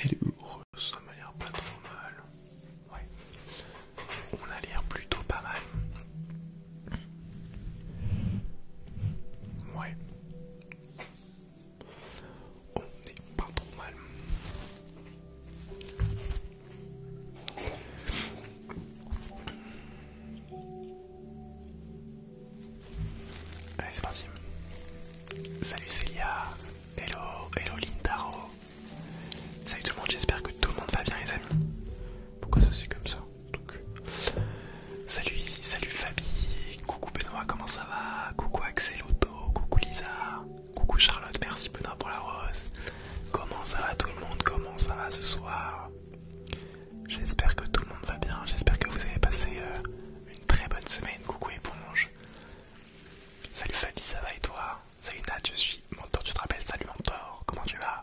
Elle est heureuse, ça m'a l'air pas trop mal. Ouais. On a l'air plutôt pas mal. Ouais. On n'est pas trop mal. Allez, c'est parti. Salut Célia. Hello, hello Lintaro. Salut tout le monde, j'espère que tout le monde va bien, les amis. Pourquoi ça c'est comme ça Salut ici, salut Fabi. Coucou Benoît, comment ça va Coucou Axel coucou Lisa. Coucou Charlotte, merci Benoît pour la rose. Comment ça va tout le monde Comment ça va ce soir J'espère que tout le monde va bien, j'espère que vous avez passé euh, une très bonne semaine. Coucou éponge. Salut Fabi, ça va et toi Salut Nat, je suis Mentor, tu te rappelles Salut Mentor, comment tu vas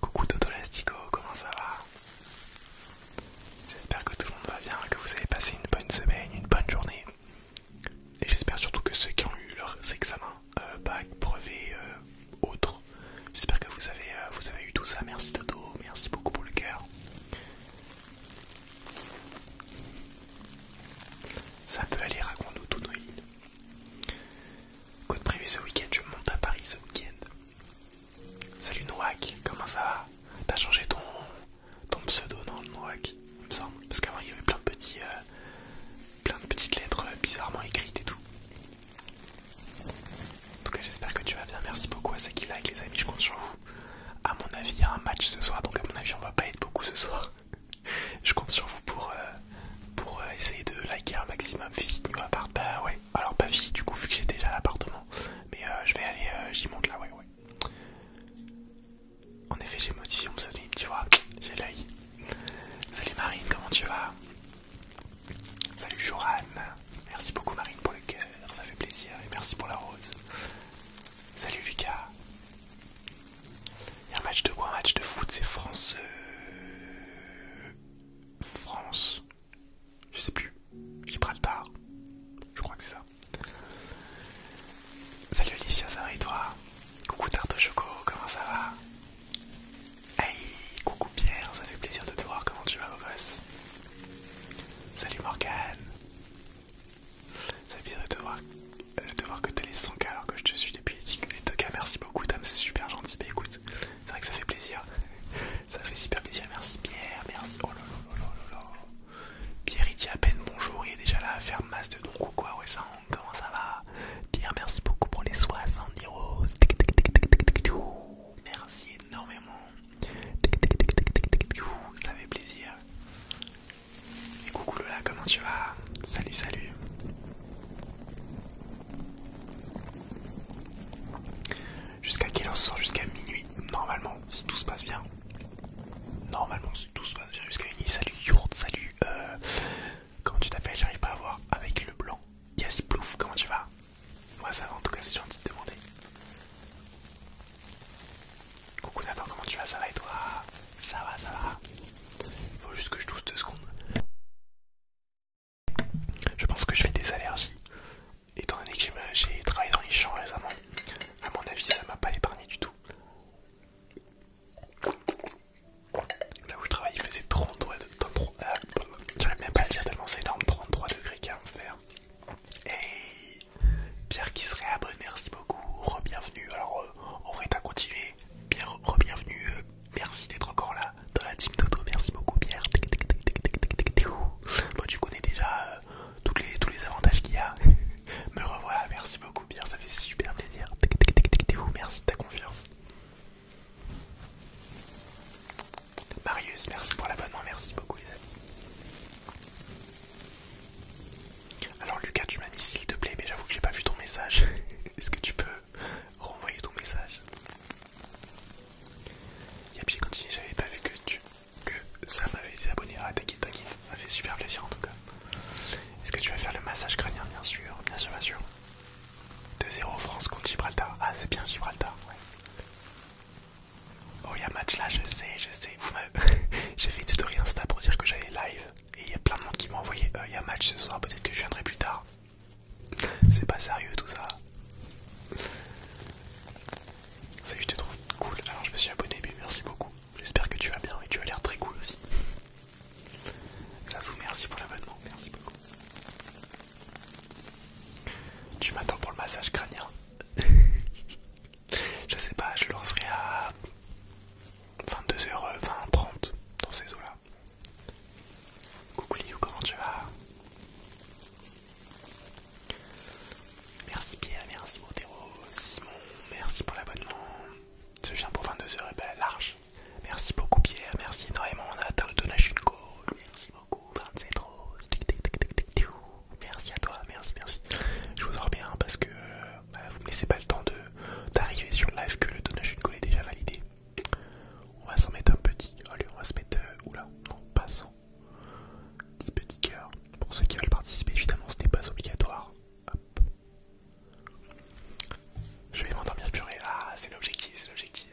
Coucou Dodo Lastico, comment ça va J'espère que tout le monde va bien, que vous avez passé une bonne semaine, une bonne journée. Et j'espère surtout que ceux qui ont eu leurs examens, euh, bac, brevet, euh, autres, j'espère que vous avez, vous avez eu tout ça. Merci Toto, merci beaucoup pour le cœur. Ça peut aller, raconte-nous tout, Noéline. Côte prévu ce week-end, je monte à Paris ce week-end. Salut Noak, comment ça va T'as changé ton, ton pseudo, le Noak me semble, parce qu'avant il y avait plein de euh, petites lettres euh, bizarrement écrites et tout. En tout cas, j'espère que tu vas bien. Merci beaucoup à ceux qui like, les amis. Je compte sur vous. À mon avis, il y a un match ce soir, donc à mon avis, on va pas être beaucoup ce soir. je compte sur vous pour, euh, pour euh, essayer de liker un maximum. Visite-nous appart. Bah ouais, alors pas visite du coup, vu que j'ai déjà l'appartement. Mais euh, je vais aller, j'y monte là, ouais, ouais. En effet, j'ai modifié mon tu vois. J'ai l'œil. Salut Marine, comment tu vas Salut Joran. Merci beaucoup Marine pour le cœur, ça fait plaisir. Et merci pour la rose. Salut Lucas. Il y a un match de quoi Un match de foot, c'est France... Euh, France... Je sais plus. Gibraltar. Je crois que c'est ça. Salut Alicia, ça va et toi Coucou Tarte Choco, comment ça va Hey, coucou Pierre, ça fait plaisir de te voir, comment tu vas, beau gosse Salut Morgane Ça fait plaisir de te voir, de voir que t'es les 100k alors que je te suis depuis les tout cas, Merci beaucoup, Tam, c'est super gentil. Bah écoute, c'est vrai que ça fait plaisir. ça fait super plaisir. Merci Pierre, merci. Oh là là là là là Pierre, il dit à peine bonjour, il est déjà là à faire masse de donc ou quoi. Ouais, comment ça va Pierre, merci beaucoup pour les 60 euros. Merci énormément. Ça fait plaisir. Et coucou Lola, comment tu vas Salut, salut. Jusqu'à quelle heure ce sort Jusqu'à minuit, normalement, si tout se passe bien. Normalement, si tout se passe bien, jusqu'à minuit. Salut Yourt salut. Euh, comment tu t'appelles J'arrive pas à voir. Avec le blanc. Yassi Plouf, comment tu vas moi, ça va, en tout cas, c'est gentil de demander. Coucou Nathan, comment tu vas Ça va et toi Ça va, ça va. Faut juste que je douce deux secondes. Je pense que je fais des allergies. Étant donné que j'ai travaillé dans les champs récemment, à mon avis, ça m'a pas épargné du tout. Là où je travaille, il faisait 33 degrés. J'arrive même pas à le dire tellement c'est énorme, 33 degrés qu'à en faire. Hey Pierre qui serait abonné, merci beaucoup, rebienvenue bienvenue Alors euh, on va continuer, rebienvenue bien euh, re-bienvenue, merci d'être encore là dans la team Toto, merci beaucoup Pierre. Moi tu connais déjà euh, tous, les, tous les avantages qu'il y a. Me revoilà, merci beaucoup Pierre, ça fait super plaisir. Merci de ta confiance. Marius, merci pour l'abonnement, merci beaucoup les amis. Alors Lucas, tu m'as mis s'il te plaît, mais j'avoue que j'ai pas vu ton message. Est-ce que tu peux renvoyer ton message Et puis Je j'avais pas vu que tu que ça m'avait été abonné. Ah t'inquiète, t'inquiète, ça fait super plaisir en tout cas. Est-ce que tu vas faire le massage crânien bien sûr, bien sûr, bien sûr. 2-0 France contre Gibraltar. Ah c'est bien Gibraltar, ouais. Oh, il y a match là, je sais, je sais. J'ai fait une story Insta pour dire que j'allais live. Et il y a plein de monde qui m'a envoyé euh, il match ce soir, peut-être que je viendrai plus tard. C'est pas sérieux tout ça. Salut, je te trouve cool. Alors, je me suis abonné, mais merci beaucoup. J'espère que tu vas bien et tu as l'air très cool aussi. Sassou, merci pour l'abonnement, merci beaucoup. Tu m'attends pour le massage crânien je sais pas, je lancerai à 22h20, 30 euh, dans ces eaux-là. Coucou Liu, comment tu vas Merci Pierre, merci Montero, Simon, merci pour l'abonnement. Je viens pour 22h eh et ben large. Merci beaucoup Pierre, merci énormément, on a atteint le Donachinko, merci Merci à toi, merci, merci. Je vous en remercie hein, parce que euh, bah, vous me laissez pas le temps d'arriver sur le live que le donation call est déjà validé. On va s'en mettre un petit. Allez, on va se mettre. Euh, oula, non, pas petit petit petit Pour ceux qui veulent participer, évidemment, ce n'est pas obligatoire. Hop. Je vais m'endormir purée. Ah, c'est l'objectif, c'est l'objectif.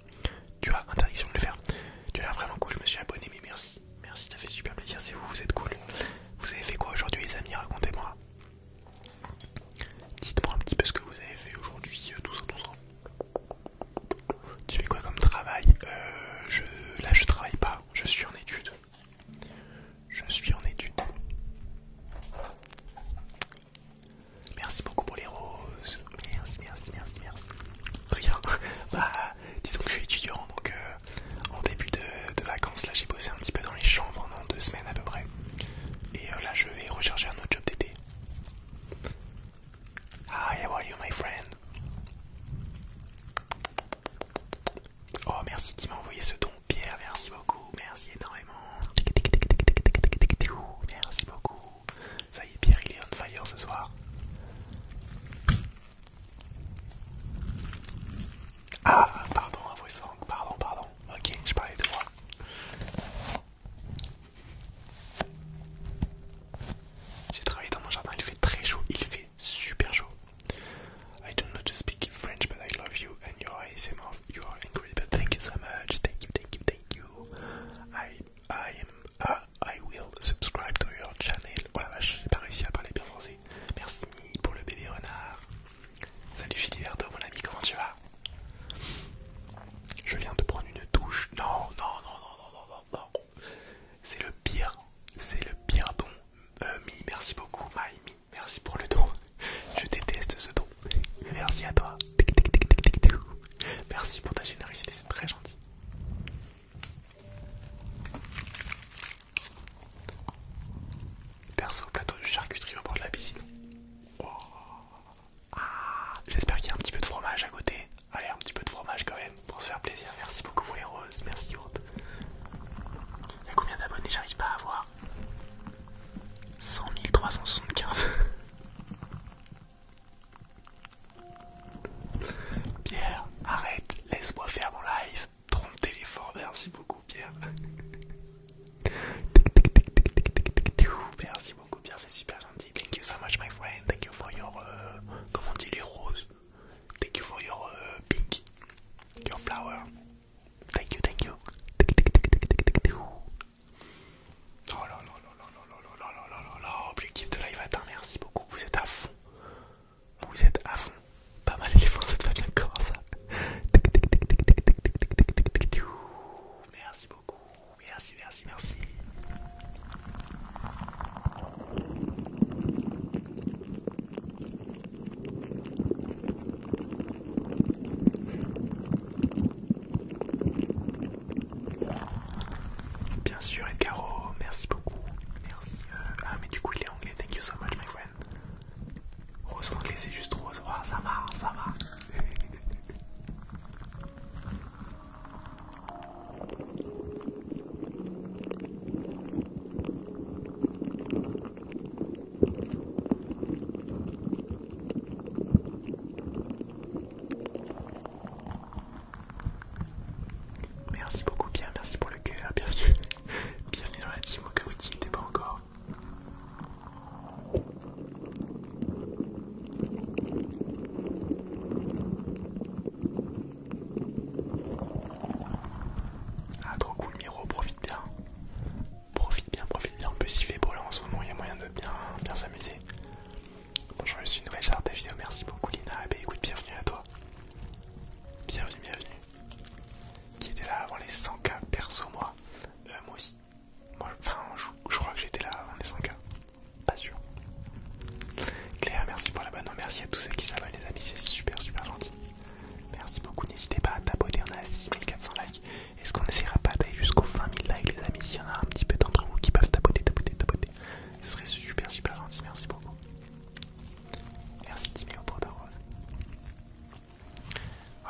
Tu as interdiction de le faire. Tu l'as vraiment cool, je me suis abonné, mais merci. Merci, ça fait super plaisir, c'est vous, vous êtes cool. Vous avez fait quoi aujourd'hui les amis Racontez-moi. Dites-moi un petit peu ce que vous avez fait aujourd'hui, euh, tout ça, tout ça. Tu fais quoi comme travail euh, je... Là je travaille pas, je suis en étude. Je suis en étude. Merci beaucoup pour les roses. Merci, merci, merci, merci. Rien. Bah disons que je suis étudiant, donc euh, en début de, vacances, là j'ai bossé un petit peu dans les champs pendant deux semaines à peu près. Et euh, là je vais rechercher un autre job d'été. Hi, how are you my friend? Oh merci qui m'a envoyé ce don, Pierre, merci beaucoup, merci énormément. Merci beaucoup. Ça y est, Pierre, il est on fire ce soir. Ah, pardon, un voice song, pardon, pardon. Ok, je parlais de moi. J'ai travaillé dans mon jardin, il fait très chaud, il fait super chaud. I ne not pas speak French, but I love you and your ASMR. You are incredible. Thank you so much. Thank you, thank you, thank you. I, ah, I will subscribe to your channel. Oh la vache, j'ai pas réussi à parler bien français. Merci pour le bébé renard. Salut Filiberto, mon ami, comment tu vas Je viens de prendre une douche. Non, non, non, non, non, non, non. C'est le pire, c'est le pire don. Euh, mi, merci beaucoup, Mi merci pour le don. Je déteste ce don. Merci à toi. Merci pour ta générosité, c'est très gentil. Perso, plateau de charcuterie au bord de la piscine. Ah, j'espère qu'il y a un petit peu de fromage à côté. Allez, un petit peu de fromage quand même pour se faire plaisir. Merci beaucoup pour les roses. Merci Yourte. Il y a combien d'abonnés J'arrive pas à voir. 100 375. Pierre, arrête, laisse-moi faire mon live. Trompe téléphone, merci beaucoup Pierre. Merci beaucoup Pierre, c'est super gentil. Thank you so much my friend. Thank you for your comment on dit les roses. Thank you for your uh, pink, your flower. Thank you, thank you. Oh you, là là là là là là là là objectif de live atteint, merci beaucoup, vous êtes à fond. Vous êtes à fond. Pas mal les cette de tic ça. Merci beaucoup. Merci, merci, merci. Bien sûr, Edgaro, merci beaucoup. Merci. Euh, ah, mais du coup, il est anglais. Thank you so much, my friend. Rose anglais, c'est juste rose. Ah, ça va, ça va. Merci beaucoup Pierre, merci pour le cœur, bienvenue. Bienvenue dans la team au cas où tu t'es pas encore. Ah trop cool Miro, profite bien. Profite bien, profite bien. En plus il fait beau là en ce moment, il y a moyen de bien s'amuser. Bonjour, je suis une nouvelle charte vidéo, merci beaucoup Lina. et eh ben, écoute, bienvenue à toi. Bienvenue, bienvenue. Qui était là avant les 100k perso, moi euh, Moi aussi. Moi, enfin, je, crois que j'étais là avant les 100k. Pas sûr. Claire, merci pour la l'abonnement. Merci à tous ceux qui s'abonnent, les amis. C'est super, super gentil. Merci beaucoup. N'hésitez pas à t'abonner. On a 6400 likes. Est-ce qu'on n'essayera pas d'aller jusqu'aux 20 000 likes, les amis S'il y en a un petit peu d'entre vous qui peuvent tapoter, tapoter, tapoter. Ce serait super super gentil, merci beaucoup. Merci Timéo pour ta rose.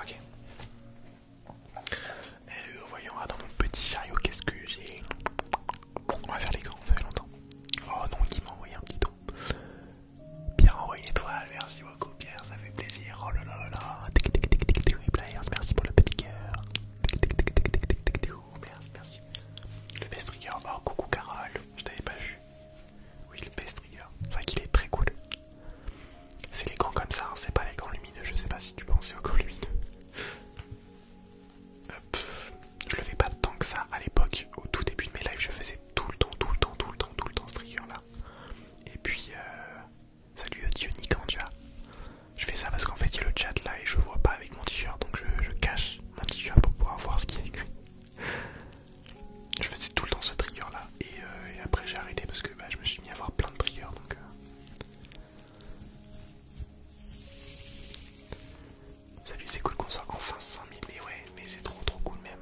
Ok. voyons, dans mon petit chariot, qu'est-ce que j'ai on va faire les ça fait longtemps. Oh non, qui m'a envoyé un petit don. Pierre envoyé étoile, merci beaucoup Pierre, ça fait plaisir. Oh là là là là, merci pour le petit cœur. Tik merci, merci le best trigger, oh coucou Carole, je t'avais pas vu. Oui, le best trigger, c'est vrai qu'il est très cool. C'est les comme ça, hein, c'est pas les gants lumineux, je sais pas si tu pensais aux corps lumineux. Je le fais pas tant que ça à l'époque, au tout début de mes lives, je faisais tout le temps, tout le temps, tout le temps, tout le temps ce trigger là. Et puis, euh, salut Diony, dieu, tu Je fais ça parce qu'en fait, il y a le chat là et je vois pas avec mon t-shirt, donc je, cache mon t-shirt pour pouvoir voir ce qui est écrit. Je faisais tout le temps ce trigger là euh, et, après j'ai arrêté parce que bah, je me suis mis à voir plein de triggers donc. Euh. Salut, c'est cool qu'on soit enfin 100 000, mais ouais, mais c'est trop trop cool même.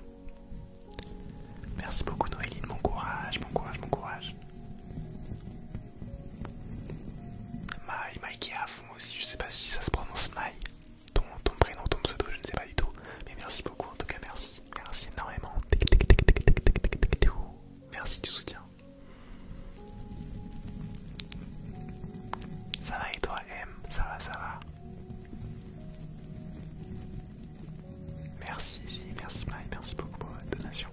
Merci beaucoup Noéline, mon courage, mon courage, mon courage. My, qui moi aussi, je sais pas si ça se prononce Mai, ton, prénom, ton pseudo, je ne sais pas du tout. Mais merci beaucoup, en tout cas, merci, merci énormément. Merci du soutien. Ça va et toi, M Ça va, ça va. Merci si. merci Mai, merci beaucoup pour votre donation.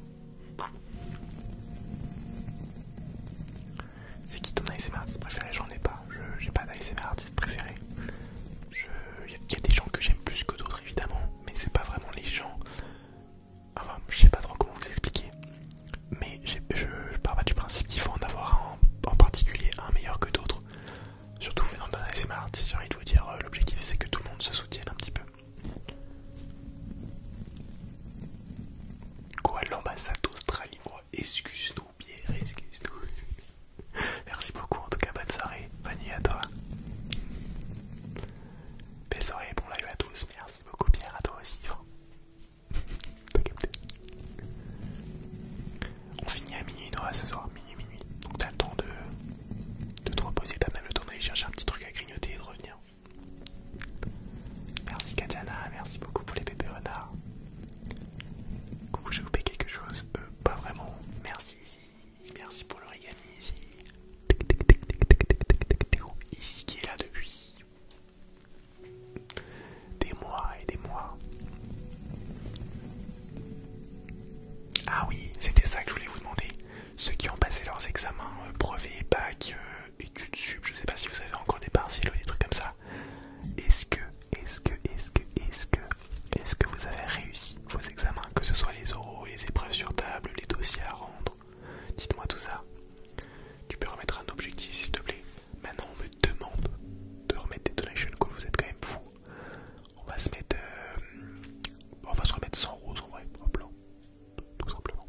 C'est qui ton ISM artiste préféré J'en ai pas, je n'ai pas d'ASMR artiste préféré. Il y, a des gens que j'aime plus que d'autres évidemment, mais c'est pas vraiment les gens. Enfin, je sais pas trop comment vous expliquer, mais je, parle pars pas du principe qu'il faut en avoir un en particulier un meilleur que d'autres. Surtout venant d'un ISM artiste, j'ai envie de vous dire, euh, l'objectif c'est que tout le monde se soutienne un petit peu. Quoi l'ambassade d'Australie excuse-nous, Pierre, excuse-nous. Merci beaucoup en tout cas, bonne soirée, bonne nuit à toi. Belle soirée, bon live à tous, merci beaucoup Pierre, à toi aussi. Hein. On finit à minuit Noah ce soir, minuit minuit. Donc t'as le temps de, de te reposer, t'as même le temps d'aller chercher un petit truc à grignoter et de revenir. Merci Katjana, merci beaucoup pour les bébés renards. Coucou, j'ai coupé quelque chose euh, Pas vraiment. Merci ici, merci pour l'origami ici. Ici qui est là depuis des mois et des mois. Ah oui, c'était ça que je voulais vous demander. Ceux qui ont passé leurs examens, euh, brevets, bac, euh, études sup, je sais pas si vous avez encore des partiels ou des trucs comme ça. Est-ce que, est-ce que, est-ce que, est-ce que, est-ce que vous avez réussi vos examens, que ce soit les euros, les épreuves sur table, les dossiers à rendre Dites-moi tout ça. Tu peux remettre un objectif s'il te plaît. Maintenant on me demande de remettre des donations. vous êtes quand même fou. On va se mettre, euh, on va se remettre sans rose en vrai, en blanc, tout simplement.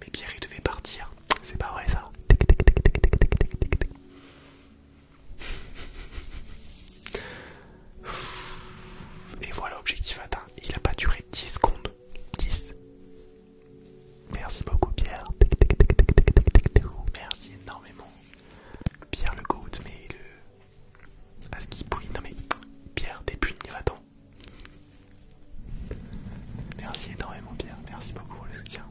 Mais Pierre, il devait partir. C'est pas vrai, ça. Et voilà, objectif atteint. Il n'a pas duré 10 secondes. 10. Merci beaucoup, Pierre. Merci énormément. Pierre le goat, mais le. À ce bouille. Non, mais Pierre, des puni, va-t'en. Merci énormément Pierre, merci beaucoup pour le soutien.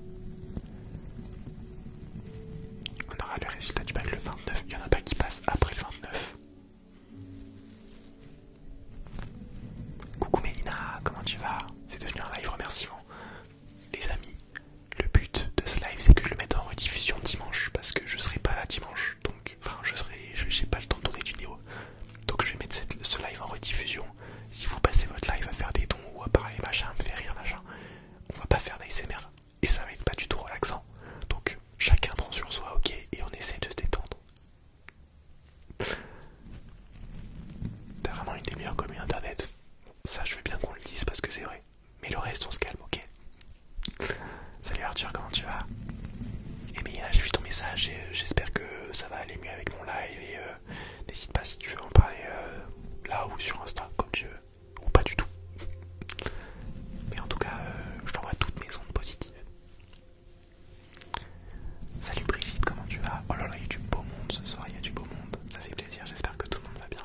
On aura le résultat du bac le 29, il n'y en a pas qui passe après le 29. Coucou Mélina, comment tu vas C'est devenu un live remerciement. Les amis, le but de ce live c'est que je le mette en rediffusion dimanche parce que je serai pas là dimanche, donc enfin je serai, j'ai pas le temps de tourner de vidéo. Donc je vais mettre ce live en rediffusion si vous passez votre live à faire des dons ou à parler machin, me faire rire machin, on va pas faire d'ASMR et ça va être pas du tout relaxant. Donc chacun prend sur soi, ok, et on essaie de se détendre. T'as vraiment une des meilleures communes internet. Ça, je veux bien qu'on le dise parce que c'est vrai. Mais le reste, on se calme, ok Salut Arthur, comment tu vas Eh bien, j'ai vu ton message et euh, j'espère que ça va aller mieux avec mon live et euh, n'hésite pas si tu veux en parler euh, là ou sur Insta comme tu veux, ou pas du tout. Mais en tout cas, euh, je t'envoie toutes mes ondes positives. Salut Brigitte, comment tu vas Oh là là, il y a du beau monde ce soir, il y a du beau monde, ça fait plaisir, j'espère que tout le monde va bien.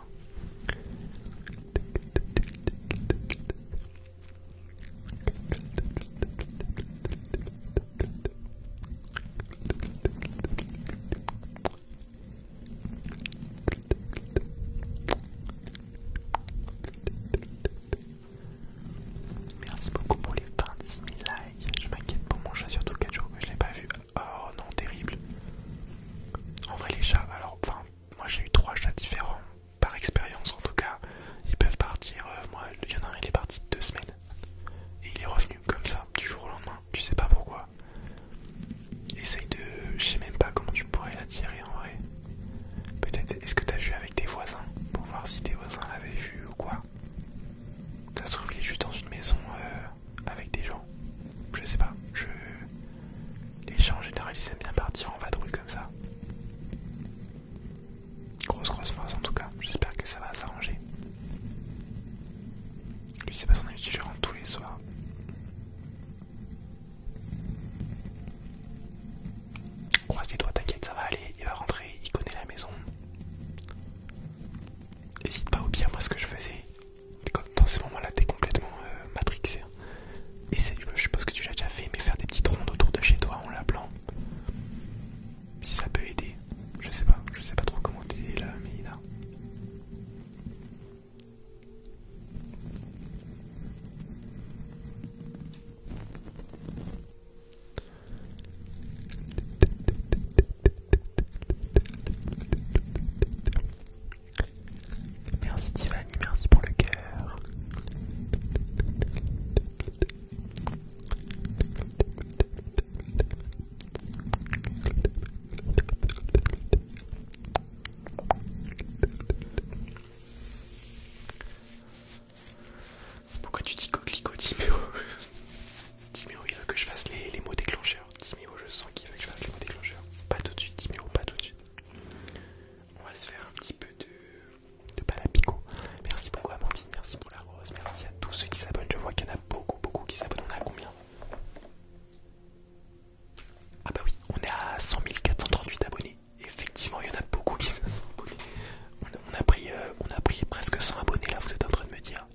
Merci beaucoup pour les 26 000 likes. Je m'inquiète pour mon chat, surtout 4 jours que je l'ai pas vu. Oh non, terrible. En vrai, les chats, alors, enfin, moi j'ai eu trois chats différents, par expérience en tout cas. Ils peuvent partir, euh, moi, il y en a un, il est parti deux semaines. Et il est revenu comme ça, du jour au lendemain, tu sais pas pourquoi. Essaye de. Je sais même pas comment tu pourrais l'attirer en vrai. Peut-être, est-ce que t'as vu avec tes voisins Pour voir si tes voisins l'avaient vu ou quoi. Ça se trouve, il juste dans une maison euh, avec des gens. Je sais pas, je. Les gens en général ils aiment bien partir en vadrouille comme ça. Grosse grosse force en tout cas, j'espère que ça va s'arranger. Lui c'est pas son habitude, il rentre tous les soirs. Croise les doigts, t'inquiète, ça va aller, il va rentrer, il connaît la maison. N'hésite pas au bien, moi ce que je faisais, dans ces moments-là t'es complètement matrixé. Euh, matrixé. Et je suppose que tu l'as déjà fait, mais faire des petites rondes autour de chez toi en l'appelant si ça peut aider. Je sais pas, je sais pas trop comment dire là, Mélina. Merci Tiffany, merci pour le cœur. Pourquoi tu dis coquelicot, Timéo Timéo, il veut que je fasse les, mots déclencheurs. Timéo, je sens qu'il veut que je fasse les mots déclencheurs. Pas tout de suite, Timéo, pas tout de suite. On va se faire un petit peu de, de balapico. Merci beaucoup, Amandine. Merci beaucoup. Merci à tous ceux qui s'abonnent. Je vois qu'il y en a beaucoup, beaucoup qui s'abonnent. On à combien Ah, bah oui, on est à 100 438 abonnés. Effectivement, il y en a beaucoup qui se sont abonnés. On a, pris, on a euh, presque 100 abonnés là, vous êtes en train de me dire.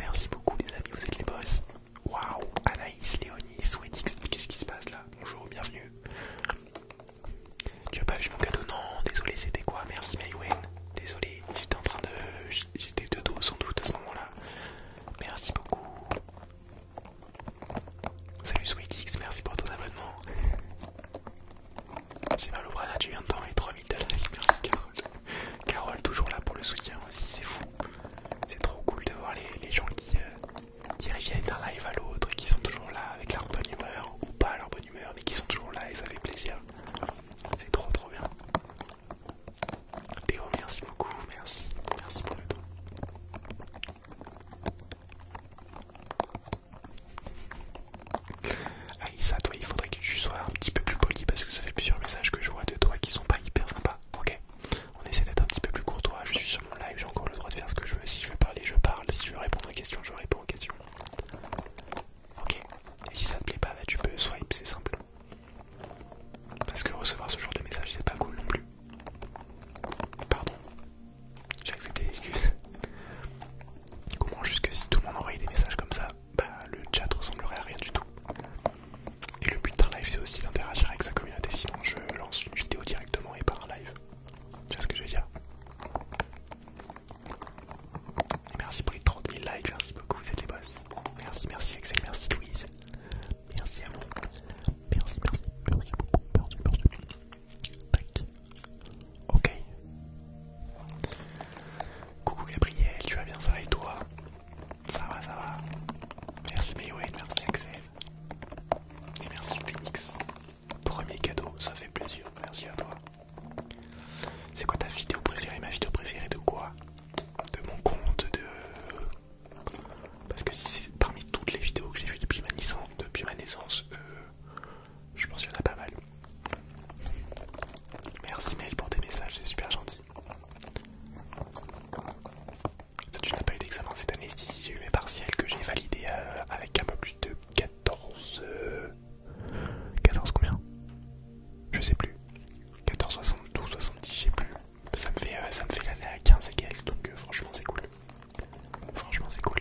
Merci beaucoup, les amis, vous êtes les boss. Waouh, Anaïs, Léonie, Swedix, qu'est-ce qui se passe là Bonjour, bienvenue. Tu as pas vu mon cadeau Non, désolé, c'était quoi Merci Maïwen. Désolé, j'étais en train de... J'étais de dos sans doute à ce moment-là. Merci beaucoup. Salut Sweetix, merci pour ton abonnement. J'ai mal au bras, tu viens de temps et 3000 live, Merci Carole. Carole toujours là pour le soutien aussi, c'est fou. C'est trop cool de voir les, gens qui, euh, qui reviennent d'un live à l'autre et qui sont toujours là avec leur bonne humeur, ou pas leur bonne humeur, mais qui sont toujours là et ça fait plaisir. C'est trop trop bien. Théo, merci beaucoup, merci, merci pour le temps. Alissa, toi, il faudrait que tu sois un petit peu plus poli parce que ça fait plusieurs messages que je vois de toi qui sont pas hyper sympas. Ok, on essaie d'être un petit peu plus courtois. Je suis sur mon live, j'ai encore le droit de faire ce que je veux. Si je veux parler, je parle. Si je veux répondre aux questions, je réponds aux questions. Ok. Et si ça te plaît pas, bah, tu peux swipe, c'est simple. Parce que recevoir ce genre de message, c'est pas cool non plus. Pardon. J'ai accepté l'excuse. Comment juste que si tout le monde envoyait des messages comme ça, bah le chat ressemblerait à rien du tout. Et le but d'un live c'est aussi d'interagir avec sa communauté, sinon je lance une vidéo directement et pas un live. Tu vois ce que je veux dire merci pour les 30 000 likes, merci beaucoup, vous êtes les boss. Merci, merci Axel, merci Louise. Merci à vous. Merci, merci, merci merci, merci. Ok. Coucou Gabriel, tu vas bien, ça va et toi Ça va, ça va. Merci Mayouen, merci Axel. Et merci Phoenix. Premier cadeau, ça fait plaisir, merci à toi. C'est quoi ta vidéo préférée Ma vidéo préférée de quoi De mon compte, de... Parce que si c'est parmi toutes les vidéos que j'ai vues depuis ma naissance, depuis ma naissance euh, je pense qu'il y en a pas mal. Merci Mail pour tes messages, c'est super gentil. tu n'as pas eu d'examen cette année, si j'ai eu mes partiels que j'ai validés euh, avec un peu plus de 14... 14 combien Je sais plus. 14, 70, je sais plus. Ça me fait, euh, ça me fait l'année à 15 et donc euh, franchement c'est cool. Franchement c'est cool.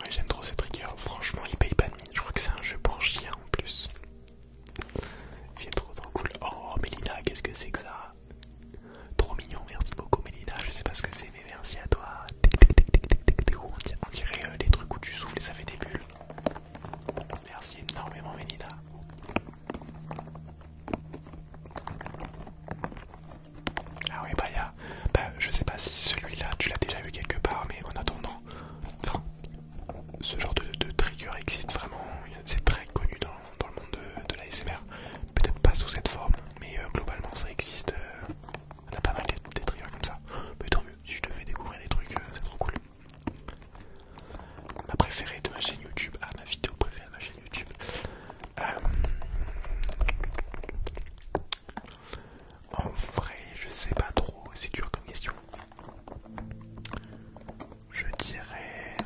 Ouais j'aime trop ce trigger, franchement il paye pas de mine, je crois que c'est un jeu pour chien en plus. Il est trop trop cool. Oh Melina qu'est-ce que c'est que ça Trop mignon, merci beaucoup Mélina, je sais pas ce que c'est mais merci à toi. On dirait euh, les trucs où tu souffles et ça fait des bulles. Merci énormément Mélina. Ah oui, bah, y bah je sais pas si celui-là tu l'as déjà vu quelque part mais en attendant, ce genre de, trigger existe vraiment, c'est très connu dans dans, le monde de, la S.M.R. Peut-être pas sous cette forme, mais euh, globalement ça existe. Euh, on a pas mal des triggers comme ça. Mais tant mieux, si je te fais découvrir des trucs, euh, c'est trop cool. Ma préférée de ma chaîne YouTube, à ah, ma vidéo préférée de ma chaîne YouTube. en vrai, je sais pas trop, c'est dur comme question. Je dirais.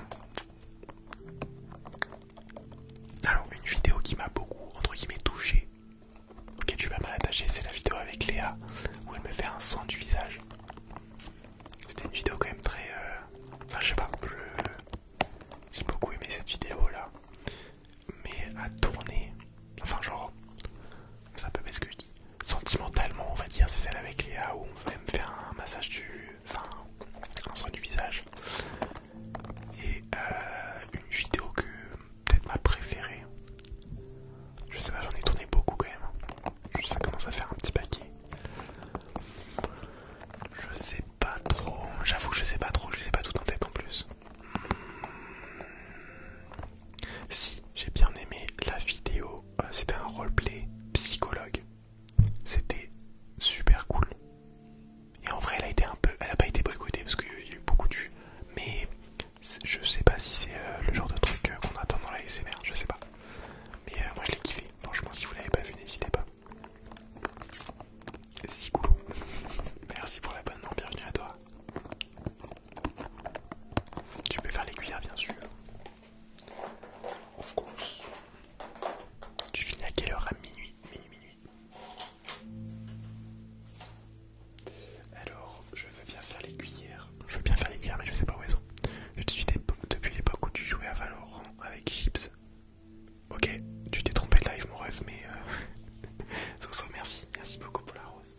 Alors une vidéo qui m'a beaucoup entre guillemets touché, auquel je suis pas mal attaché, c'est la vidéo avec Léa où elle me fait un soin du visage. C'était une vidéo quand même très... Euh, enfin je sais pas, j'ai beaucoup aimé cette vidéo là. Mais à tourner, enfin genre, ça un peu ce que sentimentalement on va dire, c'est celle avec Léa où on va me faire un massage du enfin un soin du visage et euh, une vidéo que peut-être ma préférée je sais pas j'en ai tourné beaucoup quand même ça commence à faire un petit paquet je sais pas trop j'avoue je sais pas trop je sais pas tout en tête en plus hmm. si j'ai bien aimé la vidéo, euh, c'était un roleplay psychologue. C'était super cool. Et en vrai, elle a été un peu, elle a pas été boycottée parce qu'il y a eu beaucoup de Mais je sais pas si c'est euh, le genre de truc euh, qu'on attend dans la SMR, je sais pas. Mais euh, moi je l'ai kiffé. Franchement, si vous l'avez pas vu, n'hésitez pas. cool merci pour la bonne bienvenue à toi. Tu peux faire les cuillères, bien sûr. Of course. Tu finis à quelle heure À minuit. Alors, je veux bien faire les cuillères. Je veux bien faire les cuillères, mais je sais pas où elles sont. Je te suis depuis l'époque où tu jouais à Valorant avec Chips. Ok, tu t'es trompé de live, mon rêve, mais. Euh... merci. Merci beaucoup pour la rose.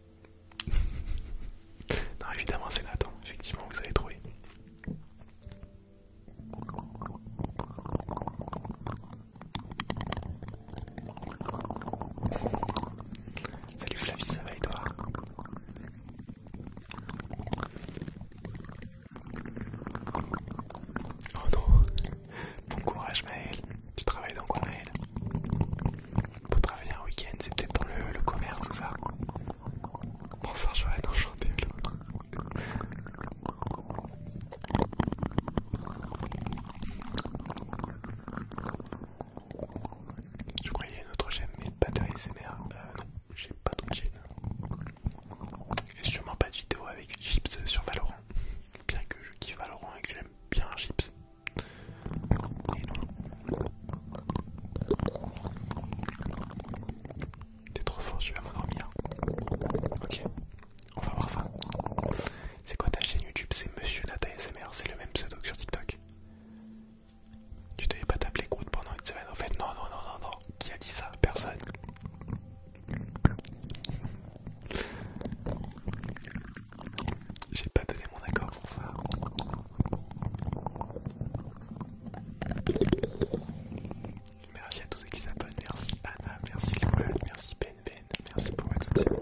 non, évidemment, c'est Nathan. Effectivement, vous avez trouvé. Salut Flavie, ça va et toi Oh non Bon courage Maël Tu travailles dans quoi Maël pour travailler un week-end, c'est peut-être dans le, le commerce, tout ça. Bonsoir Joanne, enchanté. Je crois qu'il y a une autre chaîne, mais pas de ASMR. Euh, non, j'ai pas d'autre chaîne. Et sûrement pas de vidéo avec gips sur Valorant. Bien que je kiffe Valorant et que j'aime bien gips. T'es trop fort, je vais m'endormir. Ok, on va voir ça. C'est quoi ta chaîne YouTube C'est Monsieur taille SMR, c'est le même pseudo que sur TikTok. Tu t'avais pas t'appeler Groot pendant une semaine en fait. Non, non, non, non, non. Qui a dit ça Personne. J'ai pas donné mon accord pour ça. Merci à tous ceux qui s'abonnent. Merci Anna, merci Loan, merci ben, ben merci pour votre soutien.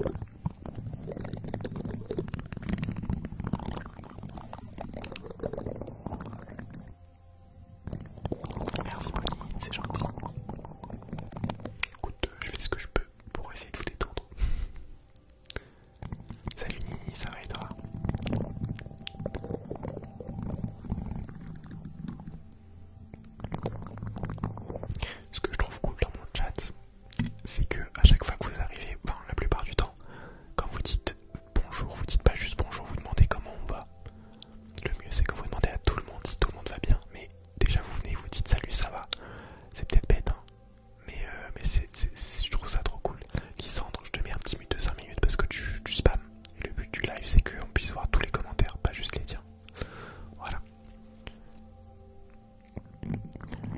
Merci Pauline, c'est gentil. Écoute, je fais ce que je peux pour essayer de vous détendre. Salut, ça va Ce que je trouve cool dans mon chat, c'est que à chaque fois que vous arrivez, la plupart du temps, quand vous dites bonjour, vous dites pas juste bonjour, vous demandez comment on va. Le mieux c'est que vous demandez à tout le monde si tout le monde va bien, mais déjà vous venez, vous dites salut, ça va. C'est peut-être bête, hein, mais, euh, mais je trouve ça trop cool. Lysandre, je te mets un petit mute de 5 minutes parce que tu, spam. le but du live, c'est qu'on puisse voir tous les commentaires, pas juste les tiens. Voilà.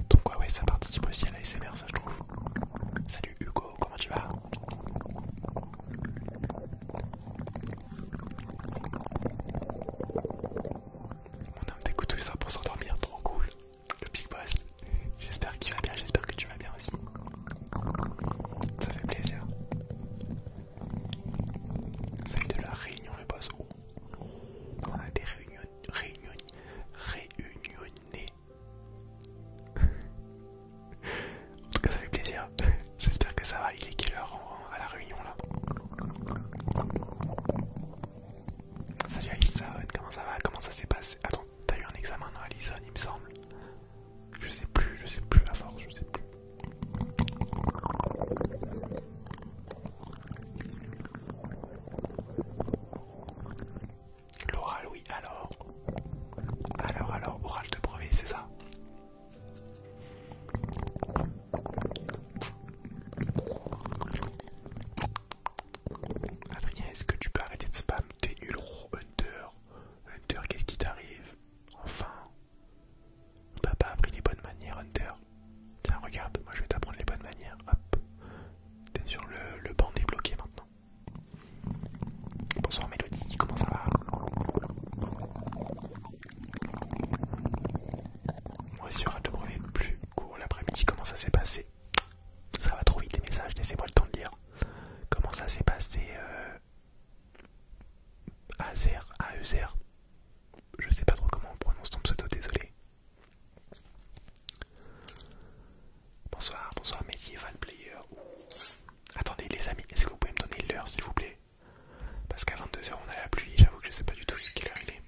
Donc, ouais, ouais, ça participe aussi à la ça je trouve. Salut Hugo, comment tu vas Mon homme d'écoute ça pour s'endormir, trop cool le big boss. J'espère qu'il va bien, j'espère que tu vas bien aussi. Ça fait plaisir. Ça de la réunion, le boss. Oh. On a des réunions, réunions, réunionnés. en tout cas, ça fait plaisir. J'espère que ça va. Il est quelle heure à la réunion là Salut Alison, comment ça va Comment ça s'est passé Attends, t'as eu un examen dans Alison il me semble Je sais plus, je sais plus à force, je sais plus. L'oral oui alors Alors alors oral de brevet c'est ça Adrien, est-ce que tu peux arrêter de spam T'es nul, Hunter. Hunter, qu'est-ce qui t'arrive Enfin. On t'a pas appris les bonnes manières, Hunter. Tiens, regarde, moi je vais t'apprendre les bonnes manières. Hop. T'es sur le, banc débloqué maintenant. Bonsoir Mélodie, comment ça va Moi aussi, on te premier plus court l'après-midi. Comment ça s'est passé ça va trop vite les messages, laissez-moi le temps de lire. Comment ça s'est passé euh, à Azer, e Je sais pas trop comment on prononce ton pseudo, désolé. Bonsoir, bonsoir Medieval Player. Attendez les amis, est-ce que vous pouvez me donner l'heure s'il vous plaît Parce qu'à 22h on a la pluie, j'avoue que je sais pas du tout quelle heure il est.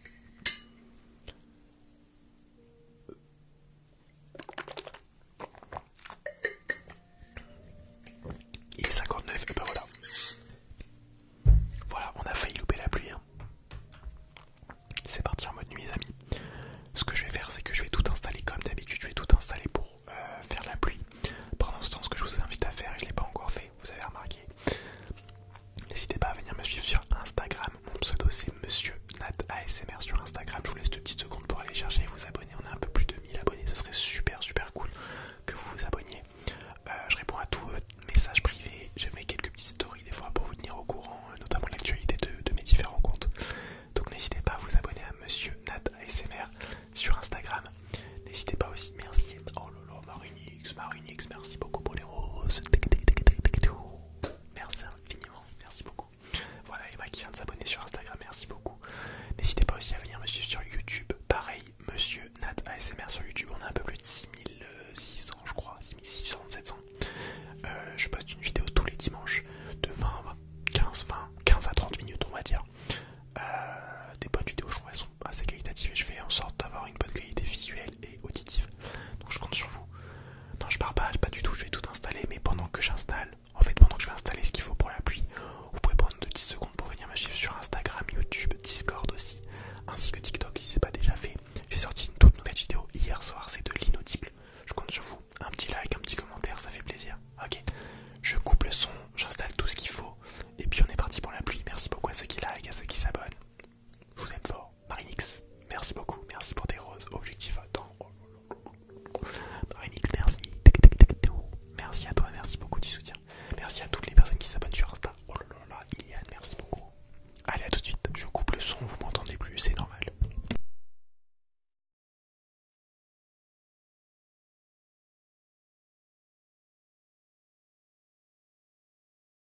Il est 59, et ben voilà. Voilà, on a failli louper la pluie. Hein. C'est parti en mode nuit les amis. Ce que je vais faire c'est que je vais tout installer comme d'habitude, je vais tout installer pour euh, faire la pluie. Pendant ce temps ce que je vous invite à faire, je ne l'ai pas encore fait, vous avez remarqué, N'hésitez pas à venir me suivre sur Instagram. Mon pseudo c'est Monsieur Nat ASMR sur Instagram. Je vous laisse deux petites secondes pour aller chercher et vous abonner. On a un peu plus de 1000 abonnés. Ce serait super super cool que vous vous abonniez. Euh, je réponds à tous vos messages privés. Je mets quelques petites stories des fois pour vous tenir au courant, euh, notamment l'actualité de, mes différents comptes. Donc n'hésitez pas à vous abonner à Monsieur Nat ASMR sur Instagram. N'hésitez pas aussi, merci. Oh lolo, Marinix, Marinix, merci beaucoup pour les roses. Merci infiniment, merci beaucoup. Voilà Emma qui vient de s'abonner sur Instagram, merci beaucoup. N'hésitez pas aussi à venir me suivre sur YouTube, pareil, monsieur Nat ASMR sur YouTube, on a un peu plus de 6600 je crois, 6600, 700. Euh, je poste une vidéo tous les dimanches de 20 à 15, 20, 15 à 30 minutes on va dire. Euh, des bonnes vidéos, je trouve elles sont assez qualitatives et je fais en sorte d'avoir une bonne qualité visuelle et auditive. Donc je compte sur vous. Non, je pars pas, pas du tout, je vais tout installer, mais pendant que j'installe, en fait, pendant que je vais installer ce qu'il faut pour la pluie, vous pouvez prendre de 10 secondes pour venir me suivre sur Instagram, YouTube, Discord aussi, ainsi que TikTok si c'est pas déjà fait. J'ai sorti une toute nouvelle vidéo hier soir, c'est de l'inaudible. Je compte sur vous. Un petit like, un petit commentaire, ça fait plaisir. Ok, je coupe le son, j'installe tout ce qu'il faut, et puis on est parti pour la pluie, Merci beaucoup à ceux qui like, à ceux qui s'abonnent. Je vous aime fort. Marinix, merci beaucoup. Merci pour tes roses. Objectif attends. Marinix, merci. Merci à toi, merci beaucoup du soutien. Merci à toutes les personnes qui s'abonnent sur Insta. Oh là Iliane, merci beaucoup. Allez, à tout de suite. Je coupe le son, vous m'entendez plus, c'est normal.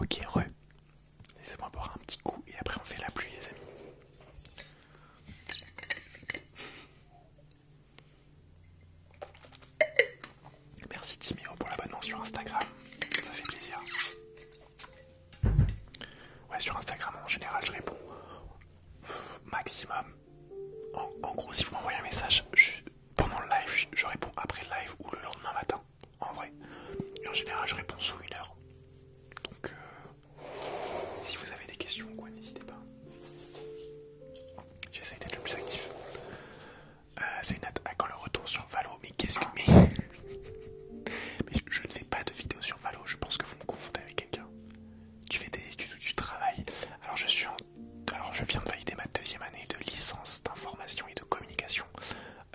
Ok, re. Laissez-moi boire un petit coup et après on fait la pluie, les amis. Merci Timéo pour l'abonnement sur Instagram, ça fait plaisir. Ouais, sur Instagram en général je réponds maximum en, gros, si vous m'envoyez un message pendant le live, je, réponds après le live ou le lendemain matin. En vrai, en général, je réponds sous une heure. Donc, euh, si vous avez des questions, quoi, n'hésitez pas. J'essaie d'être le plus actif. Euh, c'est c'est à quand le retour sur Valo Mais qu'est-ce que. Mais... je ne fais pas de vidéos sur Valo, je pense que vous me confondez avec quelqu'un tu fais des études ou tu travailles. Alors je suis alors je viens de valider ma deuxième année de licence d'information et de communication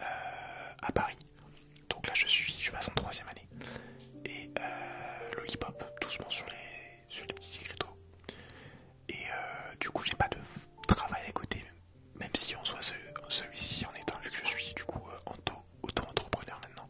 euh, à Paris. Donc là je suis, je passe en troisième année. Et euh, lollipop, doucement sur les, sur les petits écriteaux. Et euh, du coup j'ai pas de travail à côté, même si on soit celui-ci en est un vu que je suis du coup auto-entrepreneur maintenant.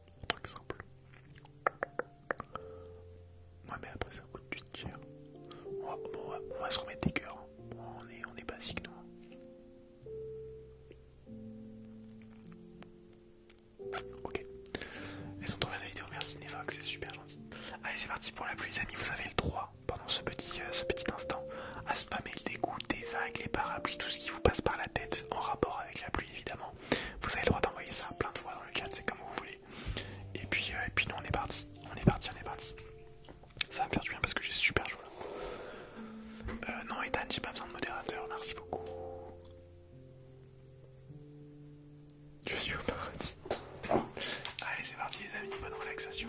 Autre exemple. Ouais, mais après, ça coûte du cher. On va, on, va, se remettre des cœurs. Hein. on, est, basique, nous. Hein. Ok. Elles sont trop la vidéo. Merci Névox, c'est super gentil. Allez, c'est parti pour la pluie, les amis. Vous avez le droit, pendant ce petit, euh, ce petit instant, à spammer le dégoût, des vagues, les parapluies, tout ce qui vous passe par la tête en rapport avec la pluie, évidemment. Vous avez le droit d'envoyer ça plein de fois dans le chat, c'est comme vous voulez. Et puis, euh, et puis nous on est parti, on est parti, on est parti. Ça va me faire du bien parce que j'ai super joué. là. Euh, non Ethan, j'ai pas besoin de modérateur, merci beaucoup. Je suis au paradis. Allez c'est parti les amis, bonne relaxation.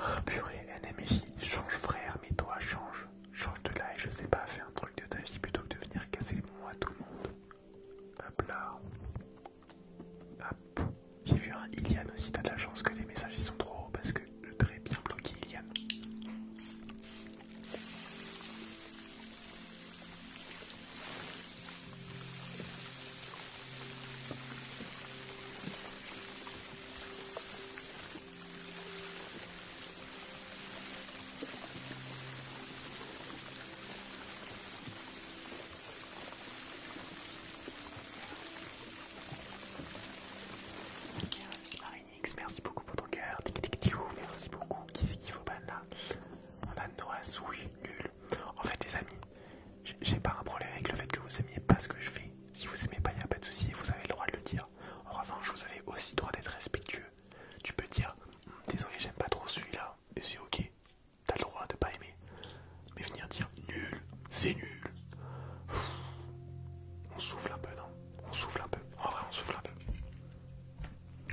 Oh, purée, NMJ, change frère, mais toi change. Change de live, je sais pas, fais un truc de ta vie plutôt que de venir casser moi à tout le monde. Hop là. Hop. J'ai vu un Ilian aussi, t'as de la chance que les messages ils sont trop hauts parce que je trait bien bloqué Ilian. Merci Marinix, merci beaucoup pour ton cœur. Tic tic tiou. merci beaucoup. Qui c'est qui faut ban là On a Noah Souille, nul. En fait, les amis, j'ai pas un problème avec le fait que vous aimiez pas ce que je fais. Si vous aimez pas, il a pas de souci, vous avez le droit de le dire. En revanche, vous avez aussi le droit d'être respectueux. Tu peux dire hmm, désolé, j'aime pas trop celui-là, mais c'est ok, t'as le droit de pas aimer. Mais venir dire nul, c'est nul. on souffle un peu, non On souffle un peu. En vrai, on souffle un peu.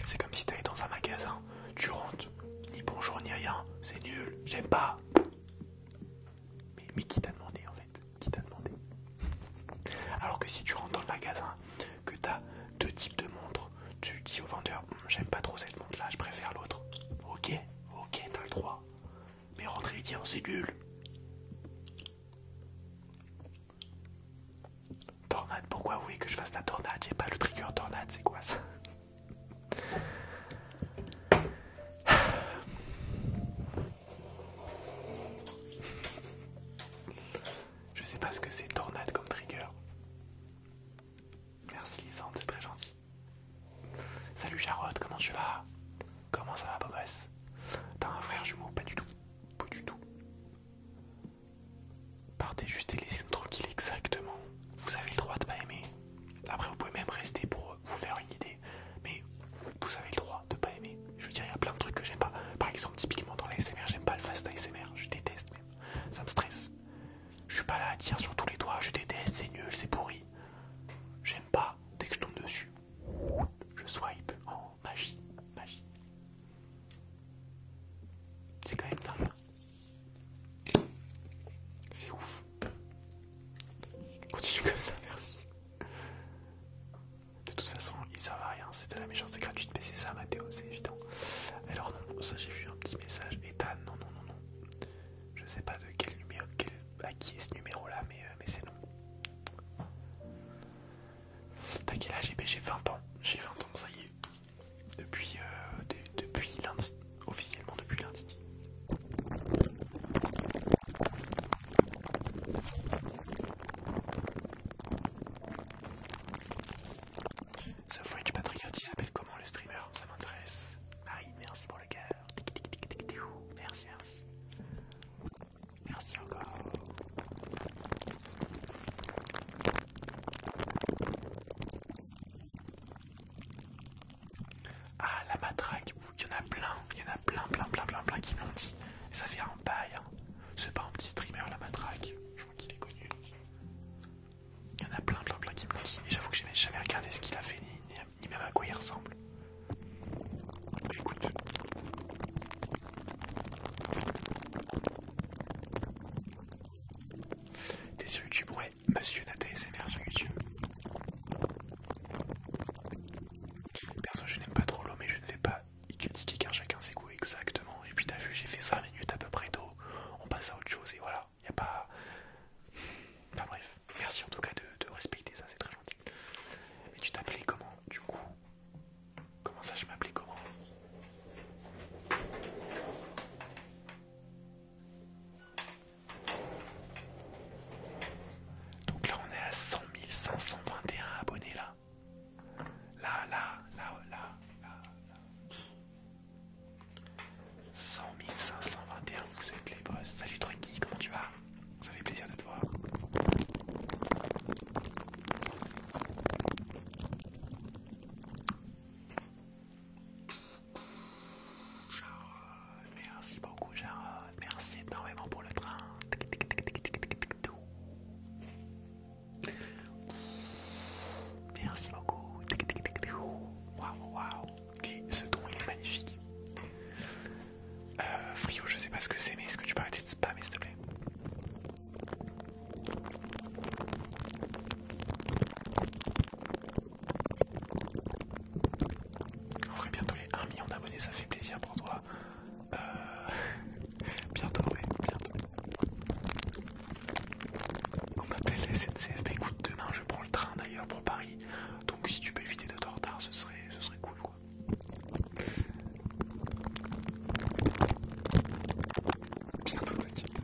C'est comme si t'allais dans un magasin, tu rentres, ni bonjour ni rien, c'est nul, j'aime pas. Mais, mais qui t'a demandé en fait qui t'a demandé. Alors que si tu rentres dans le magasin, que tu as deux types de montres, tu dis au vendeur hum, J'aime pas trop cette montre là, je préfère l'autre. Ok, ok, t'as le droit. Mais rentrer et dire C'est nul. Tornade, pourquoi vous que je fasse la tornade J'ai pas le trigger tornade, c'est quoi ça je sais pas ce que c'est tornade comme trigger. Merci Lisande, c'est très gentil. Salut Charotte, comment tu vas Comment ça va beau T'as un frère jumeau Pas du tout. Pas du tout. Partez juste et laissez-nous tranquille exactement. Vous avez le droit de pas aimer. Après vous pouvez même rester pour vous faire une idée. Mais vous avez le droit de pas aimer. Je veux dire, il y a plein de trucs que j'aime pas. Par exemple, typiquement dans l'ASMR, j'aime pas le fast ASMR. Je déteste même. Ça me stresse. Je suis pas là à tirer sur tous les doigts, je déteste, c'est nul, c'est pourri. J'aime pas. Dès que je tombe dessus, je swipe en magie. Magie. C'est quand même dingue. C'est ouf. Continue comme ça, merci. De toute façon, il servent à rien, c'est de la méchanceté gratuite, mais c'est ça, Mathéo, c'est évident. Alors, non, ça j'ai vu un petit message. Ethan, non, non, non, non. Je sais pas de quel numéro, à qui est ce numéro là, euh, mais, c'est non. T'as quel âge eh ben, J'ai 20 ans, j'ai 20 ans, ça y est. Depuis, euh, depuis lundi, officiellement depuis lundi. The French Patriot, il s'appelle comment le streamer Ça m'intéresse. Marie, merci pour le cœur. Merci, merci. Merci encore. Ah, la matraque, il y en a plein, il y en a plein, plein, plein, plein, plein qui m'ont dit. ça fait un bail. Hein. C'est pas un petit streamer, la matraque. Je crois qu'il est connu. Il y en a plein, plein, plein qui m'ont dit. Et j'avoue que j'ai jamais regardé ce qu'il a fait, ni, même à quoi il ressemble. Écoute, T'es sur YouTube, ouais, monsieur Nathalie, SMR sur YouTube. Perso, je n'aime pas trop l'eau, mais je ne vais pas y critiquer car chacun ses goûts exactement. Et puis t'as vu, j'ai fait 5 minutes à peu près d'eau, on passe à autre chose et voilà, il n'y a pas. Enfin bref, merci en tout cas de, de respecter ça, c'est très gentil. Mais tu t'appelais comment du coup Comment ça, je m'appelais comment donc là, on est à 100 521 abonnés là. Là, là, là, là, là. là. 100 521, vous êtes les boss. Salut Trucky, comment tu vas Ça fait plaisir de te voir. Merci beaucoup, Jarod. Merci énormément pour le train. Merci beaucoup. Waouh, waouh. Et ce don, il est magnifique. Euh, Frio, je sais pas ce que c'est, mais est-ce que tu peux arrêter de spammer, s'il te plaît on ferait bientôt les 1 million d'abonnés, ça fait plaisir pour toi. Euh, bientôt, oui, bientôt. On m'appelle SNCF, bah écoute, demain je prends le train d'ailleurs pour Paris, donc si tu peux éviter de te retard, ce serait, ce serait cool quoi. Bientôt, t'inquiète.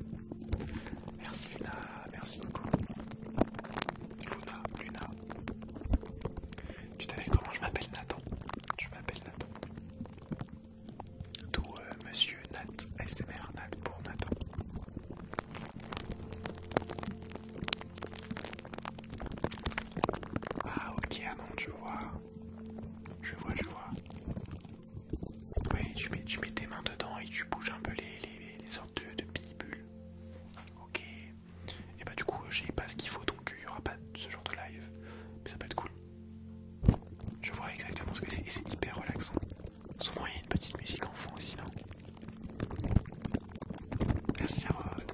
Merci Luna, merci beaucoup. Luna, Luna. Tu t'appelles comment Je m'appelle Nathan. Je m'appelle Nathan. D'où euh, Monsieur Nat, SMR Nat pour Nathan. Ah ok, ah non, tu vois. Je vois, je vois. Oui, tu mets, tes mains dedans et tu bouges un peu les, sortes de, de bulles. Ok, et bah du coup j'ai pas ce qu'il faut donc il n'y aura pas ce genre de live. Mais ça peut être cool. Je vois exactement ce que c'est et c'est hyper relaxant. Souvent il y a une petite musique en fond aussi non Merci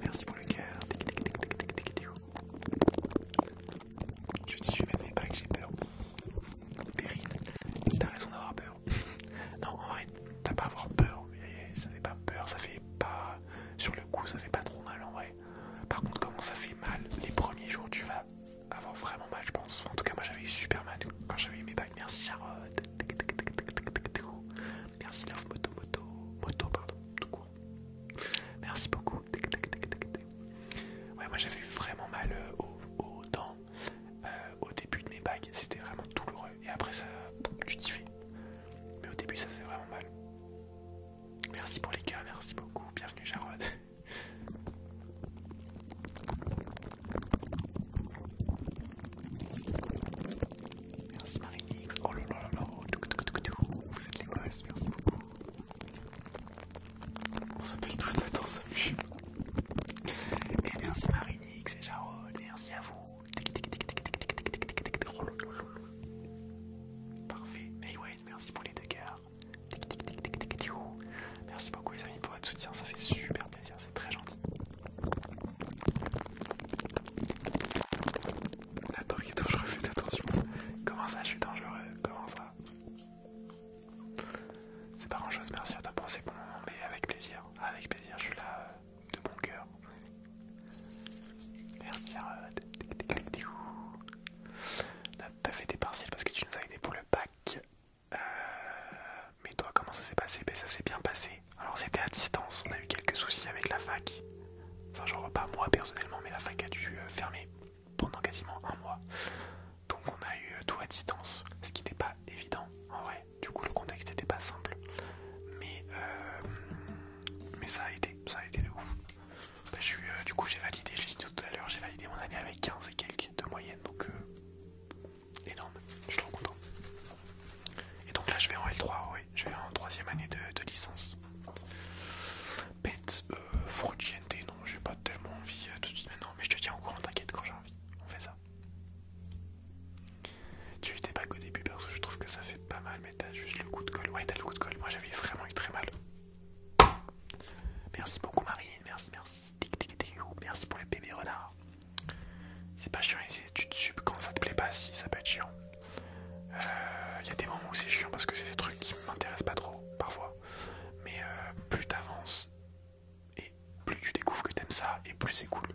merci pour le cœur. Je dis je même pas que j'ai peur. Périne, t'as raison d'avoir peur. non en vrai, t'as pas à avoir peur. Ça fait pas peur, ça fait pas sur le coup ça fait pas trop mal en vrai. Par contre comment ça fait mal les premiers jours tu vas avoir vraiment mal je pense. en tout cas moi j'avais eu super mal quand j'avais eu mes bagues. Merci Charlotte. Merci Love Moto Moto. pardon, tout court. Merci beaucoup. Ouais moi j'avais vraiment mal euh, aux, dents euh, au début de mes bagues. C'était vraiment douloureux et après ça, tu t'y fais. Mais au début, ça c'est vraiment mal. Merci pour les gars, merci beaucoup, bienvenue Jarod. Merci oh vous êtes les merci beaucoup. On s'appelle tous Et merci Marinix et Jarod, merci à vous. Parfait. merci pour les deux Merci beaucoup les amis pour votre soutien, ça fait super plaisir, c'est très gentil. Attends, est attention. Comment ça, je suis dangereux Comment ça C'est pas grand merci à toi pour ces mais avec plaisir, avec plaisir, je suis là. Euh, de mon cœur. Merci pas fait des partiels parce que tu nous as aidés pour le Bac. Euh, mais toi, comment ça s'est passé ben, Ça s'est bien passé. Alors, c'était à distance. On a eu quelques soucis avec la fac. Enfin, genre, pas moi personnellement, mais la fac a dû euh, fermer pendant quasiment un mois. Donc, on a eu euh, tout à distance, ce qui n'était pas évident en vrai. Du coup, le contexte n'était pas simple. Mais mais ça a été, ça a été de ouf. Bah, je, euh, du coup, j'ai validé, je dit tout à l'heure, j'ai validé mon année avec 15 et quelques de moyenne, donc euh, énorme, je suis trop content. Et donc là, je vais en L3, oui, je vais en troisième année de, licence. Pet, euh, non, j'ai pas tellement envie euh, tout de suite maintenant, mais je te tiens au courant, t'inquiète quand j'ai envie, on fait ça. Tu étais pas au début, perso, je trouve que ça fait pas mal, mais t'as juste le coup de colle. Ouais, t'as le coup de colle, moi j'avais vraiment eu très mal. Merci beaucoup, Marine, merci, merci. Merci pour les bébés renards. C'est pas chiant, tu te quand ça te plaît pas, si ça peut être chiant. Il euh, y a des moments où c'est chiant parce que c'est des trucs qui m'intéressent pas trop, parfois. Mais euh, plus t'avances, et plus tu découvres que t'aimes ça, et plus c'est cool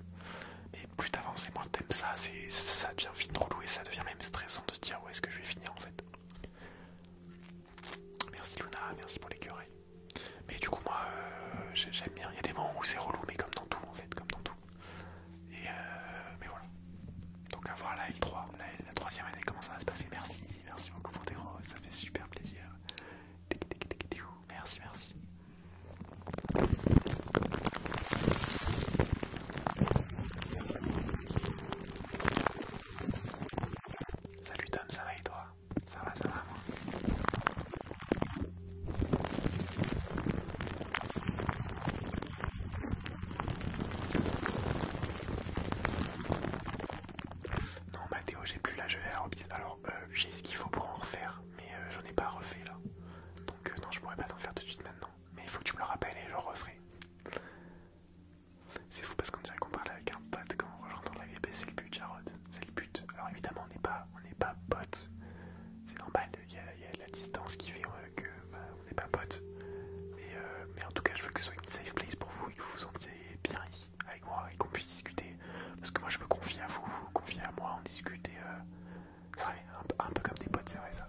plus t'avances et moins t'aimes ça, ça devient vite relou et ça devient même stressant de se dire où est-ce que je vais finir en fait. Merci Luna, merci pour les l'écureuil. Mais du coup moi euh, j'aime bien, il y a des moments où c'est relou mais comme dans tout en fait, comme dans tout. Et euh, mais voilà. Donc à voir la L3, la, troisième année comment ça va se passer, merci, merci beaucoup pour tes ça fait super plaisir. Merci, merci. Salut Tom, ça va et toi Ça va, ça va moi Non Mathéo, j'ai plus la gelée Alors euh, j'ai ce qu'il faut pour en refaire, mais euh, j'en ai pas refait là. Donc euh, non, je pourrais pas t'en faire tout de suite maintenant mais il faut que tu me le rappelles et je le referai. C'est fou parce qu'on dirait qu'on parle avec un pote quand on rejoint dans la vie, c'est le but, Jarod, c'est le but. Alors évidemment, on n'est pas, on pas c'est normal, il y, a, la distance qui fait euh, que bah, on n'est pas potes. Mais, euh, mais en tout cas, je veux que ce soit une safe place pour vous et que vous vous sentiez bien ici avec moi et qu'on puisse discuter. Parce que moi, je me confie à vous, vous confiez à moi, on discute et, euh, c'est vrai, un, peu comme des potes, c'est vrai ça.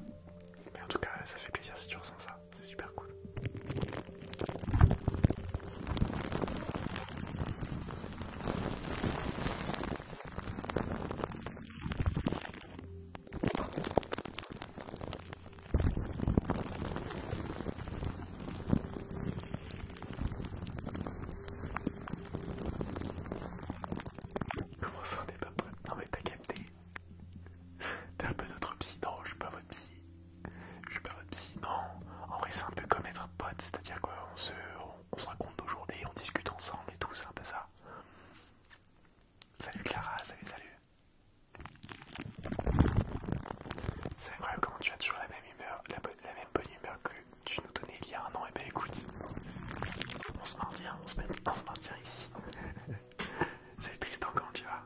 Mais en tout cas, ça fait plaisir si tu ressens ça, c'est super cool. Comment ça on n'est pas potes Non mais t'as capté, T'es un peu notre psy, non, je suis pas votre psy. Je suis pas votre psy, non. En vrai, c'est un peu comme être pote, c'est-à-dire qu'on se, on, se raconte nos journées, on discute ensemble et tout, c'est un peu ça. Salut Clara, salut, salut. C'est incroyable comment tu as toujours la même humeur, bonne, la même bonne humeur que tu nous donnais il y a un an. Et eh ben écoute, on se maintient, on se on se ici. C'est triste quand tu vas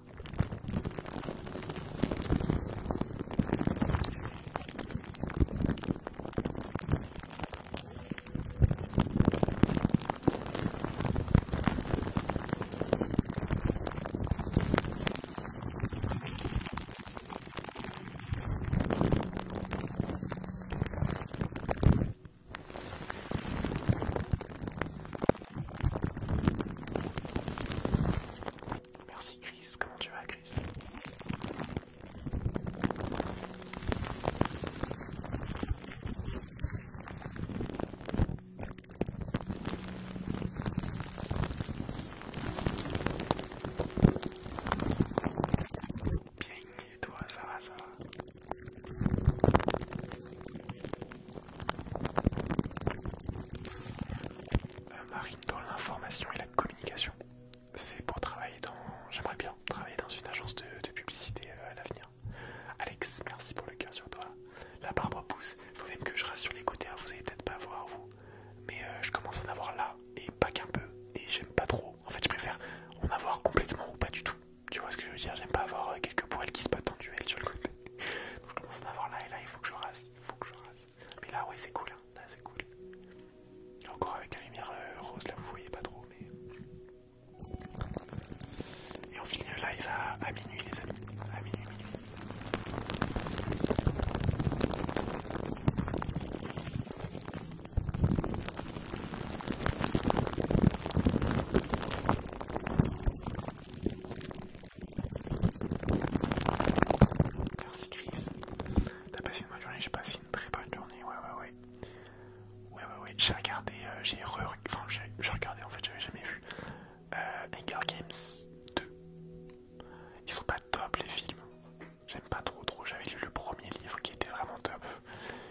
Merci Chris, comment tu vas Chris Bien, et toi, ça va, ça va euh, Marine, dans l'information et la communication, c'est pour travailler dans. J'aimerais bien travailler dans une agence de, publicité euh, à l'avenir. Alex, merci pour le cœur sur toi. La barbe pousse, faut même que je rassure les côtés, hein. vous allez peut-être pas voir vous, mais euh, je commence à en avoir là et pas qu'un peu, et j'aime pas trop. En fait, je préfère en avoir complètement ou pas du tout. Tu vois ce que je veux dire J'aime pas avoir euh, quelques poils qui se battent en duel sur le côté. Donc je commence à en avoir là et là, il faut que je rase. Il faut que je rase. Mais là, ouais, c'est cool. Hein. Là, c'est cool. Encore avec la lumière euh, rose, là, vous voyez pas trop, mais. Et on finit le live à, minuit, les amis. À minuit, minuit. Merci Chris. T'as passé une bonne journée, j'ai passé une très bonne journée, ouais ouais ouais. Ouais ouais ouais, j'ai regardé, euh, j'ai re... Enfin, j'ai regardé en fait, j'avais jamais vu. Anger euh, Games 2. Ils sont pas top les films. J'aime pas trop trop, j'avais lu le premier livre qui était vraiment top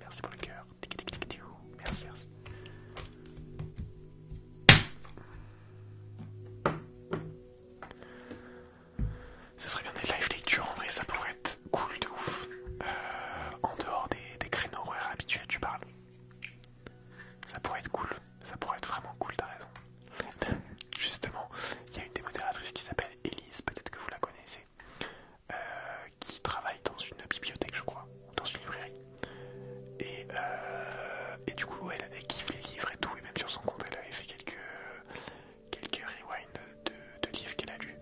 Merci, pour le cœur. Merci, merci. Ce serait bien des live lecture en vrai, ça pourrait être cool de ouf. Euh, en dehors des, des créneaux horaires habituels, tu parles. Ça pourrait être cool, ça pourrait être vraiment cool, t'as raison. Justement, il y a une des modératrices qui s'appelle Elise, peut-être que vous la connaissez, euh, qui travaille dans une bibliothèque, je crois, ou dans une librairie. Et, euh, du coup, elle, avait kiffe les livres et tout, et même sur son compte, elle avait fait quelques, quelques rewinds de, livres qu'elle a lus.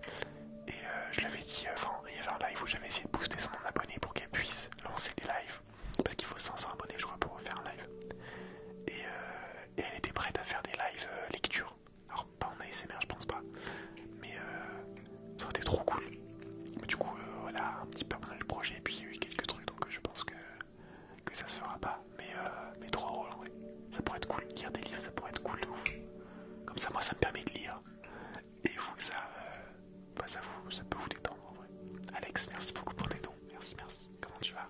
Et euh, je lui avais dit, euh, enfin, il y avait un live où j'avais essayé de booster son abonné pour qu'elle puisse lancer des lives, parce qu'il faut 500 abonnés, je crois, pour faire un live. Et, elle était prête à faire des lives lecture alors, pas en ASMR, je pense pas. Mais euh, ça aurait été trop cool. du coup, euh, voilà, un petit peu mal le projet, et puis il y a eu quelques trucs, donc euh, je pense que, ça se fera pas. Mais, trois mais trop vrai. Ça pourrait être cool. Lire des livres, ça pourrait être cool Comme ça, moi, ça me permet de lire. Et vous, ça, bah, ça, vous, ça peut vous détendre en vrai. Alex, merci beaucoup pour tes dons. Merci, merci. Comment tu vas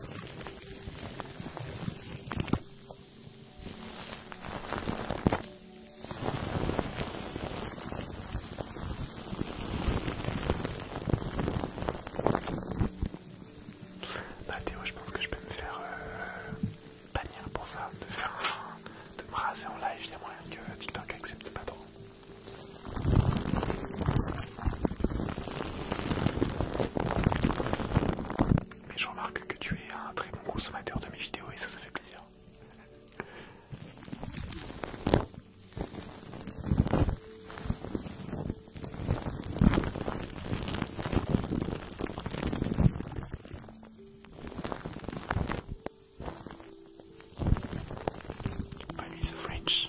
Bah Théo, je pense que je peux me faire euh, bannir pour ça, de faire de me raser en live, il y a moyen que TikTok accepte pas trop. Mais je remarque que tu es un très bon consommateur de mes vidéos et ça, ça fait plaisir. French.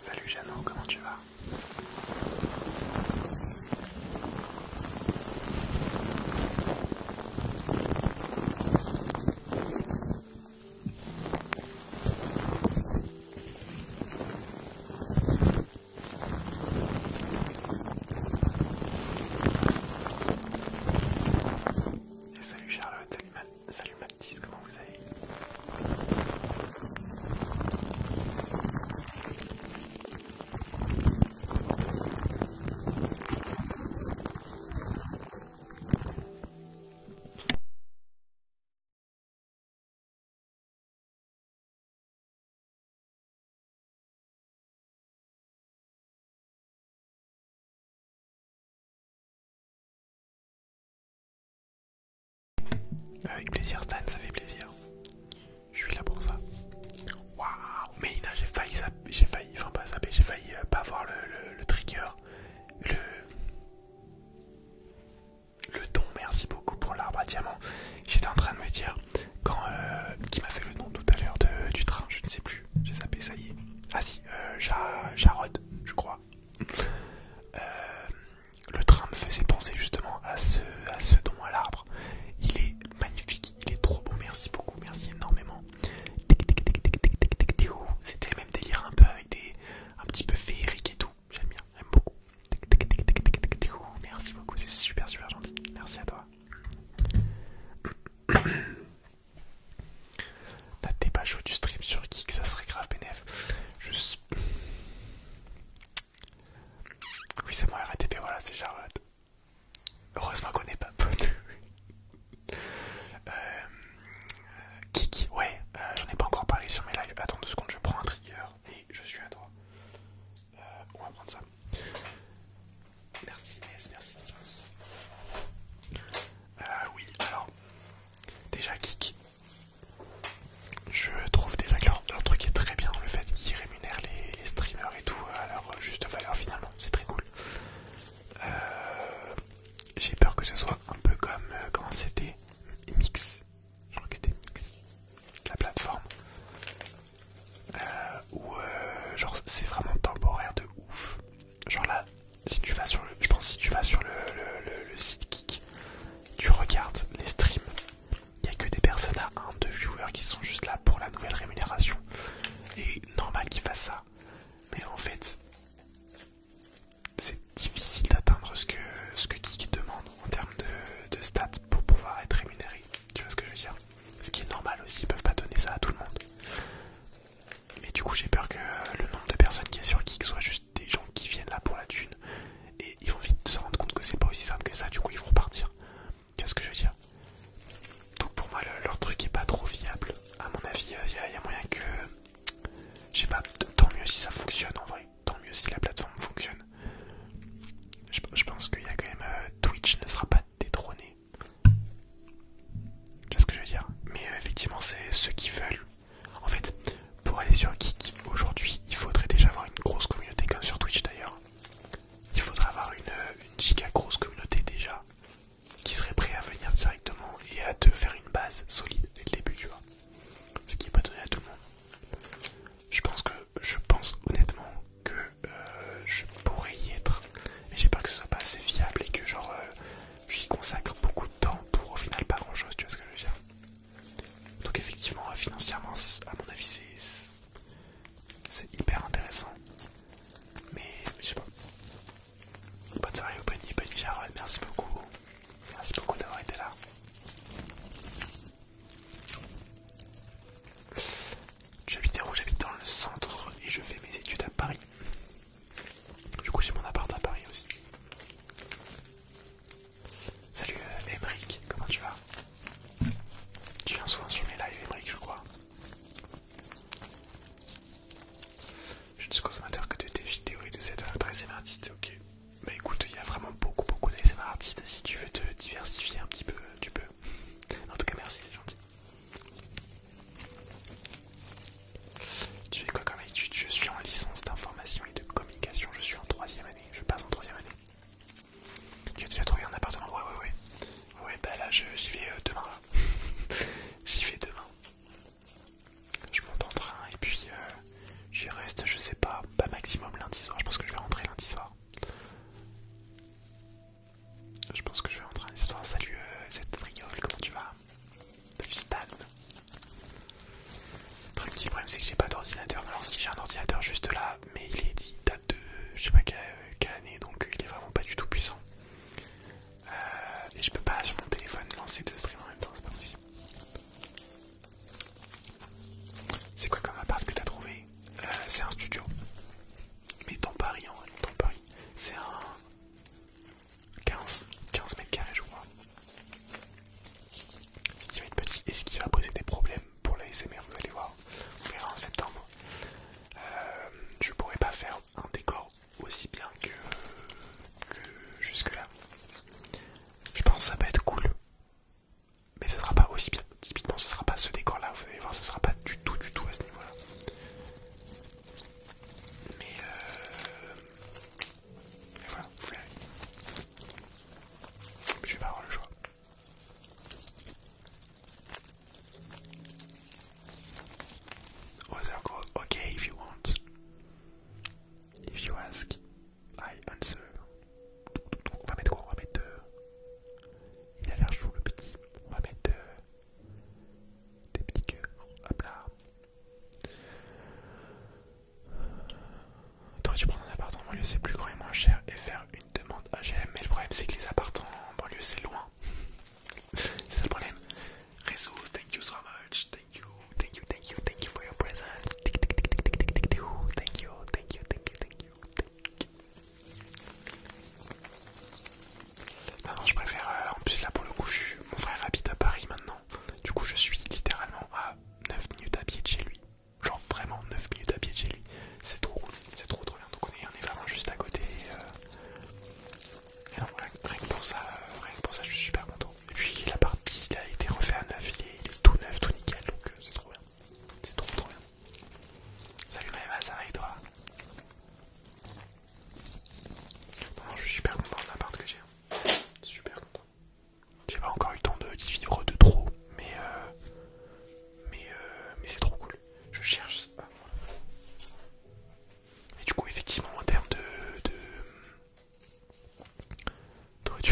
Salut Jeannot, comment tu vas et salut Charlotte, salut Salut ma comment vous allez avec plaisir Stan, ça fait plaisir. Je suis là pour ça. Waouh, mais j'ai failli, enfin pas zapper, j'ai failli euh, pas voir le, trigger, le le don. Merci beaucoup pour l'arbre à diamant. J'étais en train de me dire quand euh, qui m'a fait le nom tout à l'heure du train, je ne sais plus j'ai zappé, ça y est. Ah si, Jarod, je crois. le train me faisait penser justement à ce, don à l'arbre. Il est magnifique, il est trop beau, merci beaucoup, merci énormément. C'était le même délire un peu avec des... un petit peu féerique et tout, j'aime bien, j'aime beaucoup. Merci beaucoup, c'est super super gentil, merci à toi des pas chaud du stream sur Kik, ça serait grave bénéf. Juste. Oui, c'est moi RATP, voilà, c'est Jarod. Heureusement qu'on est pas potes. Euh, ouais, euh, j'en ai pas encore parlé sur mes lives. Attends deux secondes, je prends un trigger et je suis à toi. Euh, on va prendre ça. Merci Inès, merci euh, oui, alors, déjà Kik, je trouve des que leur, truc est très bien, le fait qu'ils rémunèrent les, streamers et tout à leur juste valeur finalement, c'est très cool. Euh, j'ai peur que ce soit un peu comme quand euh, c'était Mix, je crois que c'était Mix, la plateforme, où genre c'est vraiment temporaire de ouf. Genre là, si tu vas sur le, je pense si tu vas sur le, site Geek, tu regardes les streams, il n'y a que des personnes à 1, 2 viewers qui sont juste là pour la nouvelle rémunération. Et normal qu'ils fassent ça. Mais en fait, c'est difficile d'atteindre ce que, ce que demande en termes de, de stats pour pouvoir être rémunéré. Tu vois ce que je veux dire Ce qui est normal aussi, ils peuvent pas donner ça à tout le monde. Mais du coup j'ai peur que le nombre de personnes qui est sur Kik soit juste des gens qui viennent là pour la thune et ils vont vite se rendre compte que c'est pas aussi simple que ça, du coup ils vont repartir. Tu vois ce que je veux dire Donc pour moi leur truc est pas trop viable. À mon avis, il euh, y, a moyen que... Je sais pas, tant mieux si ça fonctionne en vrai, tant mieux si la plateforme fonctionne. Je, pense qu'il y a quand même... Euh, Twitch ne sera pas détrôné ce que je veux dire Mais euh, effectivement, c'est ceux qui veulent. En fait, pour aller sur Kik aujourd'hui, il faudrait déjà avoir une grosse communauté, comme sur Twitch d'ailleurs. Il faudrait avoir une, euh, giga grosse communauté déjà qui serait prêt à venir directement et à te faire une base solide dès le début, tu vois. Ce qui est pas donné à tout le monde. Je pense que, je pense honnêtement que euh, je pourrais y être, mais j'ai pas que ce soit pas assez fiable et que genre j'y consacre beaucoup de temps pour au final pas grand chose, tu vois ce que je veux dire. Donc effectivement, financièrement, à mon avis, c'est hyper intéressant. Mais, je sais pas. Bonne soirée au nuit. bonne nuit merci beaucoup. Merci beaucoup d'avoir été là. J'habite où j'habite dans le centre et je fais mes études à Paris. Du coup j'ai mon appart à Paris aussi. Salut Emric, euh, comment tu vas Tu viens souvent sur mes lives Emric je crois. Je suis consommateur que de tes vidéos et de cette ème artiste, ok. Bah écoute, il y a vraiment beaucoup beaucoup d'ASMR artistes, si tu veux te diversifier un petit peu, euh, tu peux. En tout cas merci, c'est gentil. Tu fais quoi comme étude Je suis en licence d'information et de communication. Je suis en troisième année. Je passe en troisième année. Tu as déjà trouvé un appartement Ouais, ouais, ouais. Ouais, ben là, j'y vais euh, demain. j'y vais demain. Je monte en train et puis euh, j'y reste, je sais pas, pas maximum lundi soir. Je pense que je vais rentrer lundi soir. Je pense que je vais rentrer lundi soir. Salut, euh, cette friole, comment tu vas plus stable. Le petit problème c'est que j'ai pas d'ordinateur. Alors si j'ai un ordinateur juste là, mais il est dit date de je sais pas quelle, année, donc il est vraiment pas du tout puissant. Euh, et je peux pas sur mon téléphone lancer deux streams en même temps, c'est pas possible. C'est quoi comme appart que t'as trouvé euh, C'est un studio. Mais dans Paris, en vrai, dans Paris. C'est un... 15, 15 mètres carrés, je crois. Ce qui va être petit et ce qui va poser des problèmes pour la SMR, vous allez voir. On verra en septembre. Euh, je pourrais pas faire un décor aussi bien que, jusque-là. Je pense que ça peut être cool. Mais ce sera pas aussi bien. Typiquement, ce sera pas ce décor là. Vous allez voir, ce sera pas du tout, du tout à ce niveau là. Mais euh... Mais voilà, vous Je vais pas avoir le choix. Other go, ok if you want. If you ask, I answer. On va mettre quoi On va mettre... Euh, il a l'air chou le petit. On va mettre... Euh... Des petits cœurs. Hop là. T'aurais dû prendre un appartement en banlieue, c'est plus grand et moins cher et faire une demande HLM. Mais le problème, c'est que les appartements en banlieue, c'est loin. c'est ça le problème. Ressource, thank you so much. Thank you, thank you, thank you, thank you for your presence. Thank you, thank you, thank you, thank you, thank you. Non, bah non, je préfère. Euh, en plus, là pour le coup, mon frère habite à Paris maintenant. Du coup, je suis littéralement à 9 minutes à pied de chez lui. Genre vraiment 9 minutes à pied de chez lui. C'est trop cool, c'est trop trop bien. Donc, on est, vraiment juste à côté. Et, donc euh, euh, rien, que pour ça, je suis super content. Et puis, la partie il a été refait à 9, il est, tout neuf, tout nickel. Donc, c'est trop bien. C'est trop trop bien. Salut Maeva, ça va et toi non, je suis super content de l'appart que j'ai. Hein. Super content. J'ai pas encore eu le temps de, diviser vivre de trop, mais euh, mais euh, mais c'est trop cool. Je cherche. Ah, Et du coup, effectivement, en termes de de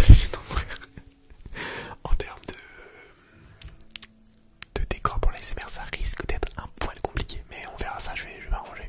en termes de de décor pour l'ASMR, ça risque d'être un poil compliqué, mais on verra ça. Je vais je vais m'arranger.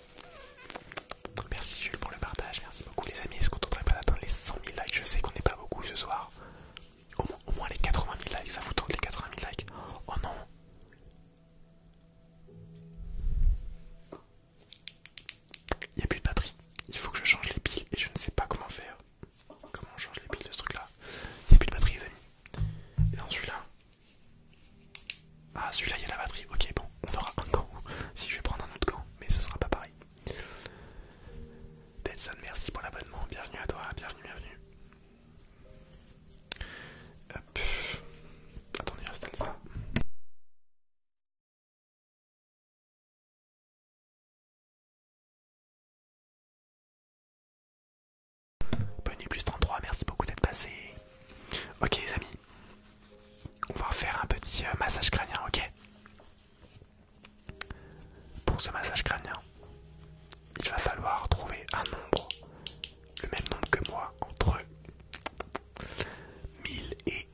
Merci Jules pour le partage, merci beaucoup les amis. Est-ce qu'on tenterait pas d'atteindre les 100 000 likes Je sais qu'on n'est pas beaucoup ce soir. Au moins, les 80 000 likes, ça vous tente les 80 000 likes Oh non il n'y a plus de batterie, il faut que je change les piles et je ne sais pas comment faire. Comment on change les piles de ce truc là Il n'y a plus de batterie les amis. Et dans celui-là, ah, celui-là, il y a la batterie. Ok, bon, on aura un gant. Si je vais prendre un autre gant, mais ce sera pas pareil. Delson, merci pour l'abonnement. Bienvenue à toi. Bienvenue, bienvenue. Attendez, j'installe ça. Bonne plus 33, merci beaucoup d'être passé. Ok les amis, on va faire un petit euh, massage crânien, ok Pour ce massage crânien, il va falloir trouver un nombre, le même nombre que moi, entre 1000 et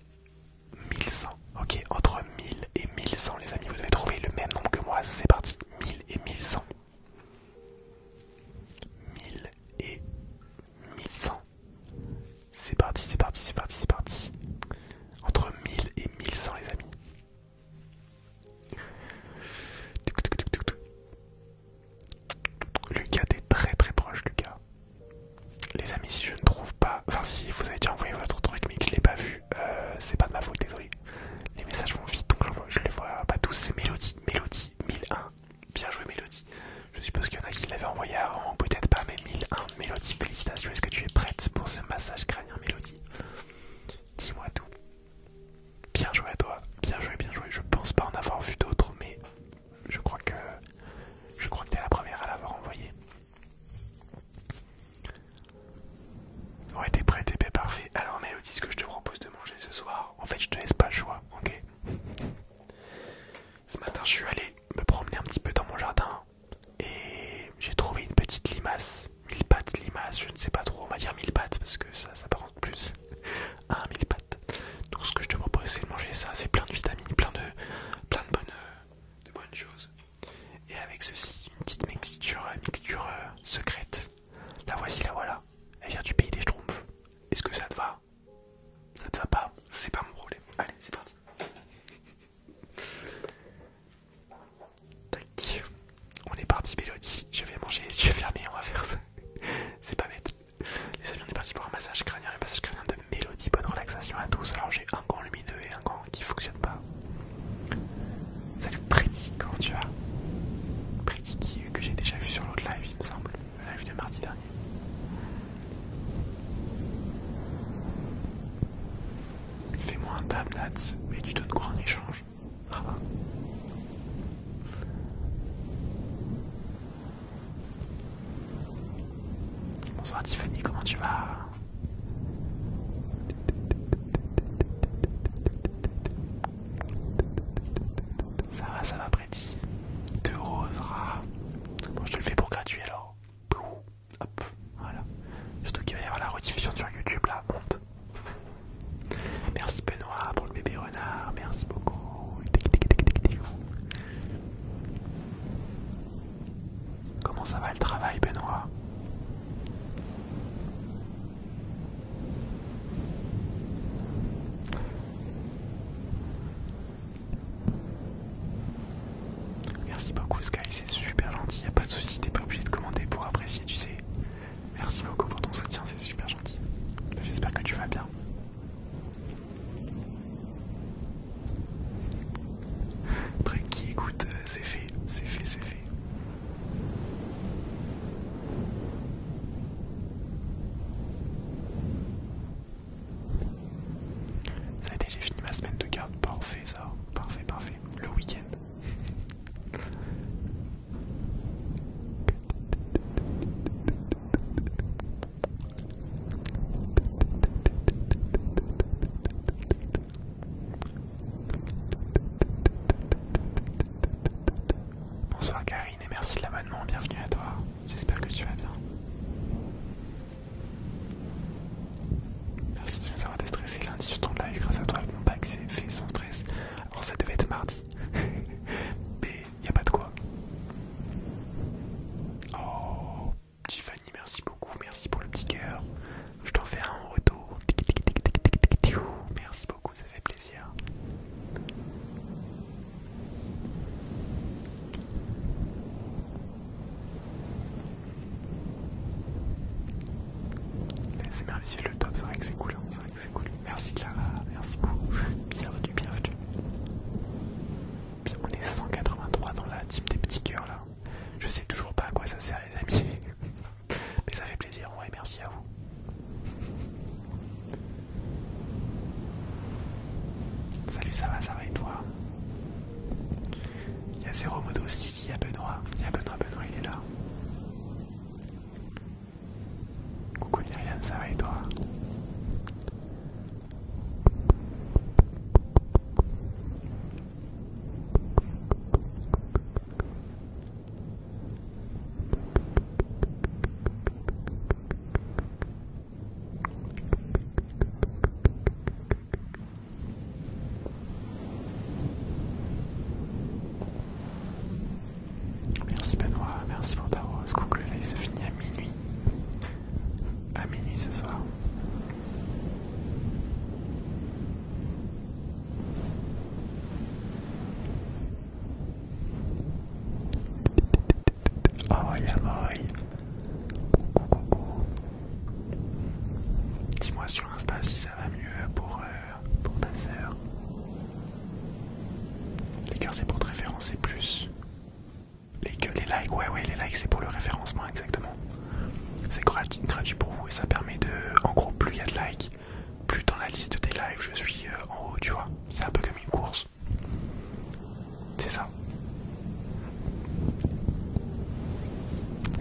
1100. Ok, entre 1000 et 1100 les amis, vous devez trouver le même nombre que moi, c'est parti, 1000 et 1100. 1000 et 1100. C'est parti, c'est parti, c'est parti, c'est parti. Entre 1000 et 1100 les amis. Lucas, est très très proche Lucas. Les amis, si je ne trouve pas, enfin si vous avez déjà envoyé votre truc mais que je l'ai pas vu, euh, c'est pas de ma faute, désolé. Les messages vont vite donc je les vois pas tous, c'est Mélodie, Mélodie 1001, Bien joué Mélodie. Je suppose qu'il y en a qui l'avaient envoyé avant peut-être pas, mais 1001 Mélodie, félicitations. Est-ce que tu es prête pour ce massage crânien Mélodie Dis-moi tout. Bien joué à toi. Bien joué, bien joué. Je pense pas en avoir vu d'autres, mais je crois que je crois que t'es la première à l'avoir envoyé. Ouais, t'es prêt, t'es parfait. Alors Mélodie, ce que je te propose de manger ce soir, en fait, je te laisse pas le choix, ok ce matin, je suis allé me promener un petit peu dans mon jardin et j'ai trouvé une petite limace, mille pattes limace, je ne sais pas trop, on va dire mille pattes parce que ça s'apparente plus à mille pattes. Donc ce que je te propose, c'est de manger ça, c'est plein de vitamines, plein de, plein de bonnes, choses. Et avec ceci, une petite mixture, mixture euh, secrète. La voici, la voilà. Elle vient du pays des Schtroumpfs. Est-ce que ça te va ça te va pas, c'est pas mon problème. Allez, c'est parti. On est parti, Mélodie. Je vais manger les yeux fermés, on va faire ça. C'est pas bête. Les amis, on est parti pour un massage crânien, un massage crânien de Mélodie. Bonne relaxation à tous. Alors j'ai un gant lumineux et un gant qui fonctionne pas. Salut Pretty, comment tu vas Pretty que j'ai déjà vu sur l'autre live, il me semble le live de mardi dernier. Fais-moi un tab, mais tu donnes quoi en échange ah. Bonsoir Tiffany, comment tu vas Ça va, ça va de Rosera. je te le fais pour gratuit alors. Hop, voilà. Surtout qu'il va y avoir la rediffusion sur YouTube là, honte. Merci Benoît pour le bébé renard, merci beaucoup. Comment ça va le travail Benoît Merci beaucoup Sky, c'est super gentil, y a pas de soucis, t'es pas obligé de commander pour apprécier, tu sais. Merci beaucoup pour ton soutien, c'est super gentil. J'espère que tu vas bien. Tranquille, qui écoute, euh, c'est fait, c'est fait, c'est fait. Ça a été, j'ai fini ma semaine de garde, parfait ça, parfait, parfait, le week-end et merci de l'abonnement, bienvenue à toi, j'espère que tu vas bien. Merci de nous avoir déstressé lundi sur ton live grâce à toi mon pack, c'est fait sans stress. Alors ça devait être mardi, mais y a pas de quoi. Oh, Tiffany, merci beaucoup, merci pour le petit cœur. Je t'en fais un en retour. Merci beaucoup, ça fait plaisir. Eh, c'est merveilleux le top, c'est vrai que c'est cool, hein, c'est vrai que c'est cool. Merci Clara, merci beaucoup. Bienvenue, bienvenue. on est 183 dans la team des petits cœurs là. Je sais toujours pas à quoi ça sert les amis. Mais ça fait plaisir, ouais, merci à vous. Salut, ça va, ça va et toi Il y a Zéro Modo, si, si, il y a Benoît. Il y a Benoît, Benoît, il est là. Coucou Myriam, ça va et toi Merci Benoît, merci pour ta rose. Coucou, le live se finit à minuit. À minuit ce soir. Oh la Coucou coucou Dis-moi sur Insta si ça va mieux pour, euh, pour ta sœur. Les cœurs c'est pour te référencer plus. Les, likes, ouais ouais les likes c'est pour le référencement exactement. C'est gratuit, gratuit pour vous et ça permet de... En gros plus il y a de likes, plus dans la liste des lives je suis euh, en haut tu vois. C'est un peu comme une course. C'est ça.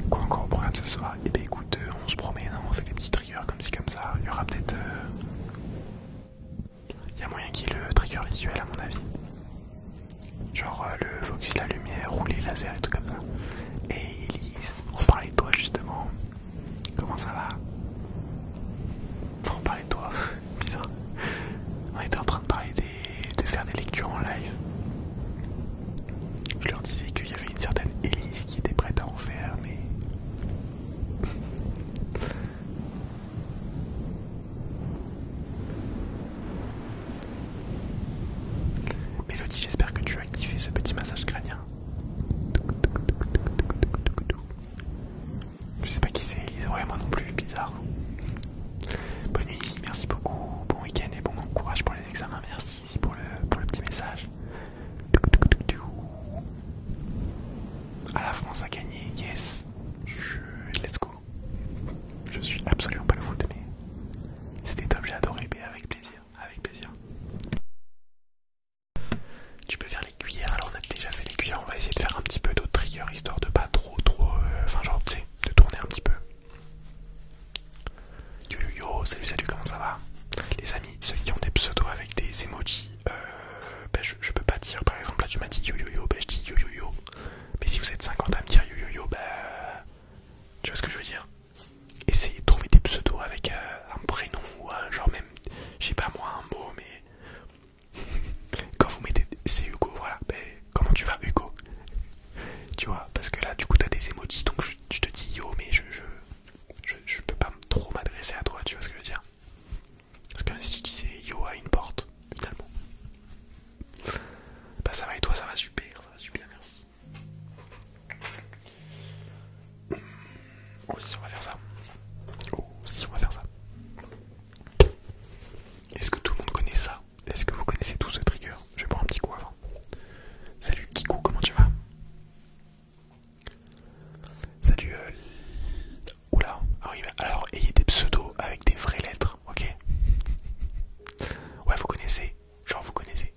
Quoi encore au programme ce soir Eh bien écoute, euh, on se promène, hein, on fait des petits triggers comme ci comme ça. Il y aura peut-être... Euh, il y a moyen qu'il y ait le trigger visuel à mon avis. Genre euh, le focus, la lumière, rouler, laser et tout comme ça. Et Elise, on parlait de toi justement. Comment ça va On parlait de toi bizarre. On était en train de parler de faire des lectures en live. Je leur disais qu'il y avait une certaine Élise qui était prête à en faire, mais. Mélodie, j'espère que tu as activé ce petit massage crânien. Je sais pas qui c'est, Elise. Ouais, moi non plus, bizarre. Bonne nuit, ici, merci beaucoup. Bon week-end et bon courage pour les examens. Merci ici pour le, pour le petit message. À ah, la France a gagné, yes. Je... Let's go. Je suis absolument pas le foot, mais c'était top, j'ai adoré. Mais avec plaisir, avec plaisir. Tu peux faire alors on a déjà fait les cuillères, on va essayer de faire un petit peu d'autres triggers histoire de pas trop trop... Euh, enfin genre tu sais, de tourner un petit peu. Yo yo yo, salut salut, comment ça va Les amis, ceux qui ont des pseudos avec des emojis, euh, ben je, peux pas dire par exemple là tu m'as dit yo yo yo, ben je dis yo yo yo. Mais si vous êtes 50 à me dire yo yo yo, ben... Tu vois ce que je veux dire Essayez de trouver des pseudos avec euh, un prénom ou un genre même, je sais pas moi, un mot, mais Quand vous mettez c'est Hugo, voilà, ben, comment tu vas Hugo Tu vois, parce que là du coup t'as des émojis donc je, te dis yo mais je je, je, peux pas trop m'adresser à toi, tu vois ce que je veux dire Parce que si tu disais yo à une porte, finalement. Bah ça va et toi ça va super, ça va super merci. Oh si on va faire ça. Oh si on va faire ça. Est-ce que tout le monde connaît ça Est-ce que vous connaissez tous ce trigger Je vais prendre un petit coup avant. Salut Kikou, comment tu vas Salut. Euh... Oula. alors ayez des pseudos avec des vraies lettres, ok Ouais, vous connaissez. Genre, vous connaissez.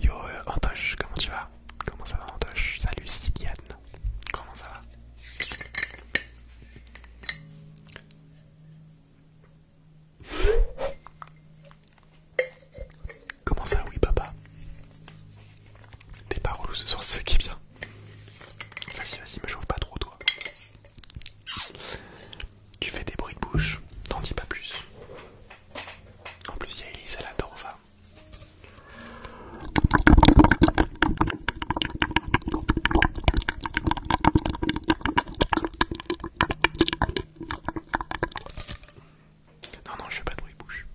Yo, euh, Antoche, comment tu vas Comment ça va, Antoche Salut, Siliane comment ça va Comment ça, oui, papa T'es pas relou ce soir, c'est qui vient. Vas-y, vas-y, me chauffe pas trop, toi. Tu fais des bruits de bouche, t'en dis pas plus. En plus, il y a Elise, elle adore ça. Non, non, je fais pas de bruit bouche.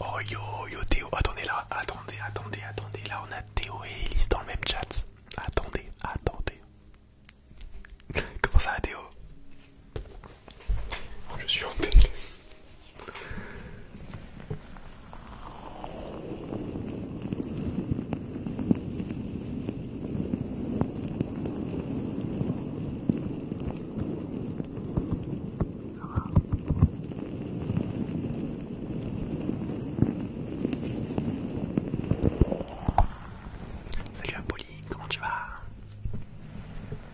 Oh yo yo Théo, attendez là, attendez, attendez, attendez, là on a Théo et Elise dans le même chat. Attendez, attendez. Comment ça va Théo je suis en délice. Ça va Salut Apolline, comment tu vas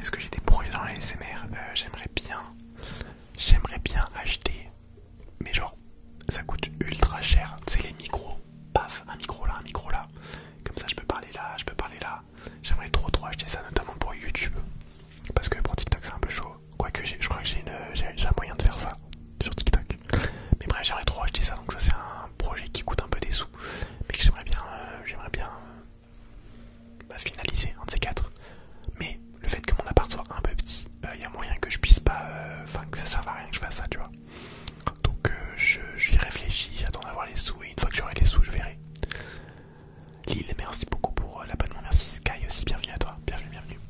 Est-ce que j'ai des projets dans les SMR euh, J'aimerais bien, j'aimerais bien acheter, mais genre ça coûte ultra cher. C'est les micros, paf, un micro là, un micro là. Comme ça, je peux parler là, je peux parler là. J'aimerais trop trop acheter ça, notamment pour YouTube, parce que pour TikTok c'est un peu chaud. Quoique, je crois que j'ai un moyen de faire ça sur TikTok. Mais bref, j'aimerais trop acheter ça. Donc, ça, c'est un projet qui coûte un peu des sous. Mais que j'aimerais bien, euh, j'aimerais bien euh, bah, finaliser, un de ces quatre. Mais le fait que mon appart soit un peu petit, euh, il y a moyen que je puisse pas. Enfin, que ça serve à rien que je fasse ça, tu vois. Donc, je j'y réfléchis, j'attends d'avoir les sous. Et une fois que j'aurai les sous, je verrai. Lille, merci beaucoup pour euh, l'abonnement. Merci Sky aussi, bienvenue à toi. Bienvenue, bienvenue.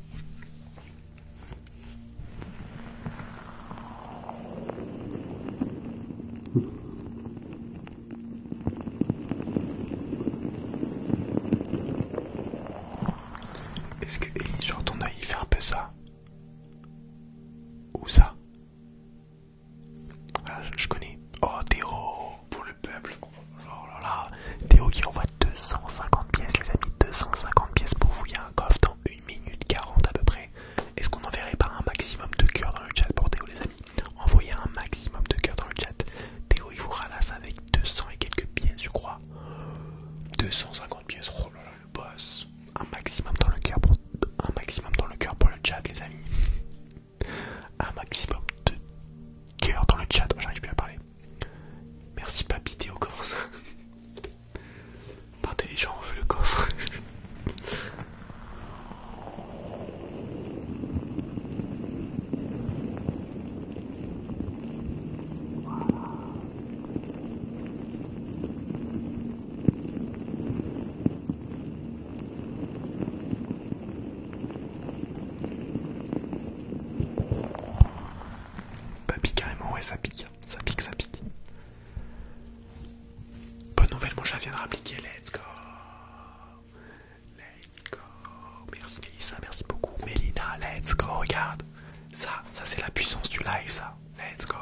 Est-ce que Ellie, genre ton œil, il fait un peu ça Ou ça ah, je, je connais. Oh Théo pour le peuple. Oh là là. Théo qui envoie 250 pièces, les amis. 250 pièces pour vous. Il y a un coffre dans 1 minute 40 à peu près. Est-ce qu'on enverrait pas un maximum de cœur dans le chat pour Théo, les amis Envoyez un maximum de cœur dans le chat. Théo, il vous ralasse avec 200 et quelques pièces, je crois. 250 pièces. Oh là là, le boss. Un maximum dans le coeur un maximum dans le cœur pour le chat, les amis un maximum de cœur dans le chat. Oh, j'arrive plus à parler. Merci papy Théo, au Partez les gens, on veut le coffre. Pas bah, pique carrément, ouais ça pique, ça pique, ça pique. Bonne nouvelle, mon chat vient de let's go Let's go Merci Mélissa, merci beaucoup. Mélina, let's go, regarde Ça, ça c'est la puissance du live, ça. Let's go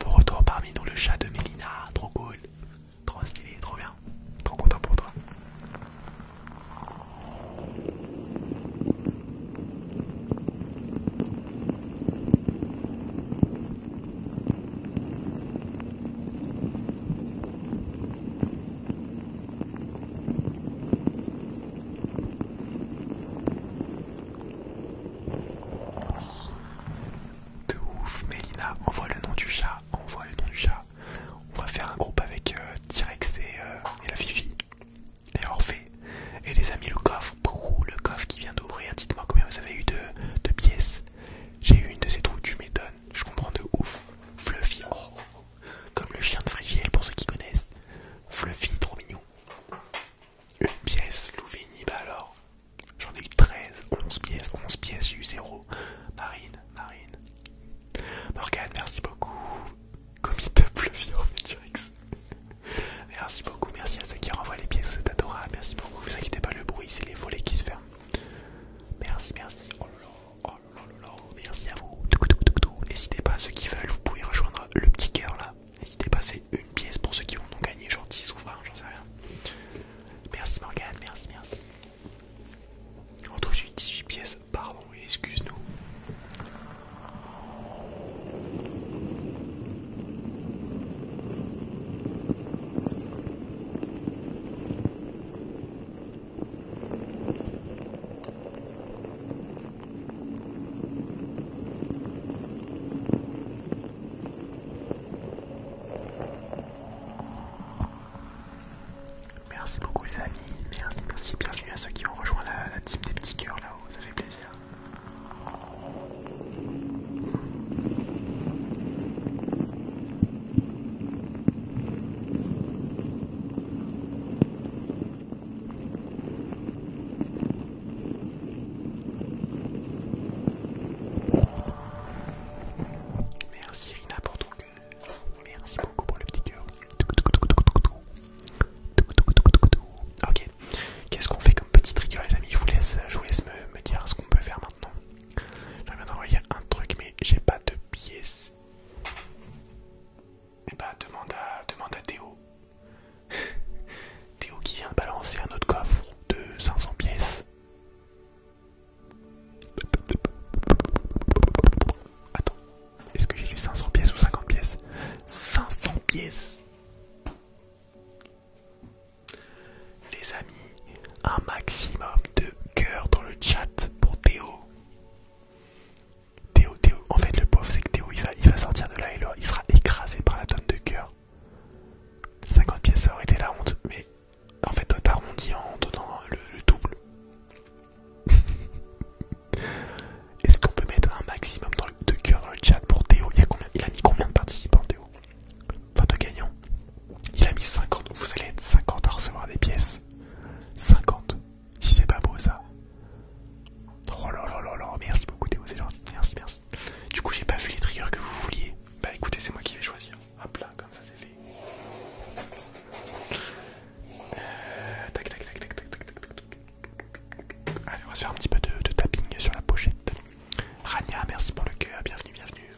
Bon retour parmi nous, le chat de Mélina, trop cool Trop stylé, trop bien. Trop content pour toi. De ouf, Mélina, envoie le nom du chat, envoie le nom du chat on va faire un groupe avec euh, T-Rex euh, et, la Fifi et Orphée. Et les amis, le coffre, le coffre qui vient d'ouvrir, dites-moi combien vous avez eu de, pièces. J'ai eu une de ces trous, tu m'étonnes, je comprends de ouf. Fluffy, oh, oh, oh. comme le chien de Frigiel pour ceux qui connaissent. Fluffy, trop mignon. Une pièce, Louvigny, bah alors. J'en ai eu 13, 11 pièces, 11 pièces, j'ai eu 0. Marine, Marine, Morgane, merci beaucoup. comme double Pleuvoir futurex. Merci beaucoup, merci à ceux qui renvoient les pièces, vous êtes adorables. Merci beaucoup, vous inquiétez pas, le bruit, c'est les volets qui se ferment. Merci, merci. Oh là oh merci à vous. N'hésitez pas, ceux qui veulent, vous pouvez rejoindre le petit cœur là. N'hésitez pas, c'est une pièce pour ceux qui en ont gagné, gentil, souverain, j'en sais rien. Merci Morgane, merci, merci. En tout, j'ai eu 18 pièces, pardon, excuse-nous. Merci beaucoup les amis, merci, merci, bienvenue à ceux qui ont rejoint la, la team des petits cœurs là-haut, ça fait plaisir. Merci Rina pour ton cœur. Merci beaucoup pour le petit cœur. Ok, qu'est-ce qu'on fait comme petit trigger, les amis Je vous laisse, me, dire ce qu'on peut faire maintenant. J'aimerais viens d'envoyer un truc, mais j'ai pas de pièces. Et eh bah, ben, demande à, demande à Théo. Théo qui vient de balancer un autre coffre de 500 pièces. Attends, est-ce que j'ai lu 500 pièces ou 50 pièces 500 pièces Les amis, un maximum de cœur dans le chat pour Théo. Théo, Théo, en fait le pauvre c'est que Théo il va, il va sortir de là et là, il sera écrasé par la tonne de cœur. 50 pièces ça aurait été la honte, mais en fait, toi t'arrondis en donnant le, double. Est-ce qu'on peut mettre un maximum de cœur dans le chat pour Théo il, a mis combien de participants, Théo Enfin, de gagnants. Il a mis 50. Vous allez être 50 à recevoir des pièces. 50. Si c'est pas beau ça. Oh là là là, merci beaucoup Théo, c'est gentil. Merci, merci. Du coup, j'ai pas vu les triggers que vous vouliez. Bah écoutez, c'est moi qui vais choisir. Hop là, comme ça c'est fait. Euh, tac, tac, tac, tac, tac, tac, tac, tac. Allez, on va se faire un petit peu de, tapping sur la pochette. Rania, merci pour le cœur, bienvenue, bienvenue.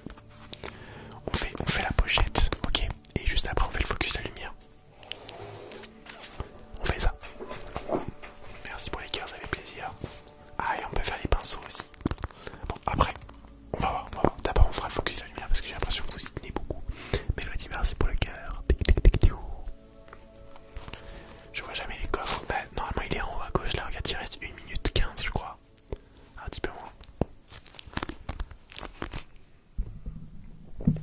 On fait, on fait la pochette, ok Et juste après, on fait le focus la lumière. On fait ça. Merci pour les cœurs, ça fait plaisir. Ah, et on peut faire les pinceaux aussi. Bon, après, on va voir, on va voir. D'abord on fera le focus de la lumière parce que j'ai l'impression que vous y tenez beaucoup. Mais Mélodie, merci pour le cœur. Je vois jamais les coffres. Bah, normalement il est en haut à gauche là, regarde, il reste 1 minute 15 je crois. Un petit peu moins.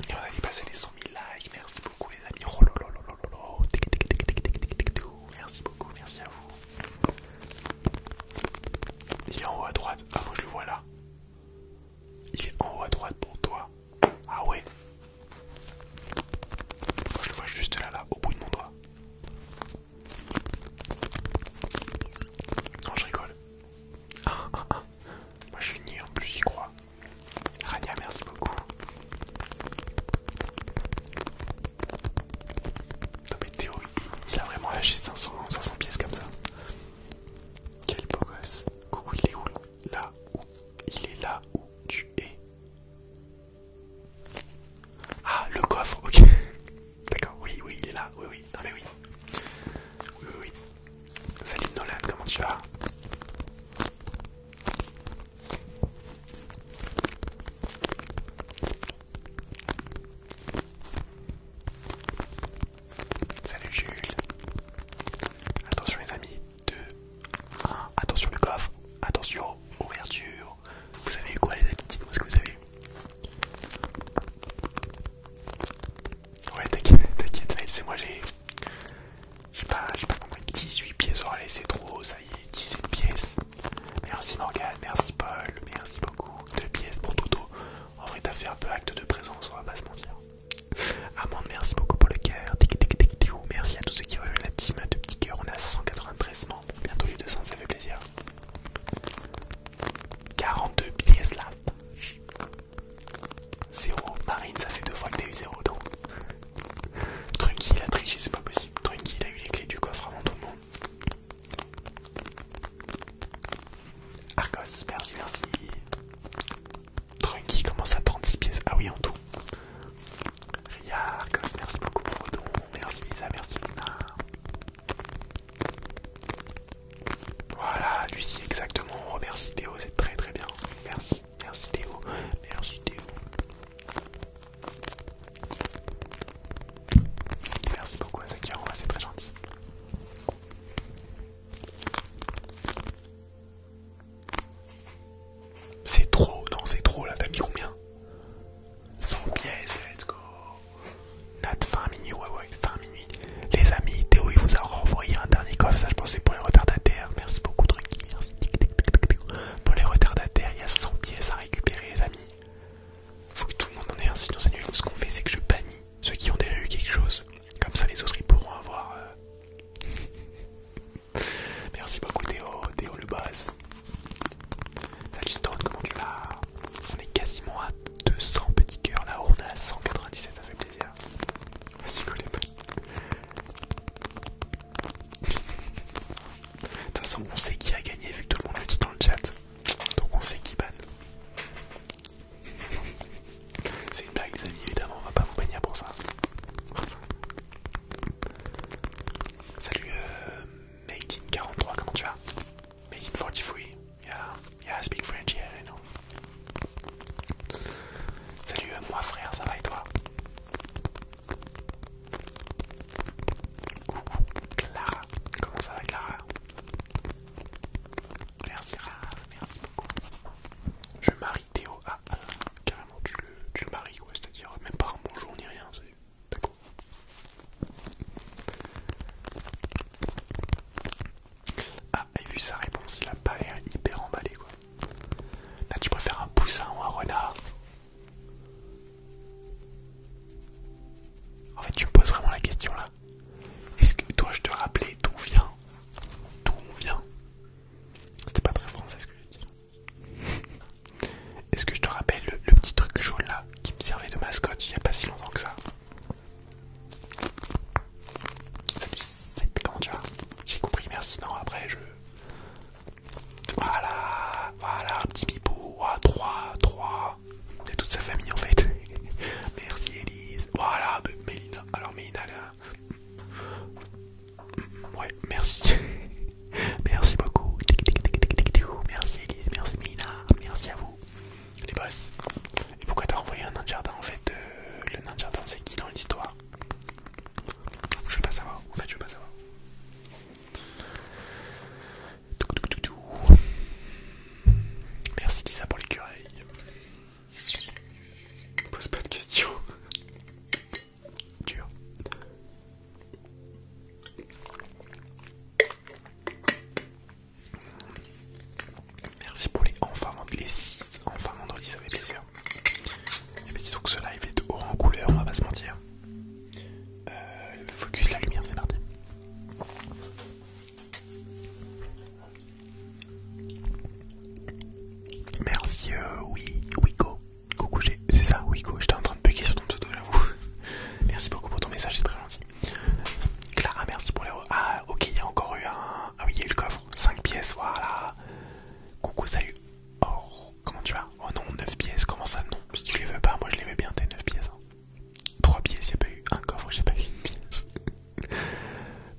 Et on a dépassé les 100 000 likes, merci beaucoup les amis. Oh, là là là Tic, tic, merci beaucoup, merci à vous. Il est en haut à droite, ah moi je le vois là. Il est en haut à droite pour toi. Ah ouais. Moi, je le vois juste là, là, au bout de mon doigt. Non, je rigole. Ah, ah, ah. Moi, je suis en plus, j'y crois. Rania, merci beaucoup. Non mais Théo, il a vraiment lâché 500 pièces comme ça. Quel beau gosse. Coucou, il est où Là où Il est là où tu es. Ah, le coffre, ok. D'accord, oui, oui, il est là. Oui, oui, non mais oui. Oui, oui, oui. Salut Nolan, comment tu vas Salut Jules. Attention les amis. 2, 1. Attention le coffre. Attention, ouverture. Vous avez eu quoi les amis Dites-moi ce que vous avez eu. Ouais t'inquiète, t'inquiète c'est moi j'ai... J'ai pas, pas comment, 18 pièces, oh allez c'est trop, ça y est, 17 pièces. Merci Morgane, merci Paul, merci beaucoup. 2 pièces pour Toto. En vrai, t'as fait un peu acte de présence, on va pas se mentir. Amande, merci beaucoup pour le cœur. Merci à tous ceux qui ont rejoint la team de petit cœur On a 193 membres. Bientôt les 200, ça fait plaisir. 42 billets là. 0. Marine, ça fait deux fois que t'as eu zéro, donc. Trunky, il a triché, c'est pas possible. Trunky, il a eu les clés du coffre avant tout le monde. Arcos, merci, merci. Trunky commence à 36 pièces. Ah oui, en tout. Ria, Arcos, merci beaucoup pour ton Merci Lisa, merci Lina. Voilà, Lucie, exactement. On remercie Théo, c'est très très bien. Merci, merci Théo. Merci Théo. Merci beaucoup à ceux qui c'est très gentil. C'est trop, non c'est trop là, t'as mis combien 100 pièces, let's go Nat, fin minuit, ouais ouais, fin minuit. Les amis, Théo il vous a renvoyé un dernier coffre, ça je pensais pour les retardataires, merci beaucoup truc, merci. Pour les retardataires, il y a 100 pièces à récupérer les amis. Faut que tout le monde en ait un sinon cette nuit, Ce qu'on fait c'est que je bannis ceux qui ont déjà eu quelque chose, comme ça les autres ils pourront avoir. Euh. Merci beaucoup Théo, Théo le boss. Salut Stone, comment tu vas On est quasiment à 200 petits cœurs là on est à 197, ça fait plaisir. Vas-y, les De toute façon, on sait qui a gagné vu que tout le monde le dit dans le chat. Donc on sait qui banne. C'est une blague, les amis, évidemment, on va pas vous baigner pour ça. Salut, euh, Making43, comment tu vas Making43, yeah, yeah, I speak French, yeah, I know. Salut, euh, moi frère, ça va et toi Coucou, Clara, comment ça va, Clara Merci merci beaucoup. Je marie Théo. Ah, carrément, tu le, maries, quoi. c'est-à-dire même pas un bonjour ni rien, c'est d'accord. Ah, et vu sa réponse, il a pas l'air hyper emballé quoi. Là, tu préfères un poussin ou un renard En fait, tu me poses vraiment la question là. Est-ce que toi, je te rappelais d'où vient D'où on vient C'était pas très français ce que j'ai dit. Est-ce que je te rappelle le, petit truc jaune là qui me servait de mascotte il y a pas si longtemps que ça Salut 7, comment tu vas J'ai compris, merci. Non, après je. Voilà, voilà, un petit à 3, 3. De toute sa famille en fait. merci Elise. Voilà, alors Mina, là... Ouais, merci. merci beaucoup. Merci Elise, merci Mina, merci à vous. Les boss. Et pourquoi t'as envoyé un nain de jardin en fait euh, Le nain de jardin c'est qui dans l'histoire Je veux pas savoir, en fait je veux pas savoir. Merci Lisa pour l'écureuil. Pose pas de questions. Dur. Merci pour les enfin vendredi, les 6 enfin vendredi, ça fait plaisir. Et eh bien, disons que ce live est orange en couleur, on va pas se mentir. Euh, focus la lumière, c'est parti. Merci euh, oui, Wiko, coucou c'est ça Wiko, j'étais en train de bugger sur ton pseudo j'avoue. Merci beaucoup pour ton message, c'est très gentil. Clara, merci pour les... Ah ok, il y a encore eu un... Ah oui, il y a eu le coffre, 5 pièces, voilà. Coucou, salut. Oh, comment tu vas Oh non, 9 pièces, comment ça non Si tu les veux pas, moi je les veux bien tes 9 pièces. 3 hein. pièces, il a pas eu un coffre, j'ai pas eu une pièce.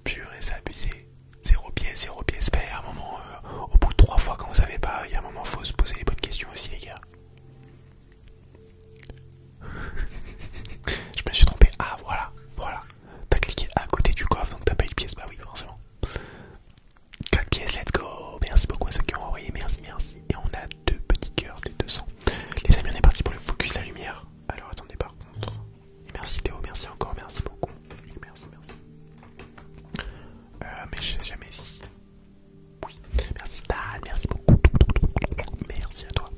Pur et s'abuser. Zéro pièce, zéro pièce. un moment, euh, au bout de trois fois quand vous savez pas, il y a un moment, faut se poser les bonnes questions aussi, les gars. Je me suis trompé. Ah, voilà, voilà. T'as cliqué à côté du coffre, donc t'as pas eu de pièce. Bah oui, forcément. 4 pièces, let's go. Merci beaucoup à ceux qui ont envoyé. Merci, merci. Et on a deux petits cœurs des 200. Les amis, on est parti pour le focus, la lumière. Alors attendez, par contre merci Théo, merci encore, merci beaucoup. Merci, merci. Euh, mais je sais jamais si. Oui, merci Stan, merci beaucoup. Merci à toi.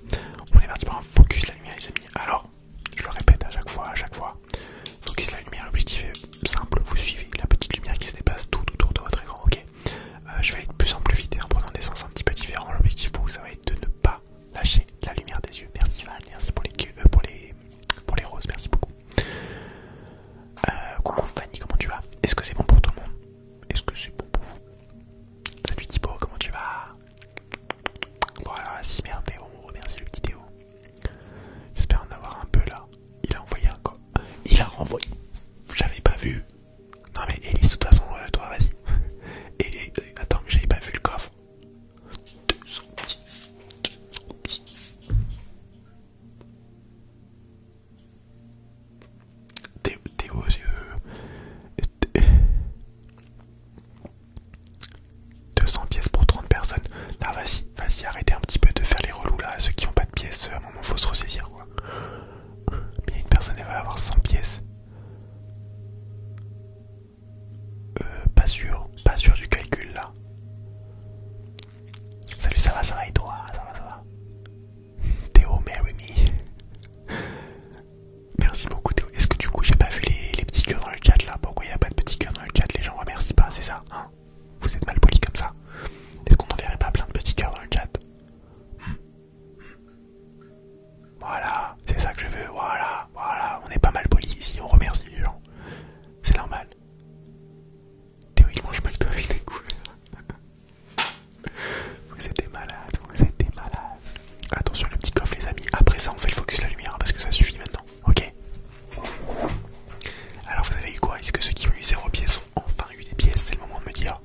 On est parti pour un focus la lumière, les amis. Alors, je le répète à chaque fois, à chaque fois. Focus la lumière, l'objectif est simple. Vous suivez la petite lumière qui se dépasse tout autour de votre écran, ok euh, Je vais aller de plus en plus vite et en prenant des sens un petit peu différents. L'objectif pour vous, ça va être de ne pas Lâchez la lumière des yeux. Merci Van, merci pour les, euh, pour les, pour les roses, merci beaucoup. Euh, coucou Fanny, comment tu vas Est-ce que c'est bon pour tout le monde Est-ce que c'est bon pour vous Salut Thibaut, comment tu vas Voilà, si merde Théo, le petit Théo. J'espère en avoir un peu là. Il a envoyé un coffre. Il a renvoyé. J'avais pas vu. Non mais Elise, de toute façon, euh, toi vas-y. Attends, mais j'avais pas vu le coffre. 200 pièces. 200 pièces pour 30 personnes. Là, vas-y, vas-y, arrêtez un petit peu de faire les relous là. Ceux qui n'ont pas de pièces, euh, à un moment, faut se ressaisir quoi. Mais une personne, elle va avoir 100 pièces. Euh, pas sûr, pas sûr du calcul là. Salut, ça va, ça va et toi Ça va, ça va Théo, marry me. Merci beaucoup Théo. Est-ce que du coup j'ai pas vu les, petits cœurs dans le chat là Pourquoi il n'y a pas de petits cœurs dans le chat Les gens remercient pas, c'est ça hein Vous êtes mal polis comme ça. Est-ce qu'on verrait pas plein de petits cœurs dans le chat voilà, c'est ça que je veux, voilà, voilà. On est pas mal poli ici, on remercie les gens. C'est normal. Théoriquement, je me le dois Vous êtes malade, vous êtes malade. Attention, le petit coffre, les amis. Après ça, on fait le focus la lumière hein, parce que ça suffit maintenant, ok Alors, vous avez eu quoi Est-ce que ceux qui ont eu zéro pièce ont enfin eu des pièces C'est le moment de me dire.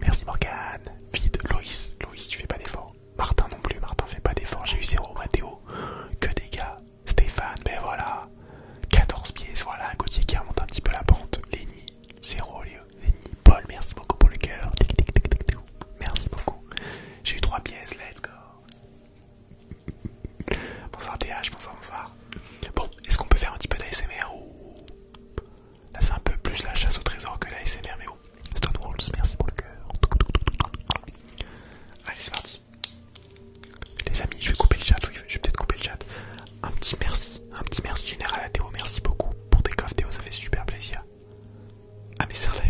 Merci Morgane. Vide, Loïs. Loïs, tu fais pas d'effort. Martin non plus, Martin fait pas d'effort. J'ai eu zéro, Mathéo. Que des gars. Stéphane, ben voilà. 14 pièces, voilà. Gauthier qui remonte un petit peu la pente. Lenny, zéro, Lenny. Paul, merci beaucoup pour le cœur. Merci beaucoup. J'ai eu 3 pièces, let's go. bonsoir TH, bonsoir, bonsoir. Bon, est-ce qu'on peut faire un petit peu d'ASMR ou... Là, c'est un peu plus la chasse au trésor que la SMR, mais Stonewalls, merci pour le cœur. Allez, c'est parti. Les amis, je vais couper le chat. Oui, je vais peut-être couper le chat. Un petit merci, un petit merci général à Théo. Merci beaucoup pour tes Théo. Ça fait super plaisir. Ah, mais c'est la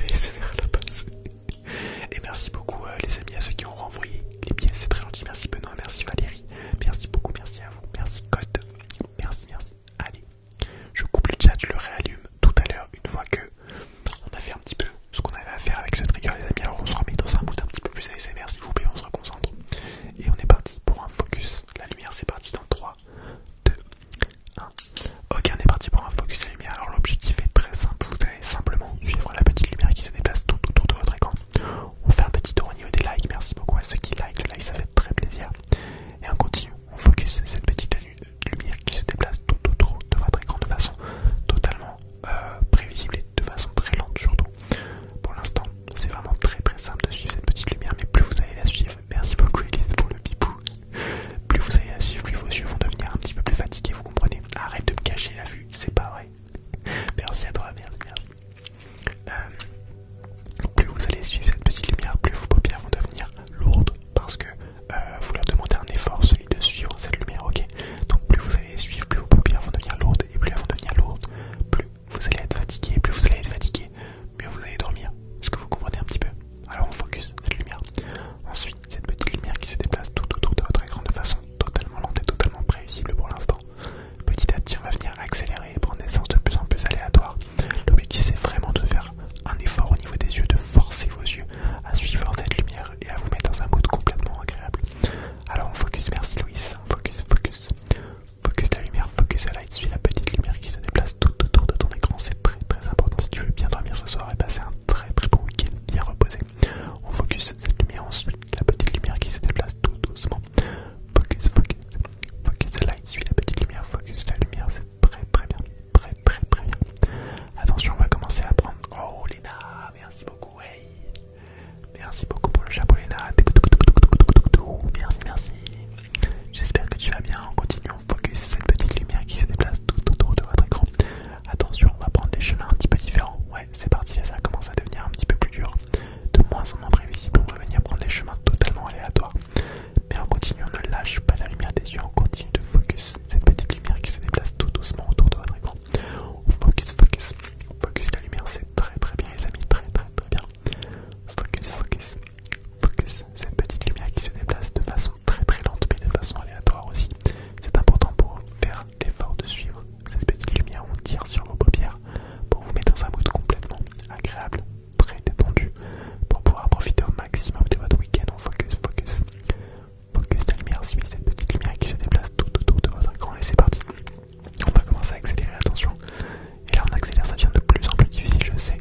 Et merci beaucoup, euh, les amis, à ceux qui ont renvoyé les pièces. C'est très gentil. Merci Benoît, merci Valérie. Merci beaucoup, merci à vous. Merci Code. Merci, merci. Allez, je coupe le chat, je le réallume tout à l'heure une fois que on a fait un petit peu ce qu'on avait à faire avec ce trigger les amis. Alors on se remet dans un bout un petit peu plus ASMR s'il vous plaît, on se reconcentre. Et on est parti pour un focus. La lumière c'est parti dans 3, 2, 1. Ok on est parti pour un focus la lumière. Alors l'objectif est très simple, vous allez simplement suivre la petite lumière qui se déplace tout autour de votre écran. On fait un petit tour au niveau des likes, merci beaucoup à ceux qui like, le like ça fait très plaisir. Et on continue, on focus cette petite lumière qui se déplace tout autour de votre écran de façon totalement euh, prévisible et de façon très lente surtout. Pour l'instant, c'est vraiment très très simple de suivre cette petite lumière, mais plus vous allez la suivre, merci beaucoup Elise pour le bipou, plus vous allez la suivre, plus vos yeux vont devenir un petit peu plus fatigués, vous comprenez Arrête de me cacher la vue, c'est pas vrai. Merci à toi, merci. Euh, plus vous allez suivre cette petite lumière, plus vos paupières vont devenir lourdes parce que euh, vous leur demandez un effort, celui de suivre cette lumière, ok Donc plus vous allez suivre, plus vos paupières vont devenir lourdes et plus elles vont devenir lourdes, plus vous allez être fatigué, plus vous allez être fatigué, mieux vous allez dormir. Est-ce que vous comprenez un petit peu Alors on focus cette lumière. Ensuite, cette petite lumière qui se déplace tout autour de votre écran de façon totalement lente et totalement prévisible pour l'instant. Petit à petit, on va venir accélérer et prendre des de plus en plus aléatoire. L'objectif c'est vraiment de faire un effort au niveau des yeux, de forcer vos yeux à suivre cette lumière et à vous mettre dans un mode complètement agréable. Alors on focus, merci Louis, focus, focus, focus la lumière, focus la light, suis la petite lumière qui se déplace tout autour de ton écran, c'est très très important. Si tu veux bien dormir ce soir et eh ben, passer un très très bon week-end bien reposé, on focus cette lumière ensuite, la petite lumière qui se déplace tout doucement Focus, focus, focus la lumière, suit la petite lumière, focus la lumière, c'est très très bien, très très très bien. Attention, on va commencer à prendre. Oh Léna, merci beaucoup, hey Merci beaucoup pour le chapeau Léna. Merci, merci. J'espère que tu vas bien. On continue, focus cette petite lumière qui se déplace tout autour de votre écran. Attention, on va prendre des chemins un petit peu différents. Ouais, c'est parti, ça commence à devenir un petit peu plus dur. De moins en moins prévisible, on va venir prendre des chemins totalement aléatoires. Mais on continue, on ne lâche pas la lumière des yeux, on continue de focus cette petite lumière qui se déplace tout doucement autour de votre écran. focus, focus, focus la lumière, c'est très très bien les amis, très très très bien. Focus, focus, focus cette petite lumière qui se déplace de façon très très lente mais de façon aléatoire aussi. C'est important pour faire l'effort de suivre cette petite lumière, on tire sur vos paupières pour vous mettre dans un mode complètement agréable, très détendu pour pouvoir profiter au maximum de votre week-end. On focus, focus, focus. La lumière suit cette petite lumière qui se déplace tout autour de votre écran et c'est parti. On va commencer à accélérer, attention. Et là, on accélère, ça devient de plus en plus difficile, je sais,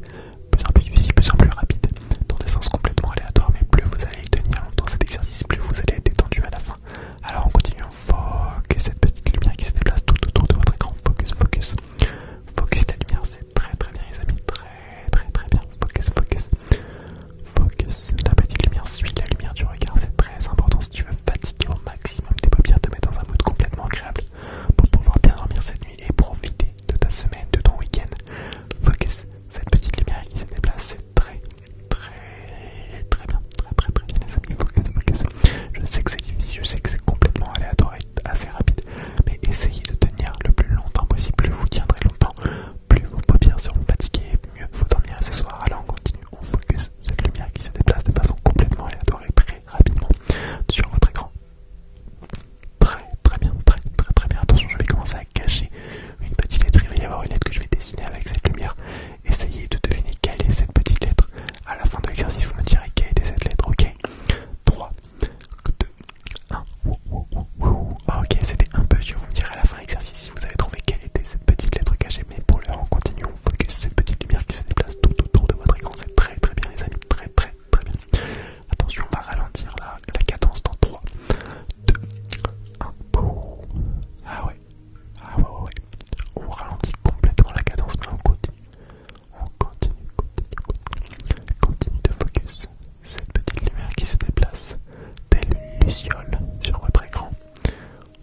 plus en plus difficile, plus en plus rapide, dans des sens complètement aléatoires. Mais plus vous allez tenir longtemps cet exercice, plus vous allez être détendu à la fin. Alors on continue, on focus cette petite lumière qui se déplace tout autour de votre écran, focus, focus, Focus la lumière, c'est très très bien les amis, très très très bien. Focus, focus, focus. La petite lumière suit la lumière du regard, c'est très important si tu veux fatiguer au maximum tes paupières, te mettre dans un mode complètement agréable pour pouvoir bien dormir cette nuit et profiter de ta semaine, de ton week-end. Focus, cette petite lumière qui se déplace, c'est très très très bien, très très très bien les amis. Focus, focus. Je sais que c'est difficile, je sais que c'est complètement aléatoire assez rapide, mais essayez de tenir le plus longtemps possible. Plus vous tiendrez longtemps, plus vos paupières seront fatiguées, mieux vous dormirez ce soir. Alors on continue, on focus cette lumière qui se déplace de façon complètement aléatoire et très rapidement sur votre écran. Très très bien, très très très bien. Attention, je vais commencer à cacher une petite lettre. Il va y avoir une lettre que je vais dessiner avec cette lumière. Essayez de deviner quelle est cette petite lettre. À la fin de l'exercice, vous me direz quelle était cette lettre. Ok 3, 2, ah, 1. Ok, c'était un peu dur. Vous me direz à la fin l'exercice si vous avez trouvé quelle était cette petite lettre cachée. Mais pour l'heure, on continue. On focus cette petite lumière qui se déplace tout autour de votre écran. C'est très très bien, les amis. Très très très bien. Attention, on va ralentir la, cadence dans 3, 2, 1. Ah ouais, ah ouais, ouais. On ralentit complètement la cadence, mais on continue. On continue, continue, continue de focus cette petite lumière qui se déplace, dès une sur votre écran.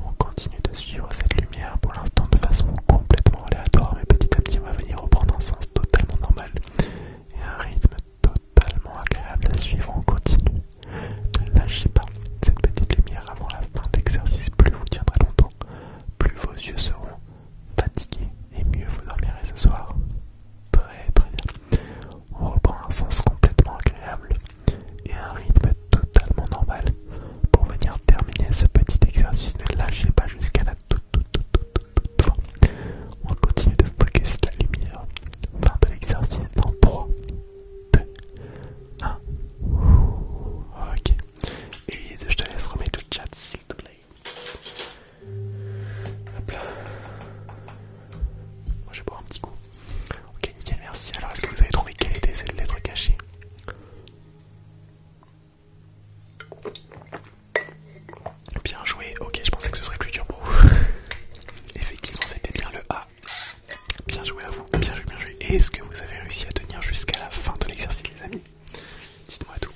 On continue de suivre cette lumière pour l'instant de façon complètement aléatoire, mais petit à petit on va venir reprendre un sens totalement normal et un rythme totalement agréable à suivre On continue. Ne lâchez pas cette petite lumière avant la fin l'exercice. plus vous tiendrez longtemps, plus vos yeux seront fatigué et mieux vous dormirez ce soir. Très très bien. On reprend un sens complètement agréable et un rythme totalement normal pour venir terminer ce petit exercice. Ne lâchez pas jusqu'à la toute fin. On continue de focus la lumière. Fin de l'exercice dans 3, 2, 1. Ok. Et je te laisse remettre le chat plaît. Hop là. Moi je vais boire un petit coup. Ok, nickel, merci. Alors est-ce que vous avez trouvé quelle était cette lettre cachée Bien joué, ok, je pensais que ce serait plus dur pour vous. Effectivement, c'était bien le A. Bien joué à vous, bien joué, bien joué. Et est-ce que vous avez réussi à tenir jusqu'à la fin de l'exercice, les amis Dites-moi tout.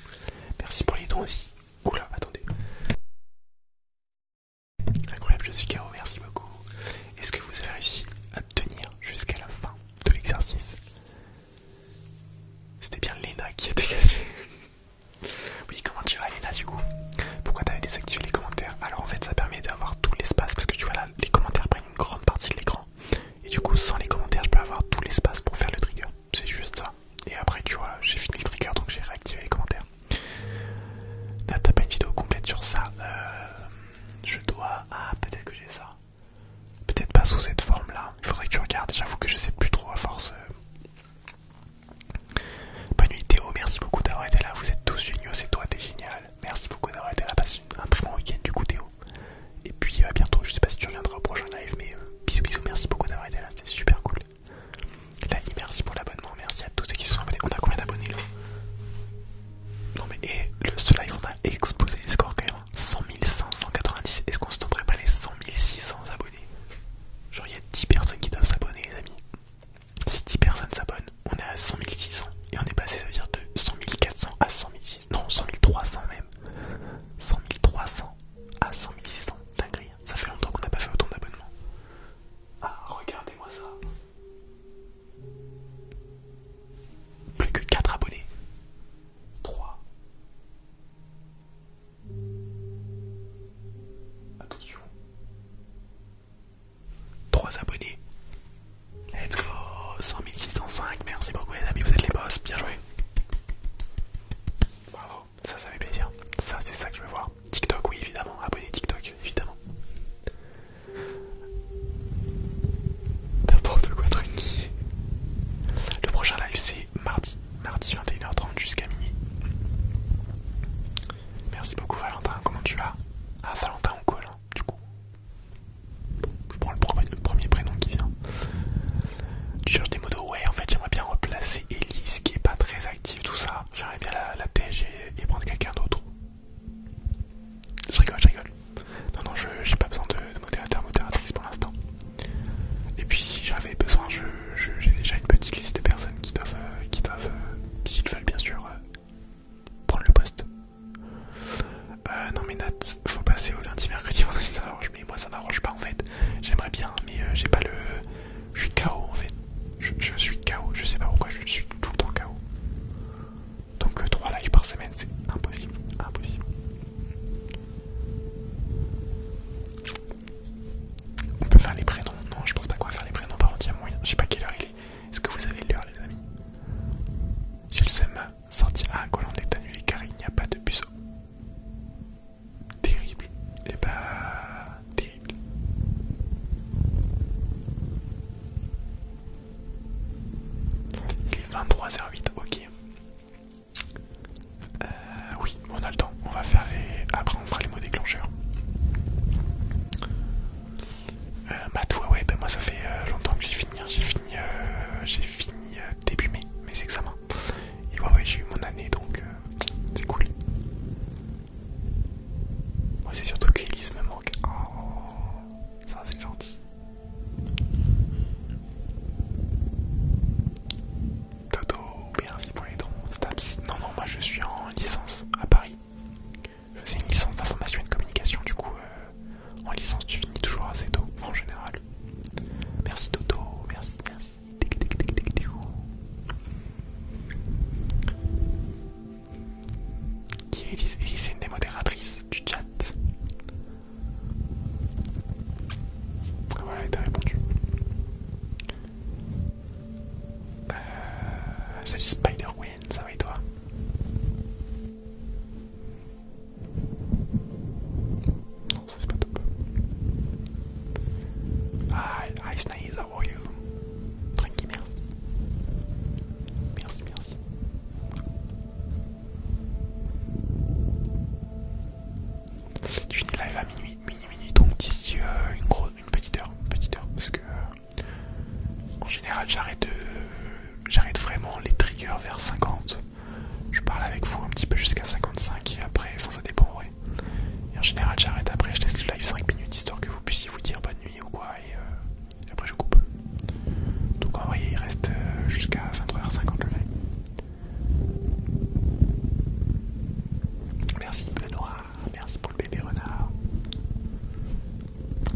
Merci pour les dons aussi. Oula, attendez. Incroyable, je suis KO, merci beaucoup. Est-ce que vous avez réussi à tenir jusqu'à la fin de l'exercice C'était bien Lena qui a dégagé. oui, comment tu vas Lena du coup Pourquoi t'avais désactivé les commentaires Alors en fait ça permet d'avoir tout l'espace parce que tu vois là, les commentaires prennent une grande partie de l'écran. Et du coup sans les commentaires je peux avoir tout l'espace pour faire le trigger c'est juste ça. Et après, tu vois, j'ai fini le trigger donc j'ai réactivé les commentaires. T'as pas une vidéo complète sur ça. Euh, je dois. Ah, peut-être que j'ai ça. Peut-être pas sous cette forme là. Il faudrait que tu regardes. J'avoue que je sais plus trop à force. Euh. Bonne nuit Théo, merci beaucoup d'avoir été là. Vous êtes tous géniaux, c'est toi, t'es génial. Merci beaucoup d'avoir été là. Passe un très bon week-end du coup, Théo. Et puis à bientôt, je sais pas si tu reviendras au prochain live, mais euh, bisous bisous, merci beaucoup d'avoir aidé là, c'était super cool. Lani, merci pour l'abonnement, merci à tous ceux qui se sont abonnés. On a combien d'abonnés là Non mais et, eh, le, ce live on a explosé les scores quand même. 100 hein. 590, est-ce qu'on se tenterait pas les 100 600 abonnés Genre il y a 10 personnes qui doivent s'abonner les amis. Si 10 personnes s'abonnent, on est à 100 600 et on est passé ça veut dire de 100 400 à 100 600, non 100 300 même. 100 300 100 ah, 600, dinguerie. Hein. Ça fait longtemps qu'on n'a pas fait autant d'abonnements. Ah, regardez-moi ça. Plus que 4 abonnés. 3. Attention. 3 abonnés. Let's go. 605, Merci beaucoup les amis, vous êtes les boss. Bien joué. Bravo, ça, ça fait plaisir. Ça, c'est ça que je veux voir. TikTok, oui, évidemment. Abonnez TikTok, évidemment. N'importe quoi, tranquille. Le prochain live, c'est mardi. Mardi 21h30 jusqu'à minuit. Merci beaucoup, Valentin. Comment tu vas Ah, Valentin, on colle, du coup. Je prends le premier prénom qui vient. Tu cherches des modos Ouais, en fait, j'aimerais bien replacer Elise qui est pas très active, tout ça. J'aimerais bien la, la et, prendre quelqu'un d'autre. Je rigole, je rigole. Non, non, j'ai pas besoin de, modérateur, modératrice pour l'instant. Et puis, si j'avais besoin, j'ai déjà une petite liste de personnes qui doivent, euh, qui doivent euh, s'ils veulent bien sûr, euh, prendre le poste. non, mais Nat, faut passer au lundi, mercredi, vendredi, ça mais moi ça m'arrange pas en fait. J'aimerais bien mais euh, j'ai pas le... Je suis KO en fait. Je, suis KO, je sais pas pourquoi je suis tout le temps KO. Donc 3 euh, lives par semaine c'est impossible, impossible. On peut faire les prénoms Non je pense pas quoi faire les prénoms par contre il Je sais pas quelle heure il est. Est-ce que vous avez l'heure les amis ma sorti à Colland est annulé car il n'y a pas de buceau. Terrible. Et eh bah... Ben, terrible. Il est 23h08, ok. Euh, oui, on a le temps. On va faire les... Après on fera les mots déclencheurs. Bah euh, toi, ouais, ben moi ça fait euh, longtemps que j'ai fini. Hein. J'ai fini, j'ai fini début mai mes examens. Et ouais, j'ai eu mon année donc euh, c'est cool. Moi c'est surtout qu'Elise me manque. Oh, ça c'est gentil. Toto, merci pour les dons. Non, non, moi je suis en licence à Paris. fais une licence d'information et de communication, du coup, euh, en licence tu finis toujours assez tôt, en général. Merci Toto, merci, merci. Qui est Elise une des modératrices du chat. Ah, voilà, elle t'a répondu. Euh, Spider-Wen, ça va et toi non, ça c'est pas top. Hi, are you? Tranquille, merci. Merci, merci. Tu finis live à minuit, minuit, minuit, donc euh, une, grosse, une petite heure, petite heure, parce que en général j'arrête euh, j'arrête vraiment les triggers vers 50 je parle avec vous un petit peu jusqu'à 55 et après, enfin ça dépend, Et en général, j'arrête après, je laisse le live 5 minutes histoire que vous puissiez vous dire bonne nuit ou quoi, et, euh, après je coupe. Donc en vrai, il reste euh, jusqu'à 23h50 le live. Merci Benoît, merci pour le bébé renard.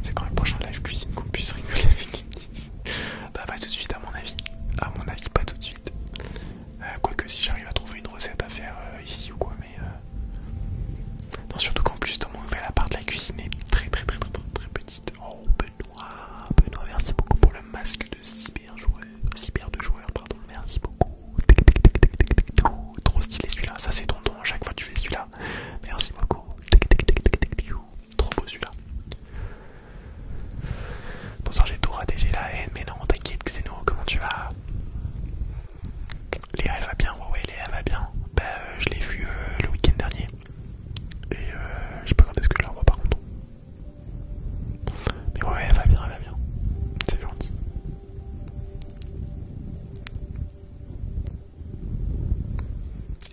C'est quand le prochain live cuisine qu'on puisse rigoler avec Bah, pas tout de suite, à mon avis. A mon avis, pas tout de suite. Euh, quoique si j'arrive à trouver une recette à faire euh, ici ou quoi, mais... Euh, non, surtout qu'en plus dans mon nouvel appart, la cuisine est très très très très très, très petite. Oh Benoît, Benoît, merci beaucoup pour le masque de cyber joueur, cyber joueur, pardon, merci beaucoup. trop stylé celui-là, ça c'est ton don, à chaque fois que tu fais celui-là. Merci beaucoup. Trop beau celui-là. Bonsoir, j'ai tout raté, j'ai la haine, mais non, t'inquiète, Xeno, comment tu vas Léa, elle va bien, ouais, ouais, Léa va bien. Bah, euh, je l'ai vu euh, le week-end dernier. Et euh, je sais pas quand est-ce que je la par contre. Mais ouais, elle va bien, elle va bien. C'est gentil.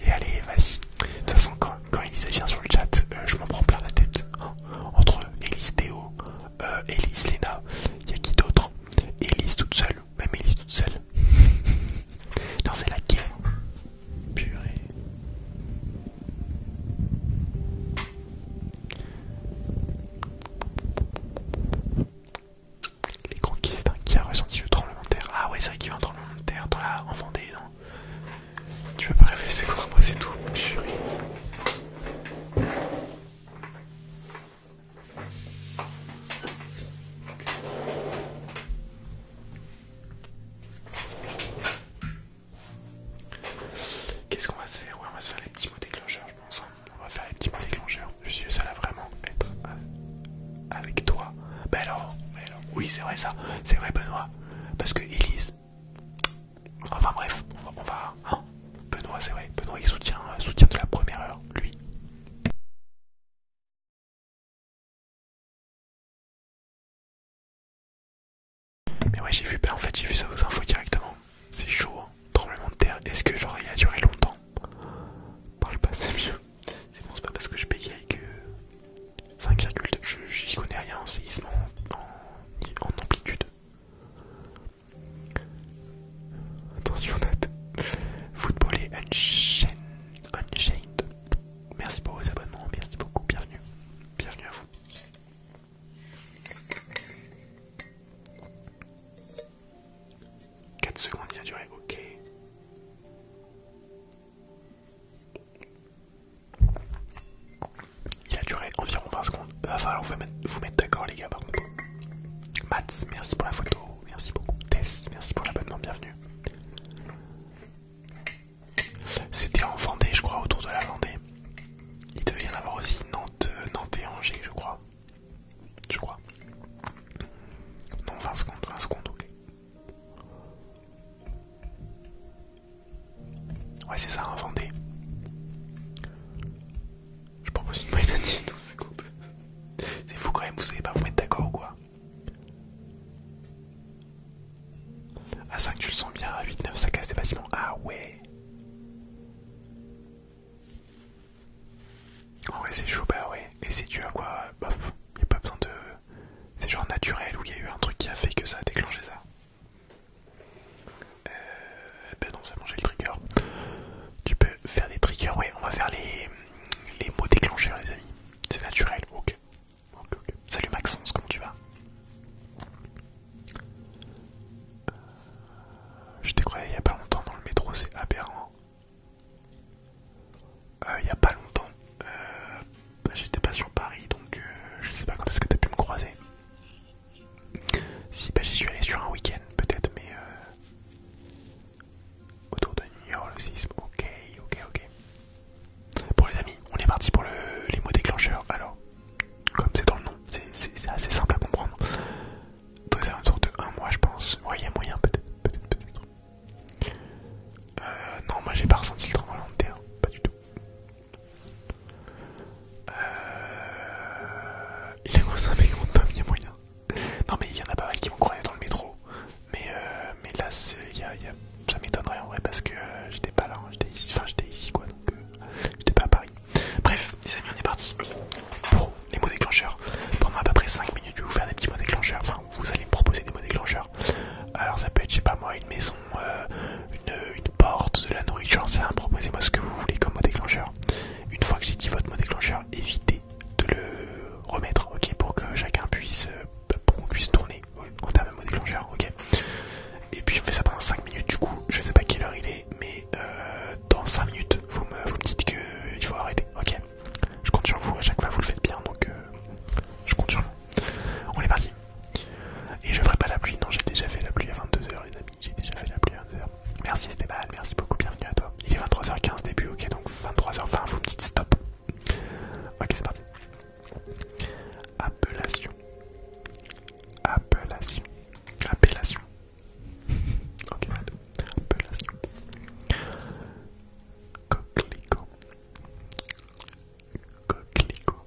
Et allez, vas-y. De toute façon, quand quand, Elise Elisa vient sur le chat, euh, je m'en prends plein la tête. Oh, entre Elise Théo, euh, Elise Lena, il y a qui d'autre Elise toute seule, même Elise toute seule. non, c'est la guerre. Purée. Les grands qui c'est un qui a ressenti le tremblement de terre. Ah ouais, c'est vrai qu'il y a eu un tremblement de terre en Vendée, non tu vas pas réfléchir contre moi, c'est tout. Purée. Qu'est-ce qu'on va se faire on va se faire les petits mots déclencheurs, je pense. Hein. On va faire les petits mots déclencheurs. Je suis ça va vraiment être euh, avec toi. Ben alors, oui, c'est vrai ça. C'est vrai, Benoît. Parce que Elise, Enfin bref, on va... Hein. Benoît, c'est vrai. Benoît, il soutient, euh, soutient de la première heure, lui. Mais ouais, j'ai vu, bah, en fait, j'ai vu ça aux infos directement. C'est chaud, hein. tremblement de terre. Est-ce que j'aurais duré longtemps Parle pas, c'est mieux. C'est bon, c'est pas parce que je bégaye que 5,2. Je n'y connais rien en séisme, en, en, amplitude. Attention, Football et Unchained. Merci pour vos abonnements, merci beaucoup, bienvenue. Bienvenue à vous. 4 secondes, il a duré, ok. Il a duré environ 20 secondes. Va falloir vous mettre, d'accord les gars par contre. Mats, merci pour la photo, merci beaucoup. Tess, merci pour l'abonnement, bienvenue. C'était en Vendée, je crois, autour de la Vendée. Il devait y en avoir aussi Nantes, euh, Nantes et Angers, je crois. Je crois. Non, 20 secondes, 20 secondes, ok. Ouais, c'est ça, un Je propose une bride de 10, 12 secondes. C'est fou quand même, vous savez pas vous mettre d'accord ou quoi. À 5, tu le sens bien, à 8, 9, ça casse des bâtiments. Ah ouais! En vrai, c'est chaud, bah ouais. Et c'est dû à quoi? Bof, bah, y a pas besoin de. C'est genre naturel où il y a eu un truc qui a fait que ça a déclenché ça. Euh, ben non, ça mangé le trigger. Tu peux faire des triggers, ouais, on va faire les, mots déclencheurs, les amis. C'est naturel, ok. Salut Maxence, comment tu vas euh, Je t'ai croisé il y a pas longtemps dans le métro, c'est aberrant. Euh, il y a pas longtemps, euh, j'étais pas sur Paris donc euh, je sais pas quand est-ce que t'as pu me croiser. Si, bah j'y suis allé sur un week-end peut-être, mais euh, autour de New York, Ok, ok, ok. Bon les amis, on est parti pour le, les mots déclencheurs. Alors, comme c'est dans le nom, c'est assez simple à comprendre. c'est une sorte de 1 mois je pense. Ouais, il y a moyen peut-être, peut-être, peut-être. Euh, non, moi j'ai pas ressenti le tremblement de terre, pas du tout. Il a moyen. Non mais il y en a pas mal qui vont croiser dans le métro. Mais, euh, mais là, ça m'étonnerait en vrai parce que euh, j'étais pas là, hein. j'étais ici, enfin j'étais ici quoi, donc euh, j'étais pas à Paris. Bref, les amis, on est parti pour les mots déclencheurs. Pendant à peu près 5 minutes, je vais vous faire des petits mots déclencheurs. Enfin, vous allez me proposer des mots déclencheurs. Alors ça peut être, je sais pas moi, une maison, euh, une, porte, de la nourriture, c'est un proposez-moi ce que vous voulez comme mot déclencheur. Une fois que j'ai dit votre mot déclencheur, évitez de le remettre, ok, pour que chacun puisse, euh, qu'on puisse tourner en termes de mot déclencheur, ok. Et puis je fais ça pendant 5 minutes, du coup, je sais pas quelle heure il est, mais euh, dans 5 minutes, vous me, vous dites qu'il faut arrêter, ok. Je compte sur vous, à chaque fois vous le faites bien, donc je compte sur vous. On est parti. Et je ferai pas la pluie, non, j'ai déjà fait la pluie à 22h, les amis. J'ai déjà fait la pluie à 2 h Merci, Stéban, merci beaucoup, bienvenue à toi. Il est 23h15 début, ok, donc 23h20, vous me dites stop. Ok, c'est parti. Appellation. Appellation. Appellation. Ok, appellation. Coquelicot. Coquelicot.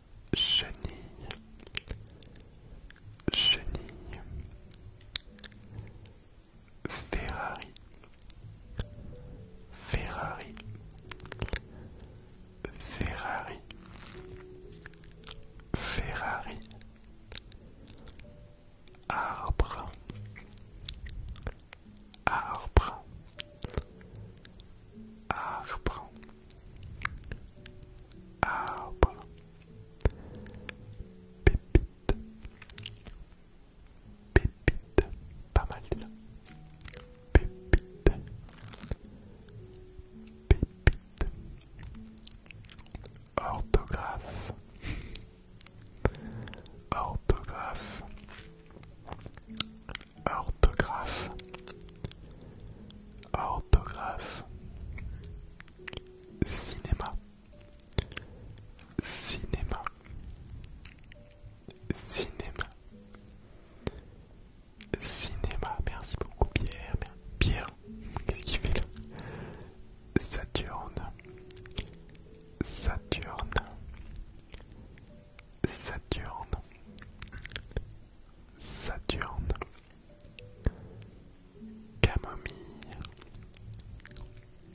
chenille, chenille, Ferrari, Ferrari, Ferrari, Ferrari, arbre, arbre, arbre. Arbre. Pépite. Pépite. Pas mal là. Pépite. Pépite. Orthographe. Orthographe. Orthographe orthographe, cinéma, cinéma, cinéma, cinéma. Merci beaucoup Pierre. Pierre, qu'est-ce qu'il fait là Saturne, Saturne, Saturne, Saturne. Camomille,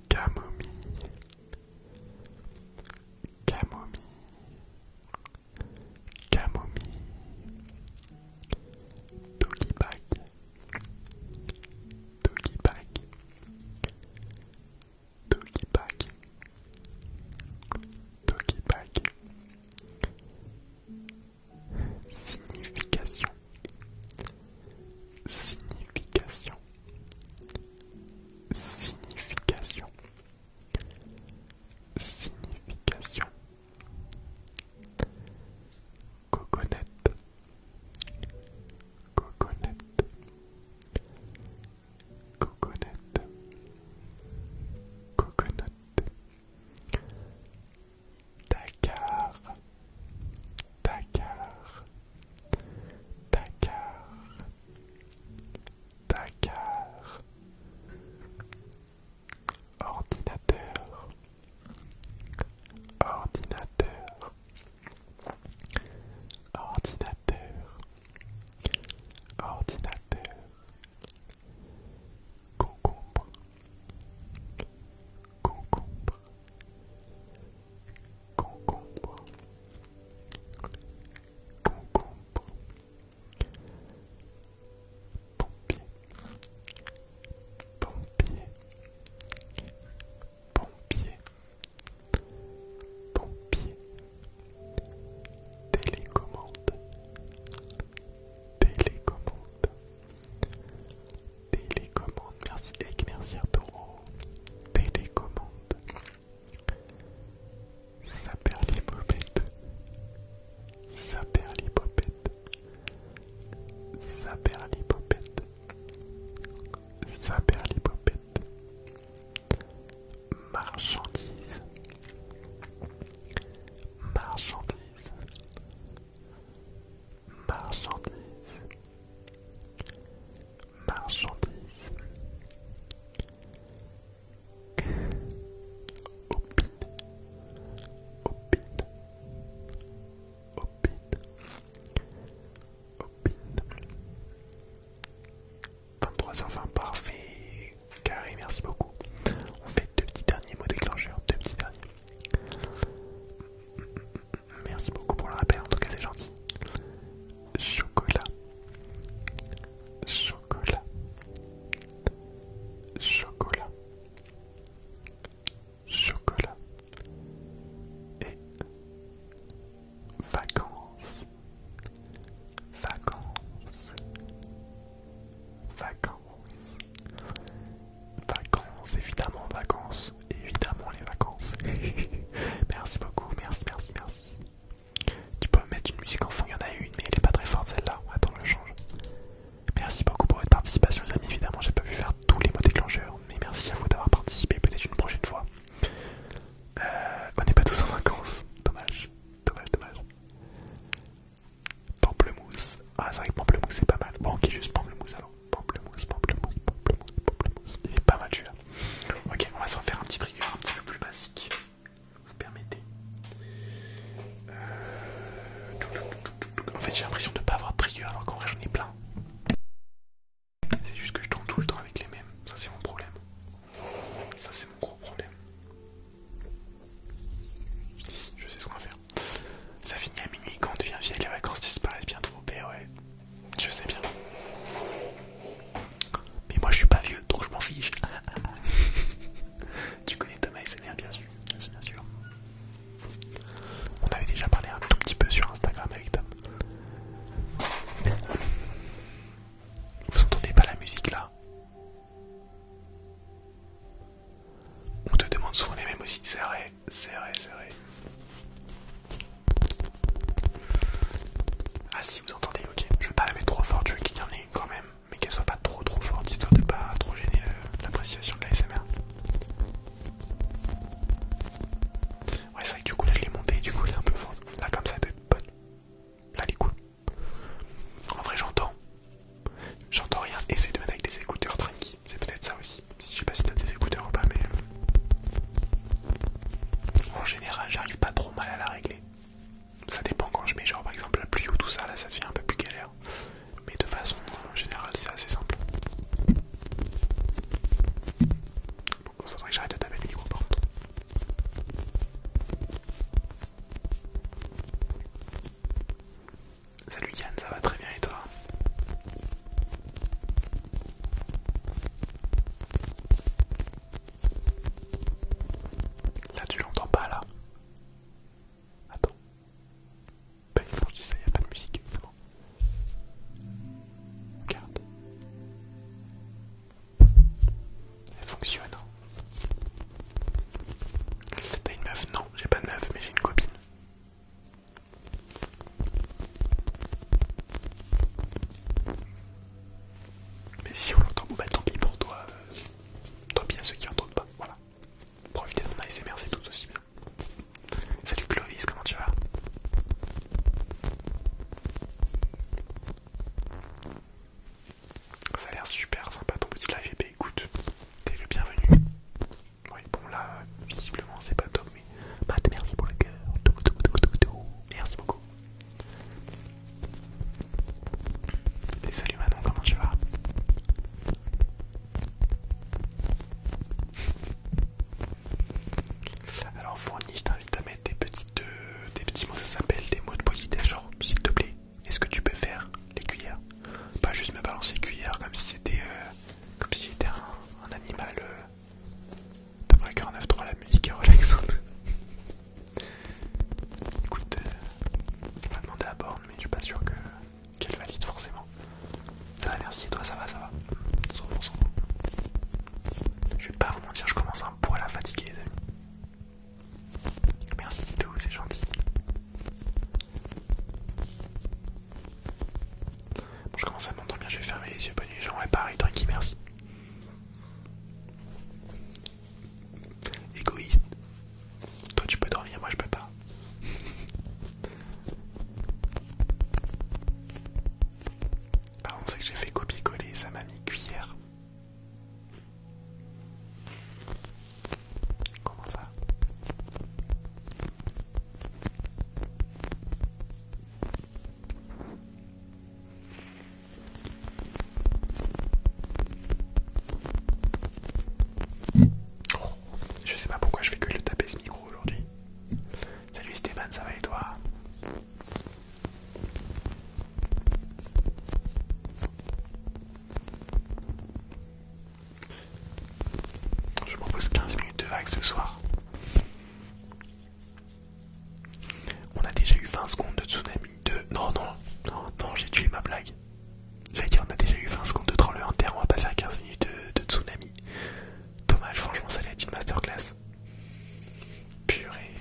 camomille, camomille, camomille, doggy bag, doggy bag, doggy bag, doggy bag. Signification. Signification. Signification. Signification. Coconette. Coconette. coconnette, coconnette. Dakar, Dakar, Dakar, Dakar, ordinateur, ordinateur, ordinateur, ordinateur concombre, concombre, concombre, concombre, pompier, pompier, pompier, pompier, télécommande, Télécommande. Télécommande. Merci Egg, merci Taureau. Télécommande. Ça perd les bobettes. Ça perd les bobettes. Ça perd les Ça perd les Marchandise. Marchandise marchandises, marchandises, marchandises. Opine, opine, opine, opine. 23h20, parfait. Carré, merci beaucoup. On fait deux petits derniers mots déclencheurs, deux petits derniers. Merci beaucoup pour le rappel, en tout cas c'est gentil. Chocolat. Chocolat. Chocolat. Chocolat. Et vacances. Vacances. Vacances. Vacances, évidemment, vacances, évidemment les vacances. merci beaucoup, merci, merci, merci. Tu peux mettre une musique en fond, il y en a une, mais elle est pas très forte celle-là. Attends, je change. Merci beaucoup pour votre participation, les amis. Évidemment, j'ai pas pu faire tous les mots déclencheurs, mais merci à vous d'avoir participé. Peut-être une prochaine fois. Euh, on n'est pas tous en vacances, dommage, dommage, dommage. Pamplemousse. Ah, c'est vrai que pamplemousse c'est pas mal. Bon, ok, juste pamplemousse alors. Pamplemousse, pamplemousse, pamplemousse, pamplemousse. Il est pas mal Ok, on va s'en faire un petit trigger un petit peu plus basique. Vous permettez. Euh, en fait, j'ai l'impression de pas avoir de trigger alors qu'en vrai j'en ai plein. C'est juste que je tourne tout le temps avec les mêmes. Ça, c'est mon problème. Ça, c'est mon gros problème. Je sais ce qu'on va faire. Ça finit à minuit quand on devient vieille, les vacances disparaissent bien trop. ouais, je sais bien. Mais moi je suis pas vieux, donc je m'en fiche. tu connais Thomas et bien sûr. Bien sûr. On avait déjà parlé un tout petit peu sur Instagram avec Tom. Vous entendez pas la musique là on te demande souvent les mêmes aussi, c'est vrai, c'est vrai, c'est vrai. Ah si vous entendez, ok, je vais pas la mettre trop fort, je veux qu'il y en ait quand même, mais qu'elle soit pas trop trop forte, histoire de pas trop gêner l'appréciation de la SMR. Ouais c'est vrai que du coup là je l'ai monté du coup elle est un peu forte. Là comme ça être bonne. Là elle est cool. En vrai, j'entends. J'entends rien. Essaye de mettre avec des écouteurs tranquilles. C'est peut-être ça aussi. Je sais pas si t'as des écouteurs ou pas, mais euh, en général, j'arrive pas trop mal à la régler. Ça dépend quand je mets, genre par exemple la pluie ou tout ça, là ça devient un peu plus galère. Mais de façon euh, générale, c'est assez simple. Bon, faudrait que j'arrête de taper le micro par Salut Yann, ça va très bien et toi Là tu l'entends pas là Attends. Ben, que je dis ça, il n'y a pas de musique. Regarde. Elle fonctionne. Hein. T'as une meuf Non, j'ai pas de meuf, mais j'ai une copine. Mais si on l'entend, bah tant pis pour toi. Euh, tant pis à ceux qui entendent pas, voilà. Profitez de mon ASMR, c'est tout aussi bien. Salut Clovis, comment tu vas ça a l'air super sympa ton petit l'AGP écoute, t'es le bienvenu. Oui, bon là, visiblement c'est pas top, mais Matt, merci pour le cœur. Merci beaucoup. Et salut Manon, comment tu vas Alors Fourni, je t'invite à mettre des petites, euh, des petits mots, ça s'appelle des mots de politesse, genre s'il te plaît, est-ce que tu peux faire les cuillères Pas juste me balancer les cuillères comme si c'était euh, comme si j'étais un, animal. d'après euh. 49.3, la musique est relaxante. Écoute, je euh, vais demander à Borne, mais je suis pas sûr que qu'elle valide forcément. Ça merci, toi, ça va, ça va. 100%. Je vais pas vous je commence un poil à fatiguer, les amis. Merci Tito, c'est gentil. Bon, je commence à m'endormir, je vais fermer les yeux. Bonne nuit, Jean. Ouais, pareil, Tranquille, merci. Égoïste. Toi, tu peux dormir, moi, je peux pas. Par contre, c'est que j'ai fait copier-coller, ça m'a mis cuillère. Comment ça Je sais pas pourquoi je fais que le taper ce micro aujourd'hui. Salut Stéphane, ça va et toi je pose 15 minutes de vague ce soir. On a déjà eu 20 secondes de tsunami de... Non, non, non, j'ai tué ma blague. J'allais dire on a déjà eu 20 secondes de troll en terre, on va pas faire 15 minutes de, tsunami. Dommage, franchement ça allait être une masterclass. Purée.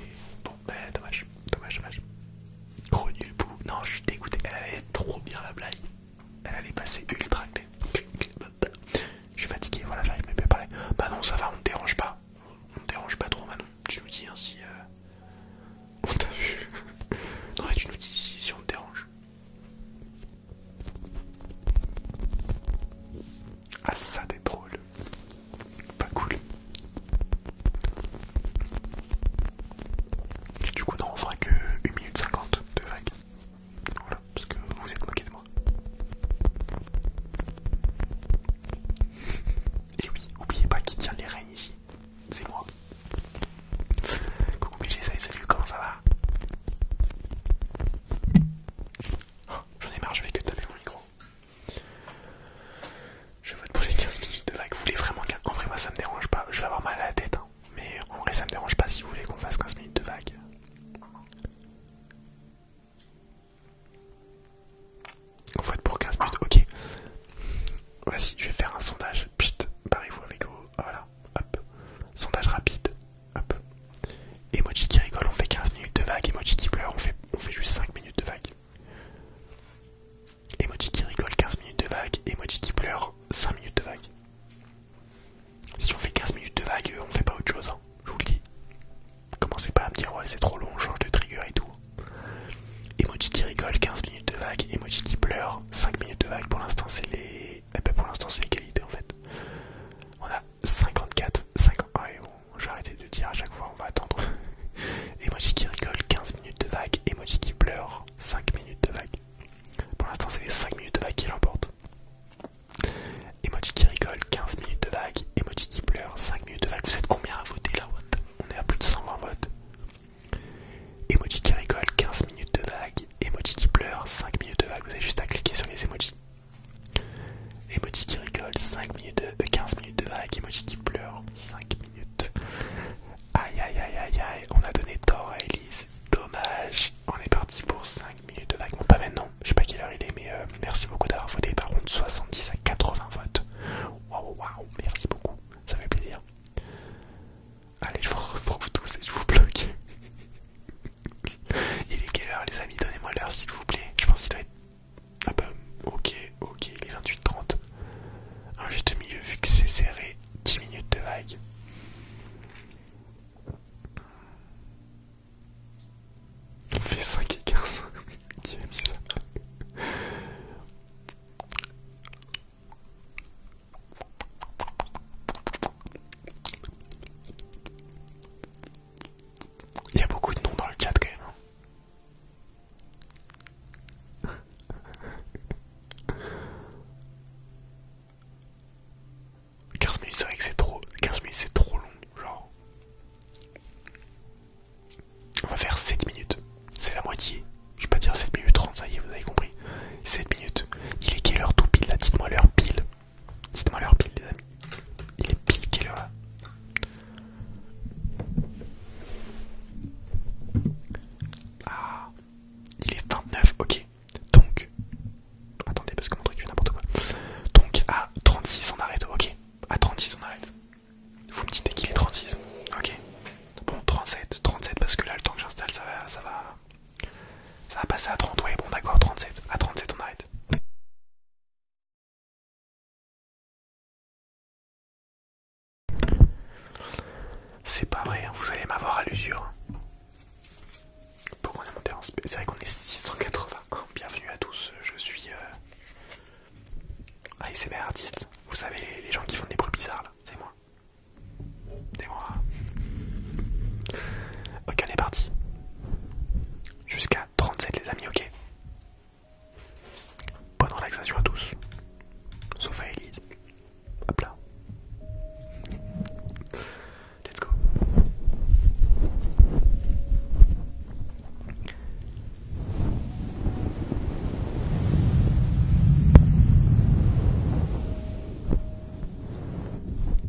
Bon, bah dommage, dommage, dommage. Gros nul bout. Non, je suis dégoûté. Elle allait trop bien la blague. Elle allait passer ultra Je suis fatigué, voilà, j'arrive même pas à parler. Bah non, ça va, on te dérange pas. On te dérange pas trop, Manon. Tu nous dis si. Euh... On t'a vu. non, tu nous dis si, si on te dérange. Ah, ça, t'es drôle. Pas cool. Du coup, non, on fera que 1 minute 50 de vagues, Voilà, parce que vous êtes moqué de moi. Et oui, oubliez pas qui tient les rênes ici. C'est moi. Coucou BG, salut, salut, comment ça va oh, J'en ai marre, je vais que taper mon micro. Je vote pour les 15 minutes de vagues, Vous voulez vraiment 15 En vrai, moi ça me dérange pas. Je vais avoir mal à la tête. Hein. Mais en vrai, ça me dérange pas si vous voulez qu'on fasse 15 minutes de vague. On fait pour 15 minutes, ok. voici je vais faire un sondage. Psst, pareil vous avec vous. Ah, voilà, hop. Sondage rapide, hop. Emoji qui rigole, on fait 15 minutes de vague. Emoji qui pleure, on fait, on fait juste 5 minutes de vague. Emoji qui rigole 15 minutes de vague, emoji qui pleure 5 minutes de vague. Si on fait 15 minutes de vague, on fait pas autre chose, hein. je vous le dis. Commencez pas à me dire ouais c'est trop long, on change de trigger et tout. Emoji qui rigole 15 minutes de vague, emoji qui pleure 5 minutes de vague. Pour l'instant c'est les... qualités eh ben, en fait. On a 54, 50... Ah ouais bon, je vais arrêter de dire à chaque fois, on va attendre. emoji qui rigole 15 minutes de vague, emoji qui pleure 5 minutes de vague. Pour l'instant, c'est les 5 minutes de vague qui l'emportent. Emoji qui rigole, 15 minutes de vague. Emoji qui pleure, 5 minutes de vague. Vous êtes combien à voter là On est à plus de 100 votes. Emoji qui rigole, 15 minutes de vague. Emoji qui pleure, 5 minutes de vague. Vous avez juste à cliquer sur les emojis. Emoji qui rigole, 5 minutes de, 15 euh, minutes de vague. Emoji qui pleure, 5 minutes Aïe aïe aïe aïe aïe, on a donné tort à Elise, dommage. On est parti pour 5 minutes de vague. pas maintenant, je sais pas quelle heure il est, mais euh, merci beaucoup d'avoir voté. Par contre, 70 à 80 votes. Waouh, waouh, merci beaucoup, ça fait plaisir. Allez, je vous retrouve tous et je vous bloque. il est quelle heure, les amis Donnez-moi l'heure, s'il vous plaît. Je pense qu'il doit être. Ah bah, ok, ok, il est 28h30. Un juste milieu, vu que c'est serré 10 minutes de vague. On fait 5 et 15. Qui mis Il y a beaucoup de noms dans le chat quand même. Hein. 15 minutes, c'est vrai que c'est trop. 15 minutes, c'est trop long. Genre. On va faire 7 minutes. C'est la moitié. Je vais pas dire 7 minutes 30, ça y est, vous avez compris. 7 minutes. Il est quelle heure tout pile là Dites-moi l'heure pile. Dites-moi l'heure pile, les amis. Il est pile quelle heure là Ah. Il est 29, ok. Donc, attendez parce que mon truc fait n'importe quoi. Donc à 36 on arrête, ok. À 36 on arrête. Vous me dites qu'il est 36, ok. Bon 37, 37 parce que là le temps que j'installe ça va, ça va, ça va passer à 30. Ouais bon d'accord 37. À 37 on arrête. C'est pas vrai, hein. vous allez m'avoir à l'usure. Hein. Pourquoi on est monté en SP C'est vrai qu'on est 680. Bienvenue à tous, je suis. Euh... c'est mes artiste. Vous savez, les, gens qui font des bruits bizarres là, c'est moi. C'est moi. Ok, on est parti. Jusqu'à 37, les amis, ok. Bonne relaxation à tous. Sauf à Elise. Hop là. Let's go.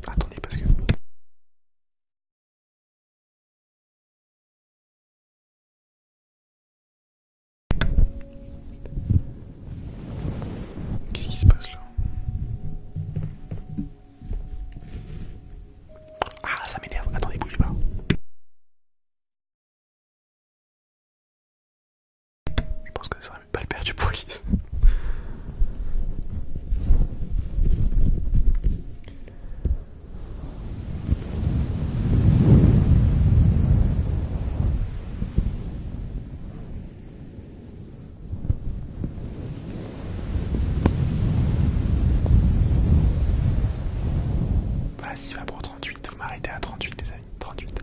Attendez parce que... Qu'est-ce qui se passe là Ah, ça m'énerve. Attendez, bougez pas. Je pense que ça serait pas le père du police. Voilà, bah, va pour 38, vous m'arrêtez à 38 les amis, 38.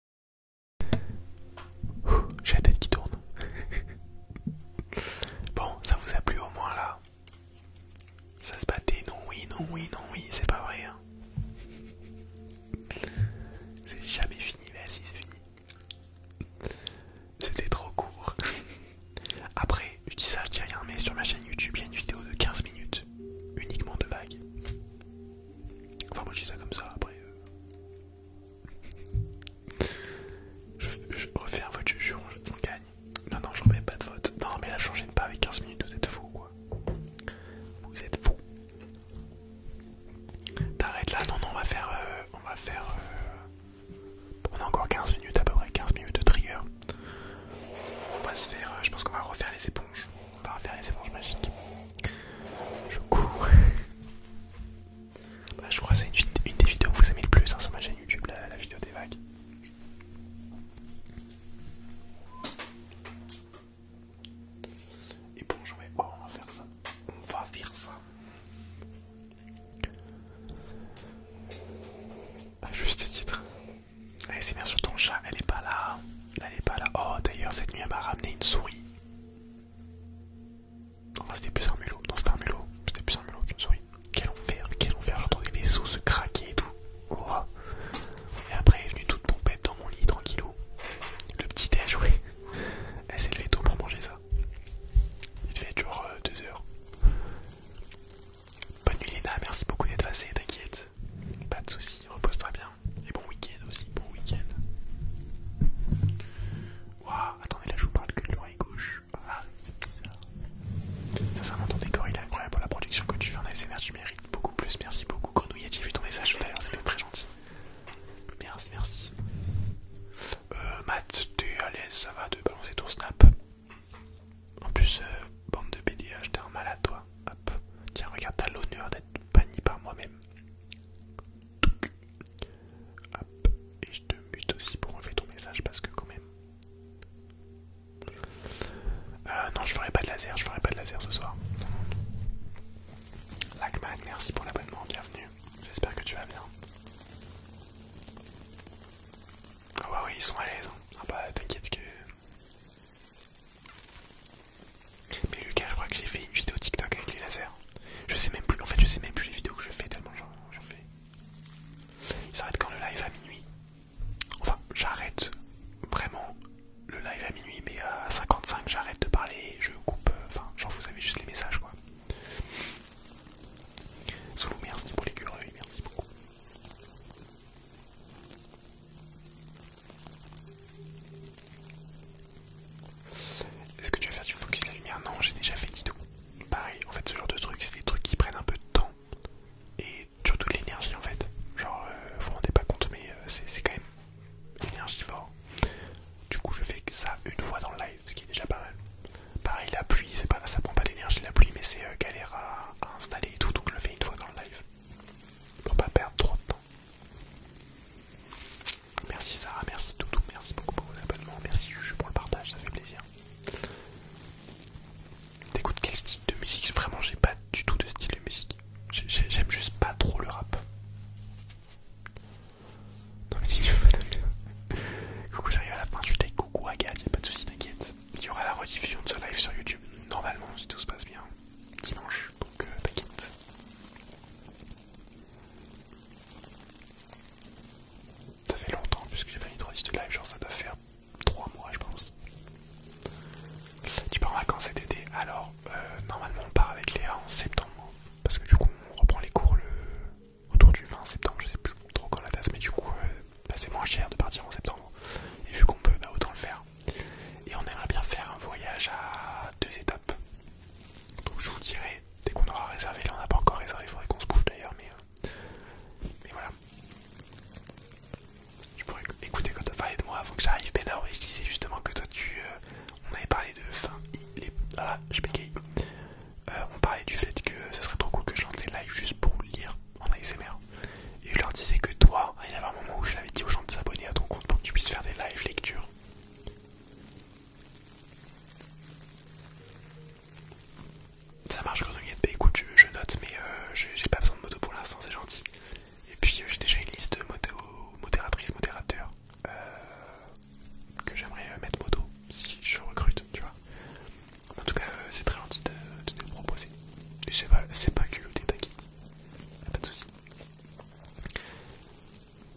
J'ai la tête qui tourne. bon, ça vous a plu au moins là Ça se battait, non, oui, non, oui, non, oui, c'est pas vrai. Hein. C'est jamais fini, mais si, c'est fini. C'était trop court. Après, je dis ça, je dis rien, mais sur ma chaîne YouTube, il y a une vidéo de 15 minutes uniquement de vagues. Enfin, moi je dis ça comme ça, après. Euh. Je, refais un vote, je jure, on gagne. Non, non, je remets pas de vote. Non, mais là, changez pas avec 15 minutes, vous êtes fous quoi. Vous êtes fous. T'arrêtes là, non, non, on va faire. Euh, on va faire. Euh, on a encore 15 minutes à peu près, 15 minutes de trigger. On va se faire. Euh, je pense qu'on va refaire les éponges. On va refaire les éponges magiques. Je cours. Bah, je crois que c'est une, des vidéos que vous aimez le plus hein, sur ma chaîne YouTube, la, vidéo des vagues. Et bon, oh, on va faire ça. On va faire ça. à juste titre. Allez, c'est bien sur ton chat, elle est pas là. Elle est pas là. Oh, d'ailleurs, cette nuit, elle m'a ramené une souris. Enfin, c'était plus un mulot. Non, c'était un mulot. C'était plus un mulot qu'une souris. Quel enfer, quel enfer. J'entendais les os se craquer et tout. Et après, elle est venue toute pompette dans mon lit, tranquillou. Le petit déj, joué. Elle s'est levée tôt pour manger ça. Il devait être genre 2 euh, heures. Bonne nuit, Léna. Merci beaucoup d'être passé. T'inquiète. Pas de soucis. Repose-toi bien. Et bon week-end aussi. Bon week-end. Waouh, attendez, là je vous parle que de l'oreille gauche. Ah, c'est bizarre. Sincèrement, ton décor il est incroyable pour la production que tu fais en ASMR, tu mérites beaucoup plus. Merci beaucoup, Grenouillette, j'ai vu ton message tout à l'heure, c'était très gentil. Merci, merci. Euh, Matt, t'es à l'aise, ça va de balancer ton snap. En plus, euh, bande de BDH, t'es un mal à toi. Hop, tiens, regarde, t'as l'honneur d'être banni par moi-même et je te mute aussi pour enlever ton message parce que quand même... Euh, non, je ferai pas de laser, je ferai pas de laser ce soir. Lagman, merci pour l'abonnement, bienvenue. J'espère que tu vas bien. Ah ouais, oui, ils sont à l'aise. Hein. Ah bah t'inquiète que... Mais Lucas, je crois que j'ai fait une vidéo TikTok avec les lasers. Je sais même plus, en fait, je sais même plus les vidéos que je fais tellement j'en fais. Il s'arrête quand le live à minuit. Enfin, j'arrête vraiment le live à minuit, mais à 55, j'arrête de parler, je coupe. Euh, enfin, genre, vous avez juste les messages quoi. Solo, merci pour les curieux, merci beaucoup. Est-ce que tu vas faire du focus la lumière Non, j'ai déjà fait tout. Pareil, en fait, ce genre de trucs, c'est des trucs qui prennent un peu de temps et surtout de l'énergie en fait. Genre, euh, vous vous rendez pas compte, mais euh, c'est quand même énergivore. Du coup, je fais que ça une fois dans le live, ce qui est déjà pas mal. Pareil, la pluie, pas, ça prend pas d'énergie la pluie, mais c'est euh, galère à, à installer et tout, donc je le fais une fois dans le live pour pas perdre trop de temps. Merci Sarah, merci Doudou, merci beaucoup pour vos abonnements, merci Juju pour le partage, ça fait plaisir. T'écoutes quel style de musique Vraiment, j'ai pas du tout de style de musique. J'aime juste pas trop le rap. Non mais Coucou, j'arrive à la fin du take. Coucou Agathe, y'a pas de souci, t'inquiète. Il y aura la rediffusion de ce live sur YouTube, normalement, si tout se passe bien, dimanche, donc euh, t'inquiète. Ça fait longtemps puisque j'ai pas mis de live, genre ça doit faire 3 mois je pense. Tu pars en vacances cet été Alors euh, normalement on part avec Léa en septembre parce que du coup on reprend les cours le... autour du 20 septembre, je sais plus trop quand la date mais du coup euh, bah, c'est moins cher de partir en septembre et vu qu'on peut bah, autant le faire. Et on aimerait bien faire un voyage à deux étapes. Donc je vous dirai dès qu'on aura réservé. Là on n'a pas encore réservé, il faudrait qu'on se bouge d'ailleurs, euh, mais, voilà. Tu pourrais écouter quand t'as parlé de moi avant que j'arrive, mais non, ben je disais justement que toi tu... Euh, on avait parlé de fin... Les, ah, je suis euh, on parlait du fait que ce serait trop cool que je lance des lives juste pour lire en ASMR. Et je leur disais que toi, il y avait un moment où je l'avais dit aux gens de s'abonner à ton compte pour que tu puisses faire des lives lecture. Ça marche de bah écoute je, note mais euh, j'ai pas besoin de moto pour l'instant c'est gentil. Et puis euh, j'ai déjà une liste de motos, modératrices, modérateurs euh, que j'aimerais mettre moto si je recrute tu vois. En tout cas c'est très gentil de, te proposer. C'est pas, pas culotté t'inquiète, pas de soucis.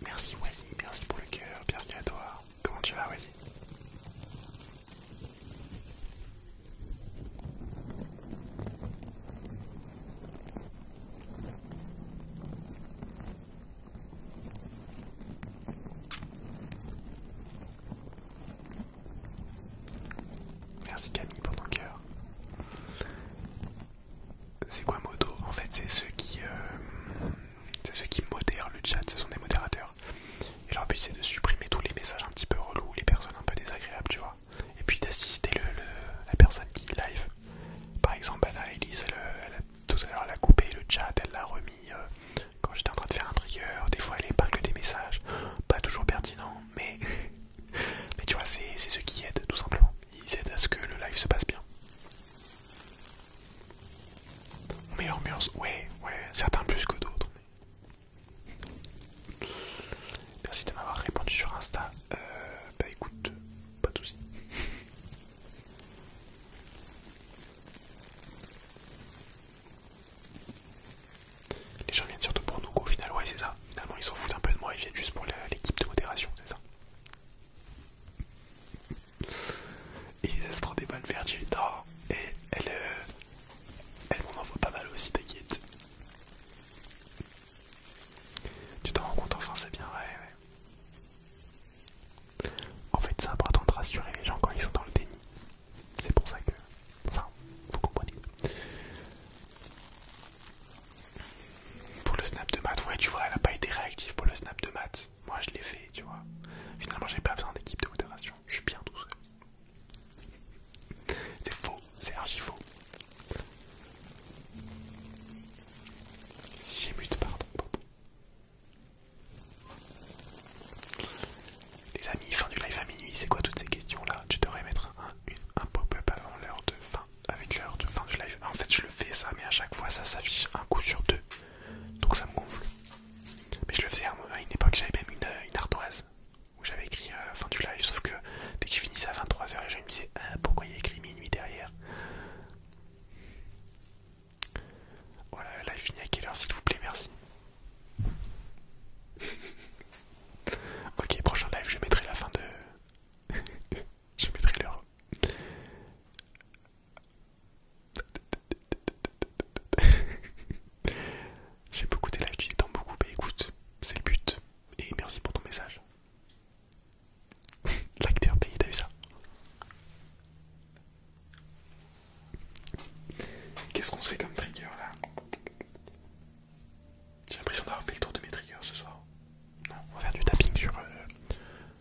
Merci Wazi, merci pour le cœur, bienvenue à toi. Comment tu vas, Vas-y. Merci Camille pour ton cœur. C'est quoi MOTO En fait, c'est ceux qui euh, c'est ceux qui modèrent le chat, ce sont des modérateurs. Et leur but c'est de supprimer tous les messages un petit peu relous, les personnes un peu désagréables, tu vois. Et puis d'assister la personne qui live. Par exemple, elle, a tout à l'heure la a coupé le chat, elle l'a remis euh, quand j'étais en train de faire un trigger. Des fois elle épingle des messages, pas toujours pertinent, mais, mais tu vois, c'est ceux qui aident tout simplement. Ils aident à ce que le live se passe bien. Mais murs, ouais, ouais, certains plus que d'autres. Merci de m'avoir répondu sur Insta. Euh, bah écoute, pas de soucis. Les gens viennent surtout pour nous, au final, ouais, c'est ça. Finalement, ils s'en foutent un peu de moi, ils viennent juste pour l'équipe de modération, c'est ça. Et se prend des bonnes vertus Et euh, elle, m'en envoie pas mal aussi, t'inquiète. Tu t'en rends compte, enfin, c'est bien, ouais, ouais. En fait, ça important de rassurer les gens quand ils sont dans le déni. C'est pour ça que. Enfin, vous comprenez. Pour le snap de maths, ouais, tu vois, elle a pas été réactive pour le snap de maths moi je l'ai fait, tu vois. Finalement, j'ai pas besoin d'équipe de modération, je suis bien tout seul. C'est faux, c'est archi faux. Si j'ai mute, pardon, Les amis, fin du live à minuit, c'est quoi toutes ces questions-là Tu devrais mettre un, un pop-up avant l'heure de fin, avec l'heure de fin du live. En fait, je le fais ça, mais à chaque fois, ça s'affiche un coup sur deux donc ça me gonfle. Mais je le faisais à une époque, j'avais même une, une ardoise où j'avais écrit euh, fin du live, sauf que dès que je finissais à 23h, les gens me disais « ah, pourquoi il y a écrit minuit derrière. Voilà, le live finit à quelle heure s'il vous plaît, merci. ok, prochain live, je mettrai la fin de. je mettrai l'heure. J'ai beaucoup d'élèves, tu dis beaucoup, mais écoute, c'est le but. Et merci pour ton message. L'acteur payé, t'as vu ça Qu'est-ce qu'on se fait comme trigger là J'ai l'impression d'avoir fait le tour de mes triggers ce soir. on va faire du tapping sur euh,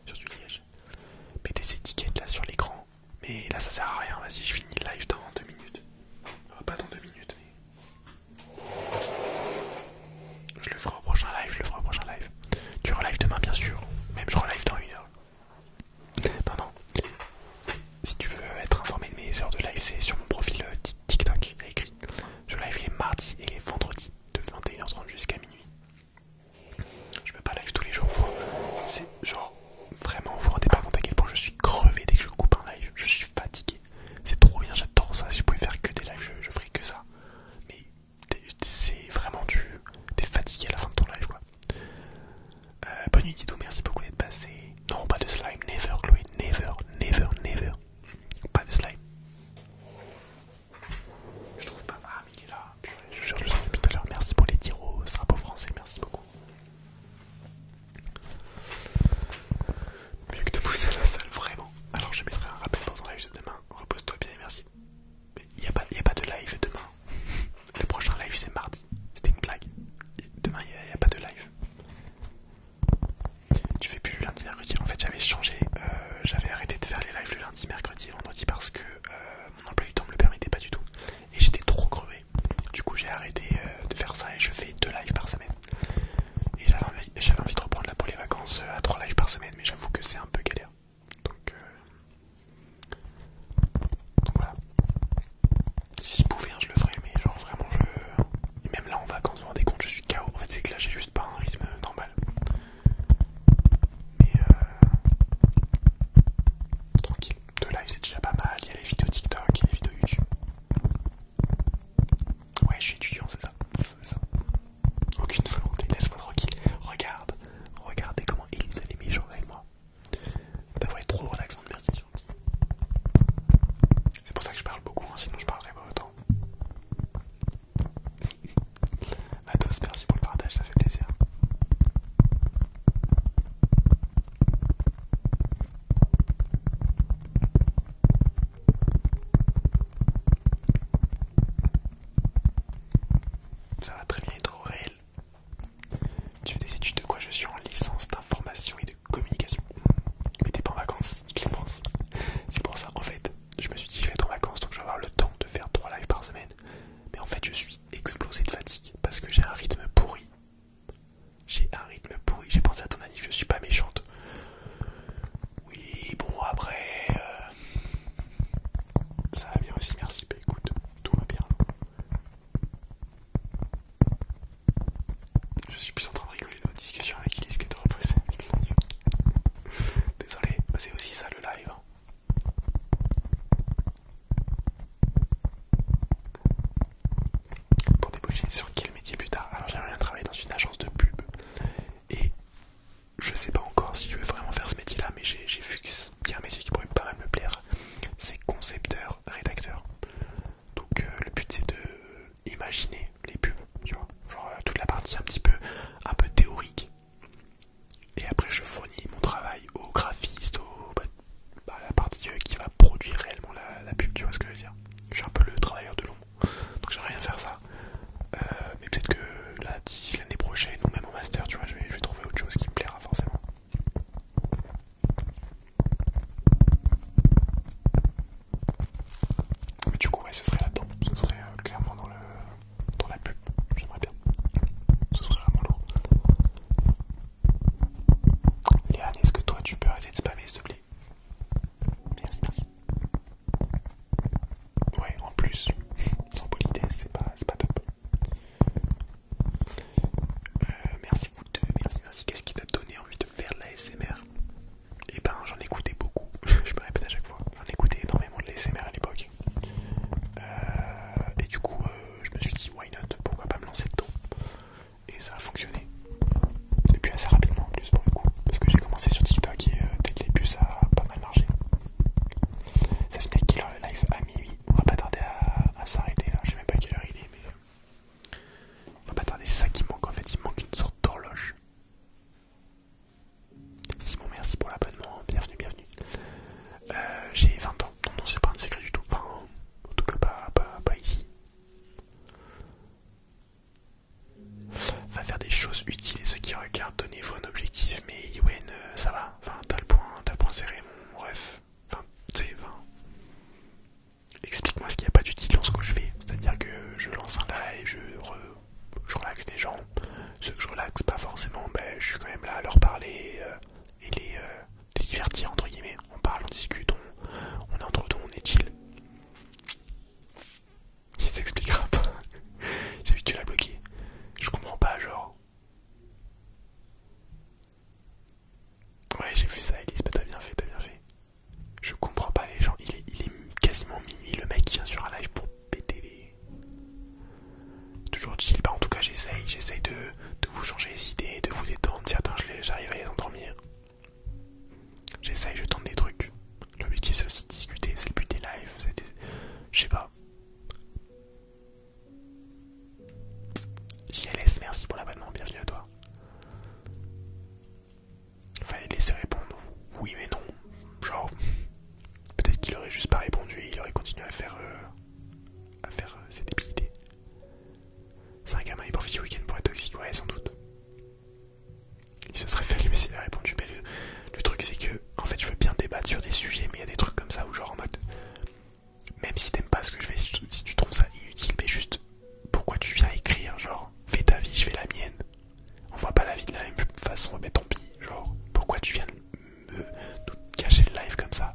sur du liège. Mettez ces tickets là sur l'écran. Mais là ça sert à rien, vas-y je finis le live dans 2 minutes. pas dans 2 minutes mais... Je le ferai au prochain live, je le ferai au prochain live. Tu relives demain bien sûr, même je relive dans une heure. Non non. Si tu veux être informé de mes heures de live, c'est sur mon profil euh, TikTok, il a écrit. Je live les mardis et les vendredis de 21h30 jusqu'à minuit. Je peux pas live tous les jours. C'est genre vraiment, vous vous rendez pas compte à quel point je suis crevé dès que je coupe un live. Je suis fatigué. C'est trop bien, j'adore ça. Si je pouvais faire que des lives, je, je ferais que ça. Mais c'est vraiment du. T'es fatigué à la fin de ton live quoi. Euh, bonne nuit Didou, merci beaucoup d'être passé. Non, pas de slime, never Chloé, never, never, never. Pas de slime. Je trouve pas. Ah, mais il est là. je cherche le tout à l'heure. Merci pour les tiros. un peu français, merci beaucoup. Mieux que de pousser à la salle, vraiment. Alors, je mettrai un rappel pour ton live de demain. Repose-toi bien et merci. Mais il n'y a, a, pas de live demain. Le prochain live, c'est mardi. C'était une blague. demain, il n'y a, pas de live. Tu fais plus le lundi, mercredi. En fait, j'avais changé. Euh, j'avais arrêté de faire les lives le lundi, mercredi, vendredi parce que. Euh, mon emploi du temps me le permettait pas du tout. Et j'étais trop crevé. Du coup, j'ai arrêté euh, de faire ça et je fais deux lives par semaine. Et j'avais envie, de reprendre là pour les vacances euh, à trois lives par semaine, mais j'avoue que c'est un peu galère. Donc, euh, Donc voilà. Si je pouvais, hein, je le ferais, mais genre vraiment, je. même là en vacances, vous vous rendez compte, je suis KO. En fait, c'est que là, j'ai juste pas un rythme normal. Mais euh, tranquille, de live c'est déjà pas mal, il y a les vidéos TikTok, il y a les vidéos YouTube. Ouais, je suis étudiant, c'est ça, Aucune volonté, laisse-moi tranquille. Regarde, regardez comment ils a les avec moi. Bah ouais, trop relaxant, merci gentil. C'est pour ça que je parle beaucoup, hein, sinon je parlerai pas autant tous, merci pour le partage, ça fait plaisir. Ça va très bien être réel. Tu fais des études de quoi je suis en licence d'information et de communication. Mais t'es pas en vacances, Clémence. C'est pour ça, en fait, je me suis dit je vais être en vacances donc je vais avoir le temps de faire trois lives par semaine. Mais en fait, je suis explosé de fatigue parce que j'ai un rythme pourri. J'ai un rythme pourri. J'ai pensé à ton ami, je suis pas méchante. Oui, bon, après. Euh, ça va bien aussi, merci. Bah écoute, tout va bien. Je suis plus en train de rigoler dans la discussion avec Elise que de reposer avec Désolé, bah, c'est aussi ça le live. Hein. Pour déboucher sur quel métier plus tard Alors j'aimerais bien travailler dans une agence de pub et je sais pas encore si je veux vraiment faire ce métier là mais j'ai vu qu'il y a un métier qui pourrait pas mal me plaire, c'est concepteur, rédacteur. Donc euh, le but c'est de euh, imaginer les pubs, tu vois, genre euh, toute la partie un petit peu un peu théorique et après, je fournis mon travail au graphiste, à bah, bah, la partie euh, qui va produire réellement la, pub, tu vois ce que je veux dire. Je suis un peu le travailleur de l'ombre, donc j'aimerais rien faire ça. Euh, mais peut-être que l'année prochaine, ou même au master, tu vois, je vais, trouver autre chose qui me plaira forcément. Mais du coup, ce serait là-dedans, ce serait euh, clairement dans le, dans la pub, j'aimerais bien. Ce serait vraiment lourd. Léane, est-ce que toi tu peux arrêter de spammer s'il te plaît Merci, merci. Ouais, en plus, sans politesse, c'est pas, pas top. Euh, merci vous deux, merci, merci. Qu'est-ce qui t'a donné envie de faire de la SMR Eh ben, j'en écoutais beaucoup. Je me répète à chaque fois. J'en écoutais énormément de la SMR à l'époque. Euh, et du coup, euh, je me suis dit, why not Pourquoi pas me lancer de dedans Et ça a fonctionné. Et puis assez rapidement en plus, pour le coup, parce que j'ai commencé sur TikTok et peut dès le début, ça a pas mal marché. Ça finit à quelle heure le live À minuit. On va pas tarder à, s'arrêter là. Je sais même pas à quelle heure il est, mais euh, on va pas tarder. C'est ça qui manque en fait. Il manque une sorte d'horloge. Simon, merci pour l'abonnement. Bienvenue, bienvenue. Euh, j'ai 20 ans, non, c'est pas un secret du tout. Enfin, en tout cas, pas, ici. Va faire des choses utiles et ceux qui regardent, donnez-vous un objectif. Mais Yuen, euh, ça va, enfin, t'as le point, t'as le point serré, mon ref. Explique-moi ce qu'il n'y a pas d'utile dans ce que je fais. C'est-à-dire que je lance un live, je, relaxe les gens. Ceux que je relaxe pas forcément, ben, je suis quand même là à leur parler. Euh, et les, euh, divertir entre guillemets. On parle, on discute, on, est entre deux, on est chill. Il s'expliquera pas. J'ai vu que tu l'as bloqué. Je comprends pas, genre. Ouais, j'ai vu ça, Elise, t'as bien fait, t'as bien fait. Je comprends pas les gens, il est, quasiment minuit, le mec vient sur un live pour péter les... Toujours utile, bah en tout cas j'essaye, j'essaye de, vous changer les idées, de vous détendre, certains j'arrive à les endormir. J'essaye, je tente des trucs. L'objectif c'est aussi de discuter, c'est le but des lives, c'est Je sais pas. JLS, merci pour l'abonnement, bienvenue à toi. Fallait laisser répondre oui mais non. Genre, peut-être qu'il aurait juste pas répondu il aurait continué à faire... Euh, à faire ses euh, débilités. C'est un gamin du week-end pour être toxique, ouais, sans doute. Il se serait fait mais s'il a répondu, mais le, truc c'est que, en fait, je veux bien débattre sur des sujets, mais il y a des trucs comme ça où, genre en mode, même si t'aimes pas ce que je fais, si tu, trouves ça inutile, mais juste, pourquoi tu viens écrire, genre, fais ta vie, je fais la mienne. On voit pas la vie de la même façon, mais tant pis, genre, pourquoi tu viens me cacher le live comme ça.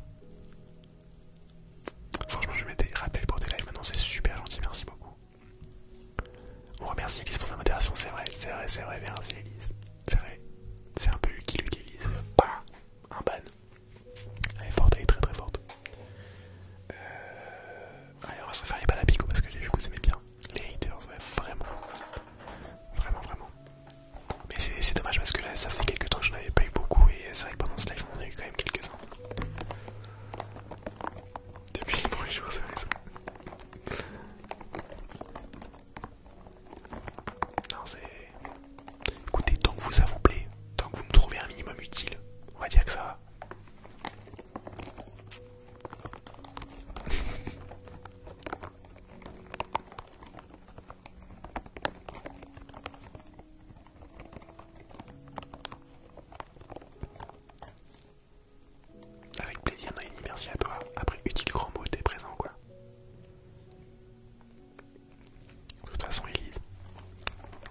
Franchement, je m'étais des pour tes lives maintenant, c'est super gentil, merci beaucoup. On remercie Elise pour sa modération, c'est vrai, c'est vrai, c'est vrai, merci Elise. C'est vrai, c'est un peu lui qui l'utilise. pas bah, un ban. Elle est forte, elle est très très forte. Euh, allez, on va se refaire les balles parce que j'ai vu que vous aimez bien. Les haters, ouais, vraiment. Vraiment, vraiment. Mais c'est dommage parce que là, ça faisait quelques temps que je avais pas eu beaucoup et c'est vrai que pendant ce live, on en a eu quand même quelques-uns. Depuis les premiers jours, c'est vrai ça. Non, c'est. Écoutez, tant que vous, ça vous plaît, tant que vous me trouvez un minimum utile, on va dire que ça va. Avec plaisir Noémie, merci à toi. Après, utile grand mot, t'es présent quoi. De toute façon, Elise.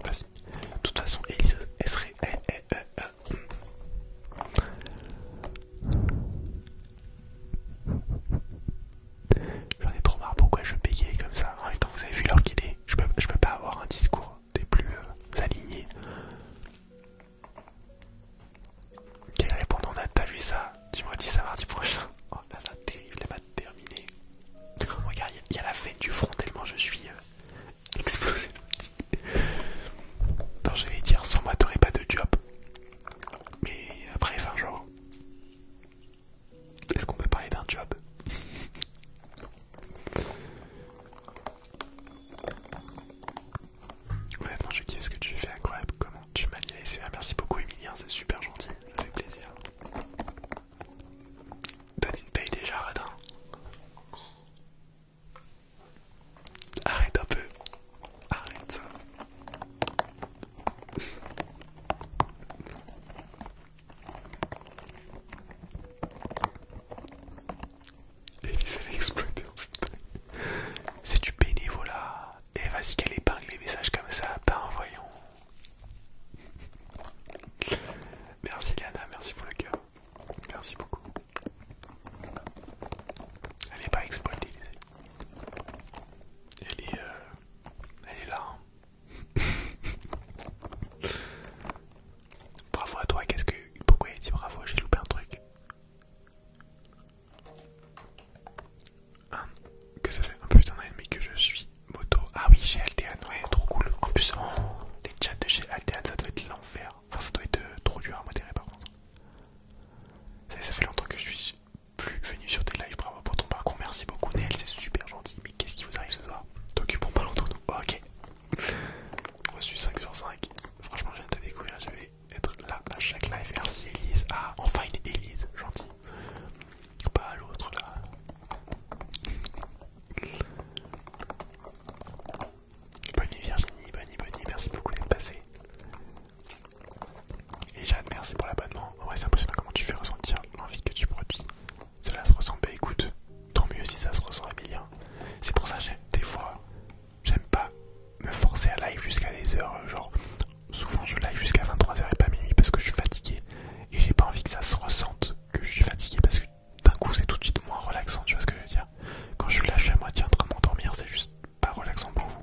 Vas-y. De toute façon, Elise, elle serait. Eh, eh, eh, eh. J'en ai trop marre, pourquoi je bégayer comme ça En même temps, vous avez vu l'heure qu'il est, je peux, peux pas avoir un discours des plus euh, alignés. Quel répondant on a T'as vu ça Tu m'as dit ça mardi prochain Oh là là, terrible, elle m'a terminé. regarde, il y, a la fête du front tellement je suis euh, explosé. Attends, je vais dire, sans moi t'aurais pas de job. Mais après, fin genre, est-ce qu'on peut parler d'un job Honnêtement, je kiffe ce que tu fais, incroyable. Comment tu m'as laissé. Merci beaucoup, Emilien, c'est super gentil, ça fait plaisir. Donne une paye déjà, Radin. Arrête un peu. Arrête. ça il s'est exploité en fait. C'est du bénévolat. Et vas-y qu'elle épingle les messages comme ça, pas en voyant. Merci Lana, merci pour le cœur. Merci beaucoup. Elle n'est pas exploitée, elle est, euh, elle est là. Hein. bravo à toi, qu'est-ce que. Pourquoi il a dit bravo J'ai loupé un truc. que ça fait un putain mais que je suis moto. Ah oui, chez Altean, ouais, trop cool. En plus, oh, les chats de chez Altean, ça doit être l'enfer. Enfin, ça doit être euh, trop dur à modérer par contre. ça fait longtemps que je suis plus venu sur tes lives. Bravo pour ton parcours. Merci beaucoup, Nell C'est super gentil. Mais qu'est-ce qui vous arrive ce soir T'occupons pas longtemps, nous. Ok. Reçu 5 sur 5. Franchement, je viens de te découvrir. Je vais être là à chaque live. Merci, Elise. Ah, enfin une Elise. Gentil. Pas l'autre là. Bonne nuit Virginie, bonne nuit, bonne nuit, merci beaucoup d'être passé. Et j'admets merci pour l'abonnement. En c'est impressionnant comment tu fais ressentir l'envie que tu produis. Cela se ressent, bah écoute, tant mieux si ça se ressent, Emilien. C'est pour ça que des fois, j'aime pas me forcer à live jusqu'à des heures. Euh, genre, souvent je live jusqu'à 23h et pas minuit parce que je suis fatigué. Et j'ai pas envie que ça se ressente que je suis fatigué parce que d'un coup, c'est tout de suite moins relaxant, tu vois ce que je veux dire. Quand je suis là, je suis à moitié en train de m'endormir, c'est juste pas relaxant pour vous.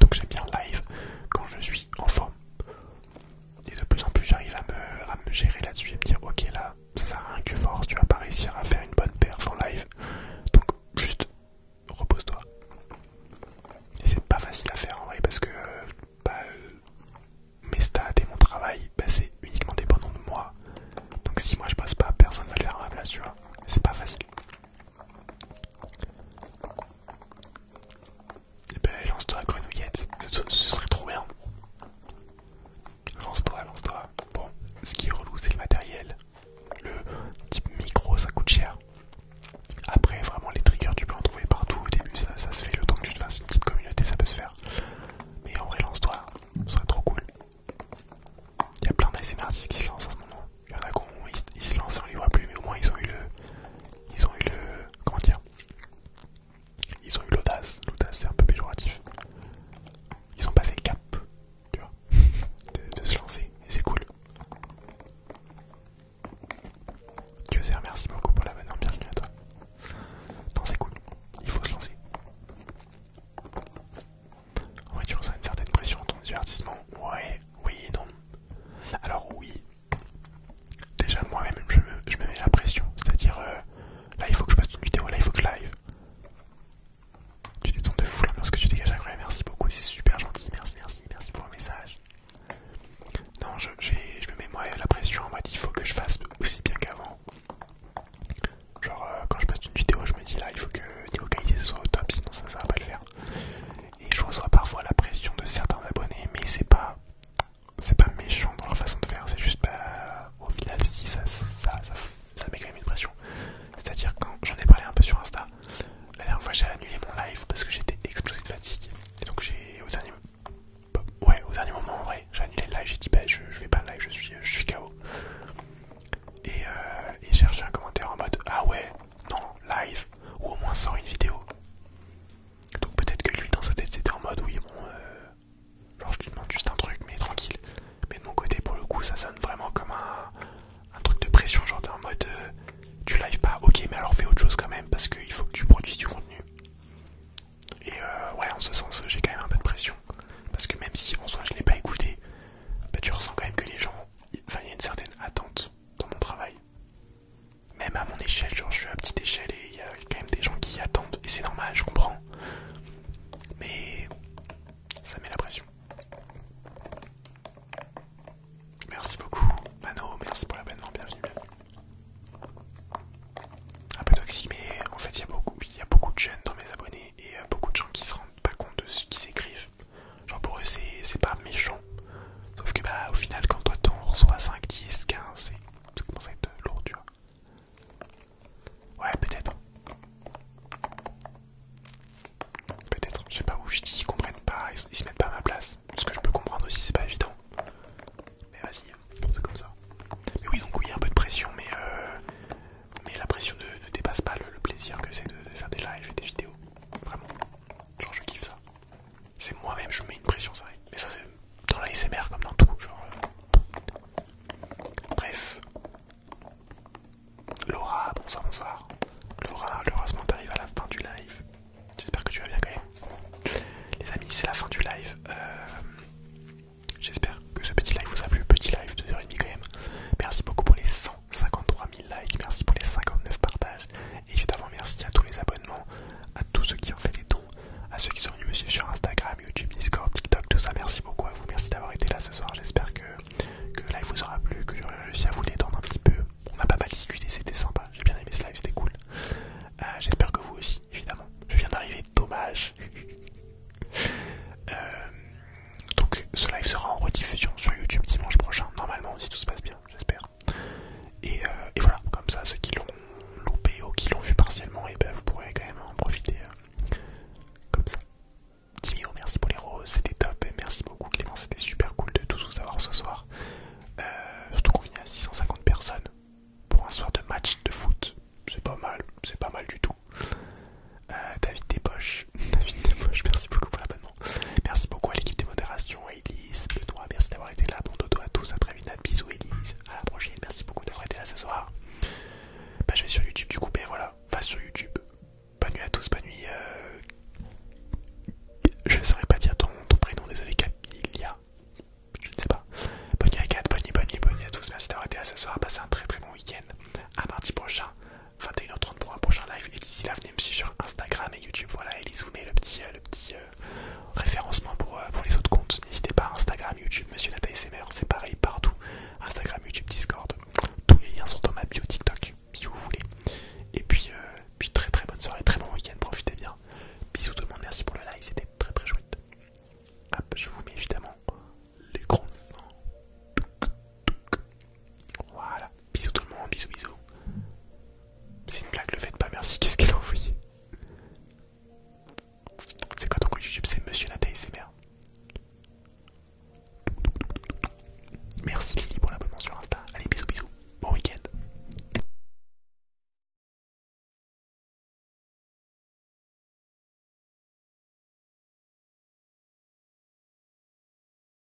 Donc j'aime bien live quand je suis en forme. Et de plus en plus j'arrive à me, gérer là-dessus et me dire ok là ça sert à rien que tu tu vas pas réussir à faire une bonne perf en live. Donc juste repose-toi. Et c'est pas facile à faire en vrai parce que euh, bah, euh, mes stats et mon travail bah, c'est uniquement dépendant de moi. Donc si moi je passe pas, personne va le faire à ma place, tu vois. C'est pas facile. Et eh ben lance-toi grenouillette, ce, ce serait trop bien. Lance-toi, lance-toi. Bon, ce qui est relou c'est le matériel. Le type micro ça coûte cher. Après vraiment les triggers tu peux en trouver partout au début, ça, se fait le temps que tu te fasses une petite communauté, ça peut se faire. Mais en vrai lance-toi, ce serait trop cool. Il y a plein d'ASMR artistes qui se lancent en ce moment. Il y en a qui ils, se lancent, on les voit plus, mais au moins ils ont eu le. Ils ont eu le. Comment dire Ils ont eu l'audace. L'audace, c'est un peu péjoratif. Ils ont passé le cap, tu vois, de, se lancer, et c'est cool. Que merci beaucoup pour la bonne ambiance, bienvenue à toi. Non, c'est cool, il faut se lancer. En vrai, tu ressens une certaine pression dans ton divertissement. Ouais, oui, non. Alors, oui, déjà moi-même je, me mets la pression, c'est-à-dire euh, là il faut que je passe une vidéo, là il faut que je live. Tu détends de fou parce que tu dégages, incroyable, merci beaucoup, c'est super gentil, merci, merci, merci pour le message. Non, je, me mets la pression en mode il faut que je fasse aussi bien qu'avant. Genre euh, quand je passe une vidéo, je me dis là il faut que niveau qualité ce soit au top, sinon ça, ça va pas le faire et je reçois parfois la pression de certains abonnés, mais c'est pas c'est pas méchant dans leur façon de faire, c'est juste pas au final si ça ça, met quand même une pression. C'est-à-dire quand j'en ai parlé un peu sur Insta, la dernière fois j'ai annulé mon live parce que j'étais explosé de fatigue. Et donc j'ai au dernier ouais au dernier moment en vrai j'ai annulé le live, j'ai dit bah, je, vais pas le live, je suis je suis KO. Et, euh, et j'ai reçu un commentaire en mode Ah ouais non, live ou au moins sort une vidéo. Donc peut-être que lui dans sa tête c'était en mode oui bon euh, genre je lui demande juste un truc mais tranquille. Mais de mon côté pour le coup ça sonne vraiment comme un, truc de pression genre en mode euh, tu live pas ok mais alors fais autre chose quand même parce qu'il faut que tu produises du contenu. Et euh, ouais en ce sens j'ai quand même un peu de pression parce que même si en soi je l'ai pas écouté, bah, tu ressens quand même que les gens, il y a une certaine attente dans mon travail. Même à mon échelle, genre je suis à petite échelle et il y a quand même des gens qui attendent. Et c'est normal, je comprends. Mais ça met la pression. Merci beaucoup, Mano, merci pour l'abonnement, bienvenue, bienvenue. Un peu toxique, mais en fait, il y, y a beaucoup de jeunes dans mes abonnés et euh, beaucoup de gens qui se rendent pas compte de ce qu'ils écrivent. Genre pour eux c'est pas méchant. Sauf que bah au final quand toi t'en reçois 5, 10, 15, ça commence à être lourd tu vois. Ouais peut-être. Peut-être, je sais pas où je dis, ils comprennent pas, ils, se mettent pas à ma place. Ce que je peux comprendre aussi, c'est pas évident. Mais vas-y, porte comme ça. Mais oui, donc oui, il y a un peu de pression, mais, euh, mais la pression ne, dépasse pas le, plaisir que c'est de, de faire des lives et des vidéos. Vraiment. Genre, je kiffe ça. C'est moi-même, je mets une pression, ça Mais ça, c'est dans l'ASMR comme dans tout. Genre, euh, Bref. Laura, bonsoir, bonsoir. Laura, Laura, ce moment t'arrive à la fin du live. J'espère que tu vas bien quand même. Les amis, c'est la fin du live. Euh, j'espère que ce petit live vous a plu. Petit live de 2h30 quand même. Merci beaucoup pour les 153 000 likes. Merci pour les 59 partages. Évidemment, merci à tous les abonnements, à tous ceux qui ont fait des dons, à ceux qui sont venus me suivre sur Instagram, YouTube, Discord, TikTok, tout ça. Merci beaucoup à vous, merci d'avoir été là ce soir. J'espère que, que live vous aura plu, que j'aurai réussi à vous détendre un petit peu. On a pas mal discuté, c'était sympa. J'ai bien aimé ce live, c'était cool. Euh, j'espère que vous aussi, évidemment. Je viens d'arriver, dommage. Euh, donc, ce live sera en rediffusion sur YouTube dimanche prochain, normalement, si tout se passe bien, j'espère. Euh, et, voilà, comme ça, ceux qui l'ont loupé ou qui l'ont vu partiellement, et eh ben vous pourrez quand même en profiter euh, comme ça. Timio, merci pour les roses, c'était top. Et merci beaucoup Clément, c'était super cool de tous vous avoir ce soir. Euh, surtout qu'on vient à 650 personnes pour un soir de match de foot. C'est pas mal, c'est pas mal du tout. David Despoches, David merci beaucoup pour la bonne Merci beaucoup à l'équipe des modérations, à Elise, Benoît, merci d'avoir été là. Bon dodo à tous, à très vite, bisous Elise, à la prochaine, merci beaucoup d'avoir été là ce soir. Bah, je vais sur YouTube du coup, mais voilà, va sur YouTube. Bonne nuit à tous, bonne nuit. Euh, je ne saurais pas dire ton, prénom, désolé, Camilla Je ne sais pas. Bonne nuit à bonne nuit, bonne nuit, bonne nuit à tous. Merci d'avoir été là ce soir. Passez un très très bon week-end. À mardi prochain, 21h30 pour un prochain live. Et d'ici là, venez me suivre sur Instagram et YouTube. Voilà, Elise vous met le petit, euh, le euh, euh, référencement pour, euh, pour les autres comptes. N'hésitez pas, Instagram, YouTube, Monsieur c'est SMR, c'est pareil partout. Instagram, YouTube, Discord. Tous les liens sont dans ma bio TikTok, si vous voulez. Et puis, euh, puis très très bonne soirée, très bon week-end, profitez bien. Bisous tout le monde, merci pour le live, c'était très très chouette. Hop, je vous mets évidemment l'écran Voilà. Bisous tout le monde, bisous bisous. C'est une blague, le faites pas, merci. Qu'est-ce qu'elle a envoyé C'est quoi ton compte YouTube C'est Monsieur Nathalie merde. Merci Lily pour l'abonnement sur Insta. Allez, bisous bisous. Bon week-end.